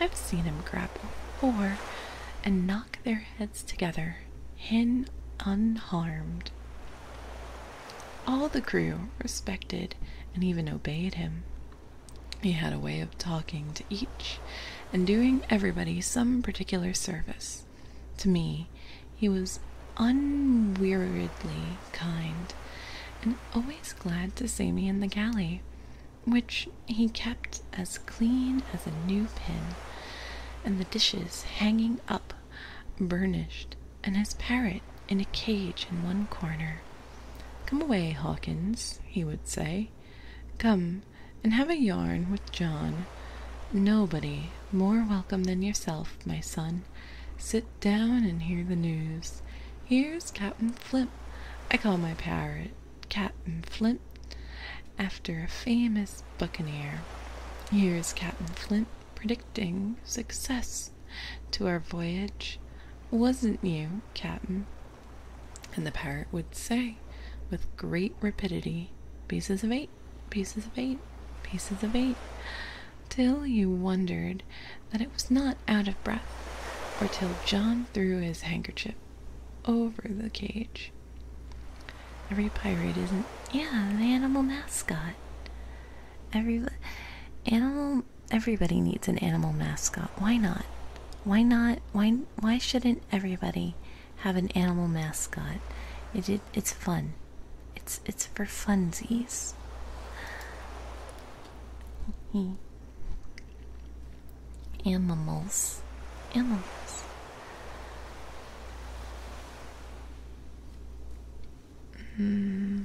I've seen him grapple before and knock their heads together, hen unharmed. All the crew respected and even obeyed him. He had a way of talking to each and doing everybody some particular service. To me, he was unweariedly kind and always glad to see me in the galley, which he kept as clean as a new pin, and the dishes hanging up burnished, and his parrot in a cage in one corner. Come away, Hawkins, he would say. Come and have a yarn with John. Nobody more welcome than yourself, my son. Sit down and hear the news. Here's Captain Flip. I call my parrot Captain Flint after a famous buccaneer. Here is Captain Flint predicting success to our voyage. Wasn't you, Captain? And the parrot would say, with great rapidity, pieces of eight, pieces of eight, pieces of eight, till you wondered that it was not out of breath, or till John threw his handkerchief over the cage. Every pirate is not yeah, an animal mascot. Every animal everybody needs an animal mascot. Why not? Why not? Why why shouldn't everybody have an animal mascot? It, it's fun. It's it's for funsies. Animals. Animals. Hmm.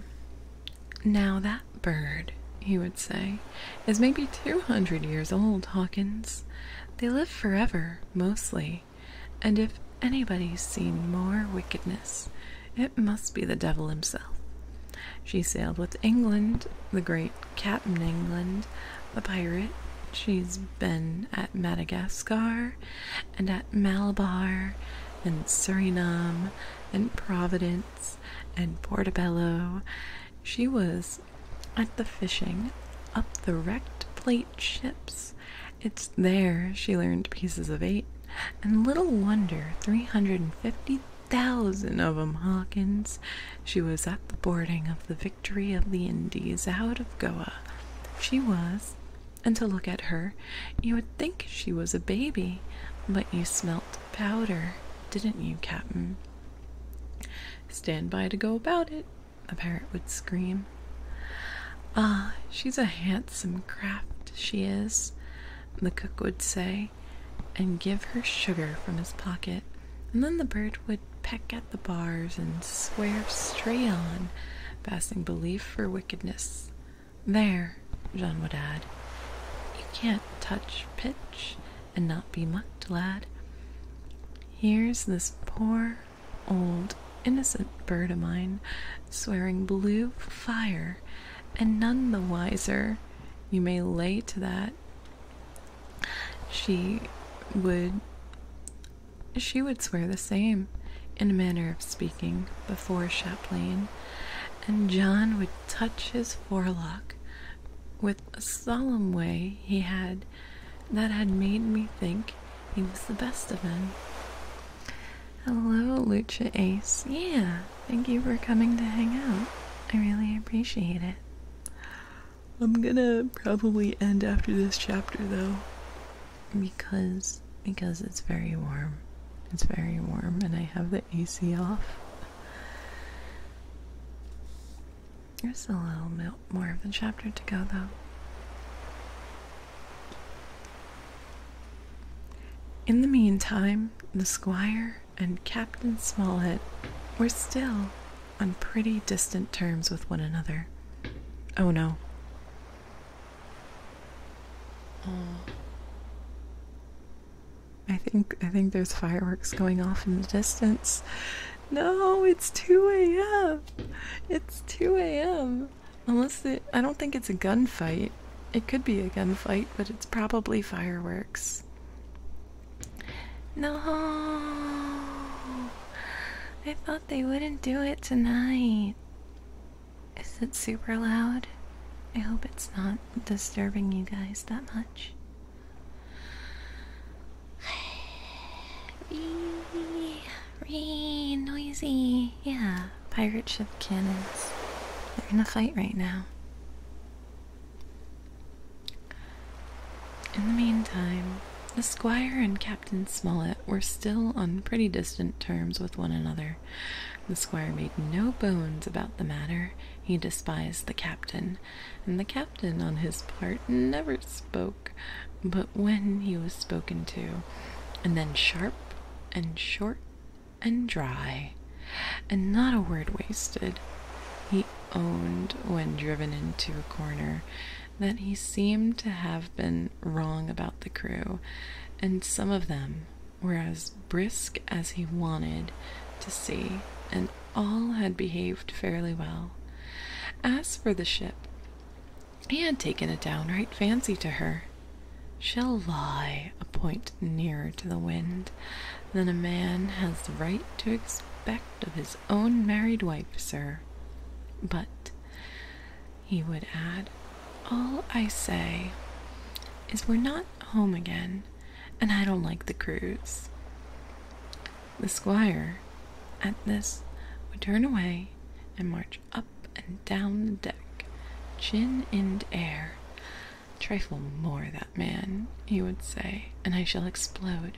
Now that bird, he would say, is maybe 200 years old, Hawkins. They live forever, mostly, and if anybody's seen more wickedness, it must be the devil himself. She sailed with England, the great Captain England, a pirate. She's been at Madagascar and at Malabar and Suriname and Providence and Portobello. She was at the fishing up the wrecked plate ships. It's there she learned pieces of eight. And little wonder, 350,000 of 'em, Hawkins. She was at the boarding of the victory of the Indies out of Goa. She was, and to look at her, you would think she was a baby, but you smelt powder, didn't you, Captain? Stand by to go about it, The parrot would scream. Ah, she's a handsome craft, she is, the cook would say, and give her sugar from his pocket, and then the bird would peck at the bars and swear straight on, passing belief for wickedness. There, Jean would add, you can't touch pitch and not be mucked, lad. Here's this poor, old, innocent bird of mine swearing blue fire, and none the wiser. You may lay to that she would she would swear the same in a manner of speaking before Chaplain, and John would touch his forelock with a solemn way he had that had made me think he was the best of men. Hello, Lucha Ace. Yeah, thank you for coming to hang out. I really appreciate it. I'm gonna probably end after this chapter though because because it's very warm. It's very warm and I have the AC off. There's a little bit more of the chapter to go though. In the meantime, the squire and Captain Smollett were still on pretty distant terms with one another. Oh no. Oh. I think I think there's fireworks going off in the distance. No, it's 2 a.m. It's 2 a.m. Unless I don't think it's a gunfight. It could be a gunfight, but it's probably fireworks. No, I thought they wouldn't do it tonight. Is it super loud? I hope it's not disturbing you guys that much. Ree, ree, noisy. Yeah, pirate ship cannons. They're gonna fight right now. In the meantime, the squire and Captain Smollett were still on pretty distant terms with one another. The squire made no bones about the matter. He despised the captain, and the captain, on his part, never spoke but when he was spoken to, and then sharp and short and dry, and not a word wasted. He owned when driven into a corner that he seemed to have been wrong about the crew, and some of them were as brisk as he wanted to see, and all had behaved fairly well. As for the ship, he had taken a downright fancy to her. She'll lie a point nearer to the wind than a man has the right to expect of his own married wife, sir. But, he would add, all I say is we're not home again, and I don't like the cruise. The squire, at this, would turn away and march up and down the deck, chin in air. Trifle more, that man, he would say, and I shall explode.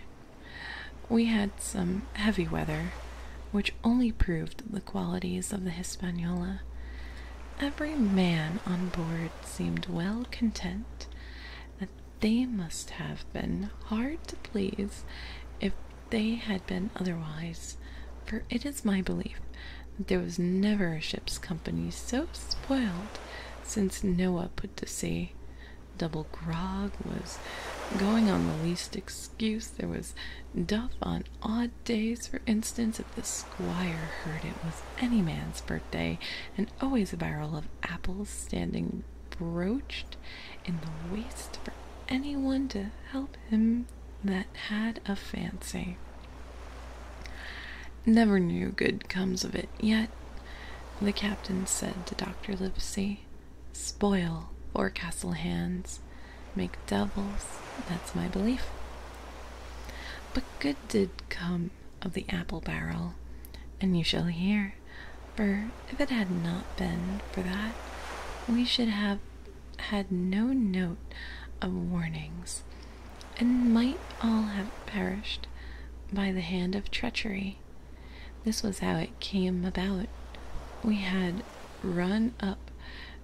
We had some heavy weather, which only proved the qualities of the Hispaniola. Every man on board seemed well content that they must have been hard to please if they had been otherwise, for it is my belief that there was never a ship's company so spoiled since Noah put to sea. Double grog was going on the least excuse. There was duff on odd days, for instance, if the squire heard it was any man's birthday, and always a barrel of apples standing broached in the waist for anyone to help him that had a fancy. Never knew good comes of it yet, the captain said to Dr. Livesey. I spoil forecastle hands, make devils, that's my belief. But good did come of the apple barrel, and you shall hear, for if it had not been for that, we should have had no note of warnings, and might all have perished by the hand of treachery. This was how it came about. We had run up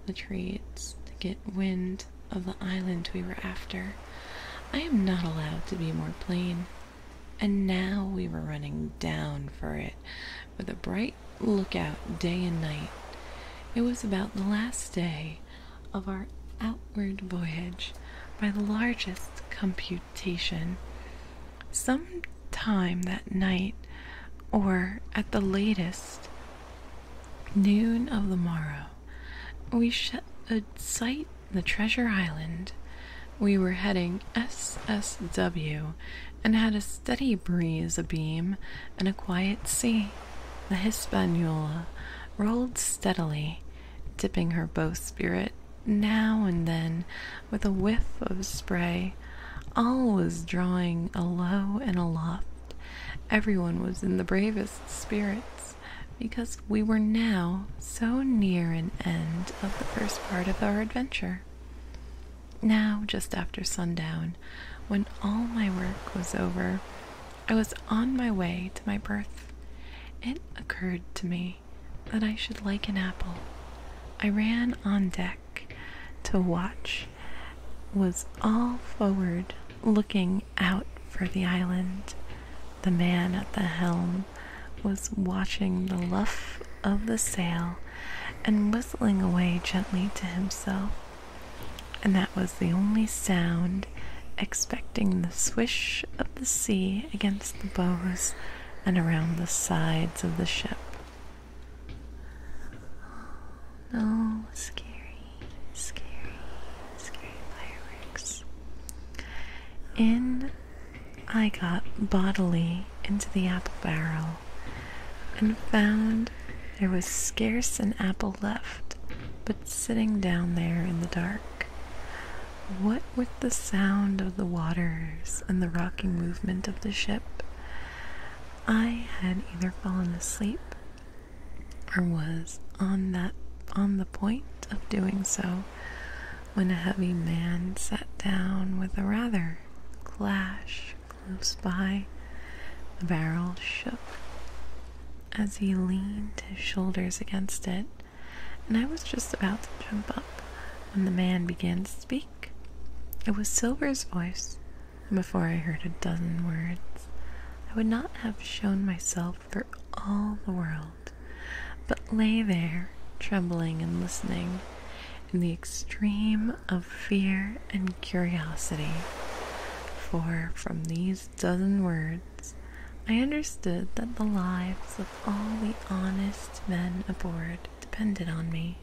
the trees to get wind of the island we were after. I am not allowed to be more plain. And now we were running down for it, with a bright lookout day and night. It was about the last day of our outward voyage by the largest computer reputation. Some time that night, or at the latest noon of the morrow, we should uh, sight the treasure island. We were heading SSW and had a steady breeze abeam and a quiet sea. The Hispaniola rolled steadily, dipping her bowsprit now and then with a whiff of spray, all was drawing alow and aloft. Every one was in the bravest spirits because we were now so near an end of the first part of our adventure. Now, just after sundown, when all my work was over, I was on my way to my berth. It occurred to me that I should like an apple. I ran on deck to watch, was all forward looking out for the island. The man at the helm was watching the luff of the sail and whistling away gently to himself. And that was the only sound, expecting the swish of the sea against the bows and around the sides of the ship. Oh no, scary, scary, scary fireworks. In I got bodily into the apple barrel and found there was scarce an apple left, but sitting down there in the dark. What with the sound of the waters and the rocking movement of the ship, I had either fallen asleep or was on that on the point of doing so when a heavy man sat down with a rather clash close by. The barrel shook as he leaned his shoulders against it, and I was just about to jump up when the man began to speak. It was Silver's voice. and Before I heard a dozen words, I would not have shown myself for all the world, but lay there, trembling and listening, in the extreme of fear and curiosity. For from these dozen words, I understood that the lives of all the honest men aboard depended on me.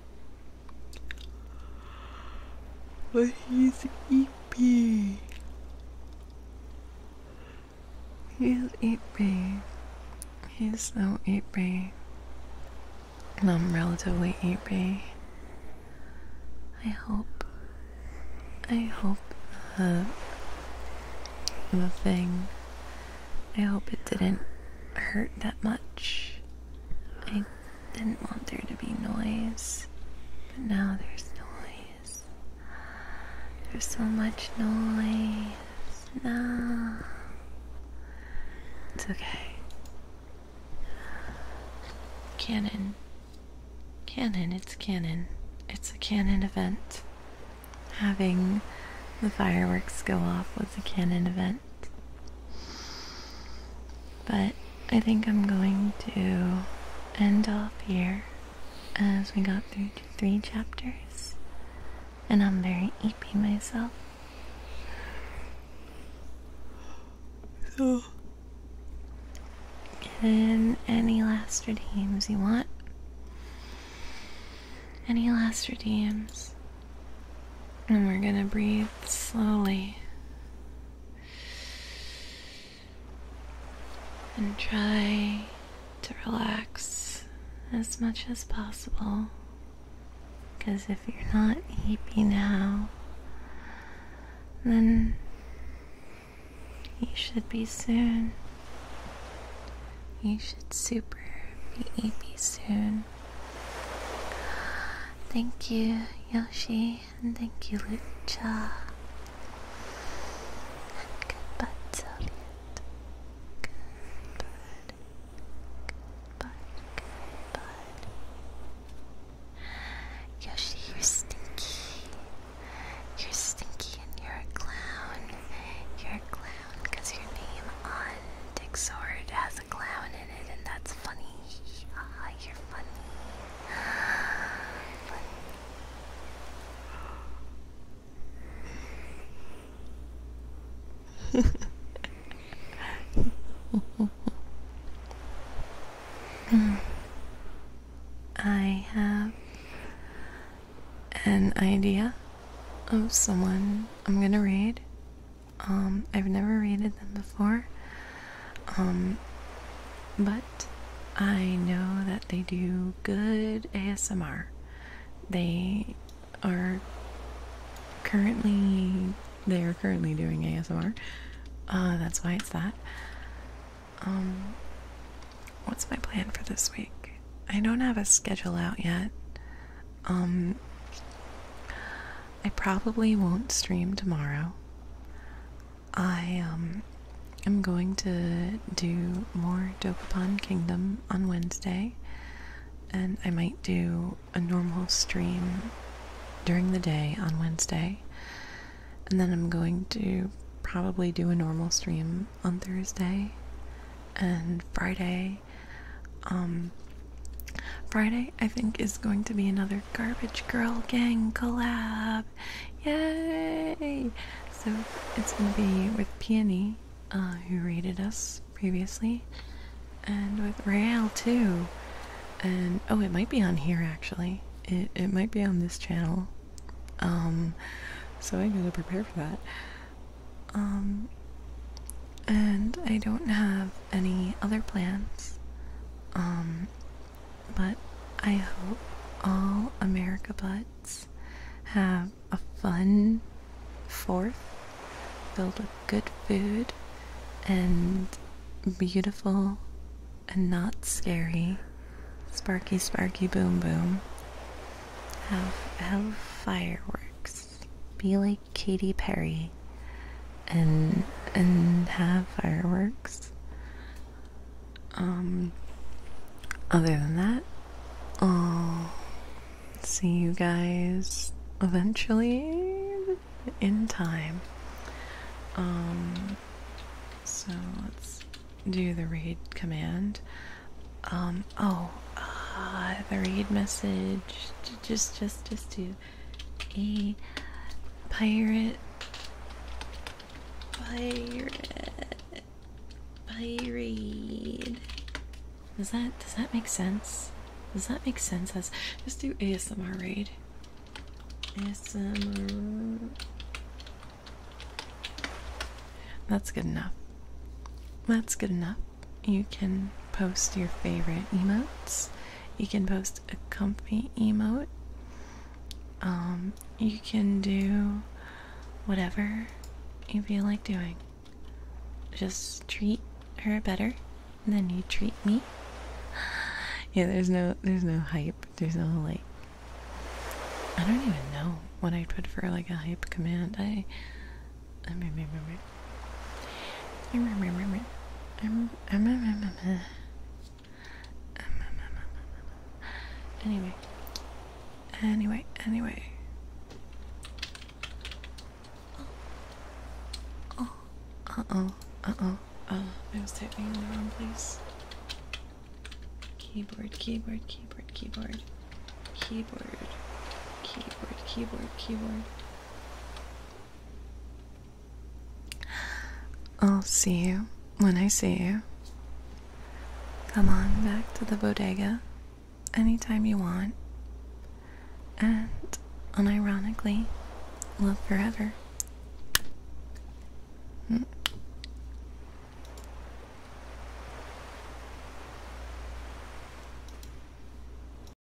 But he's eepy. He's eepy. He's so eepy. And I'm relatively eepy. I hope. I hope the, the thing. I hope it didn't hurt that much. I didn't want there to be noise, but now there's noise. There's so much noise now. It's okay. Cannon. Cannon, it's cannon. It's a cannon event. Having the fireworks go off was a cannon event. But I think I'm going to end off here as we got through three chapters, and I'm very eepy myself. So, get any last redeems you want. Any last redeems. And we're going to breathe slowly. And try to relax as much as possible. Because if you're not happy now, then you should be soon. You should super be happy soon. Thank you, Yoshi, and thank you, Lucha. goodbye, Soviet. Good bird. Good bird. Yoshi, you're stinky. You're stinky and you're a clown. You're a clown your name on Dick Sword has a clown in it, and that's funny. you're funny. I have an idea of someone I'm gonna read um, I've never rated them before. Um, but I know that they do good ASMR. They are currently they are currently doing ASMR. Uh, that's why it's that. Um, what's my plan for this week? I don't have a schedule out yet. Um, I probably won't stream tomorrow. I um, am going to do more Dope Upon Kingdom on Wednesday, and I might do a normal stream during the day on Wednesday, and then I'm going to probably do a normal stream on Thursday and Friday um, Friday, I think, is going to be another Garbage Girl Gang collab. Yay! So it's going to be with Peony, uh, who rated us previously, and with Rael too. And oh, it might be on here actually. It it might be on this channel. Um, so I gotta prepare for that. Um, and I don't have any other plans. Um, but I hope all America Butts have a fun fourth filled with good food and beautiful and not scary. Sparky, sparky, boom, boom. Have, have fireworks. Be like like Katy Perry and and have fireworks. Um other than that, I'll see you guys eventually in time. Um so let's do the read command. Um oh uh, the read message just just just to a pirate pirate pirate does that does that make sense does that make sense let's do asmr raid asmr that's good enough that's good enough you can post your favorite emotes. You can post a comfy emote. Um, you can do whatever you feel like doing. Just treat her better than you treat me. Yeah, there's no there's no hype. There's no like I don't even know what I'd put for like a hype command. I I'm a m m a m I'm a Anyway, anyway, anyway. Oh, uh oh, uh oh, uh, I was typing in the wrong place. Keyboard, keyboard, keyboard, keyboard, keyboard, keyboard, keyboard, keyboard. I'll see you when I see you. Come on back to the bodega anytime you want. And unironically, love forever. Hmm.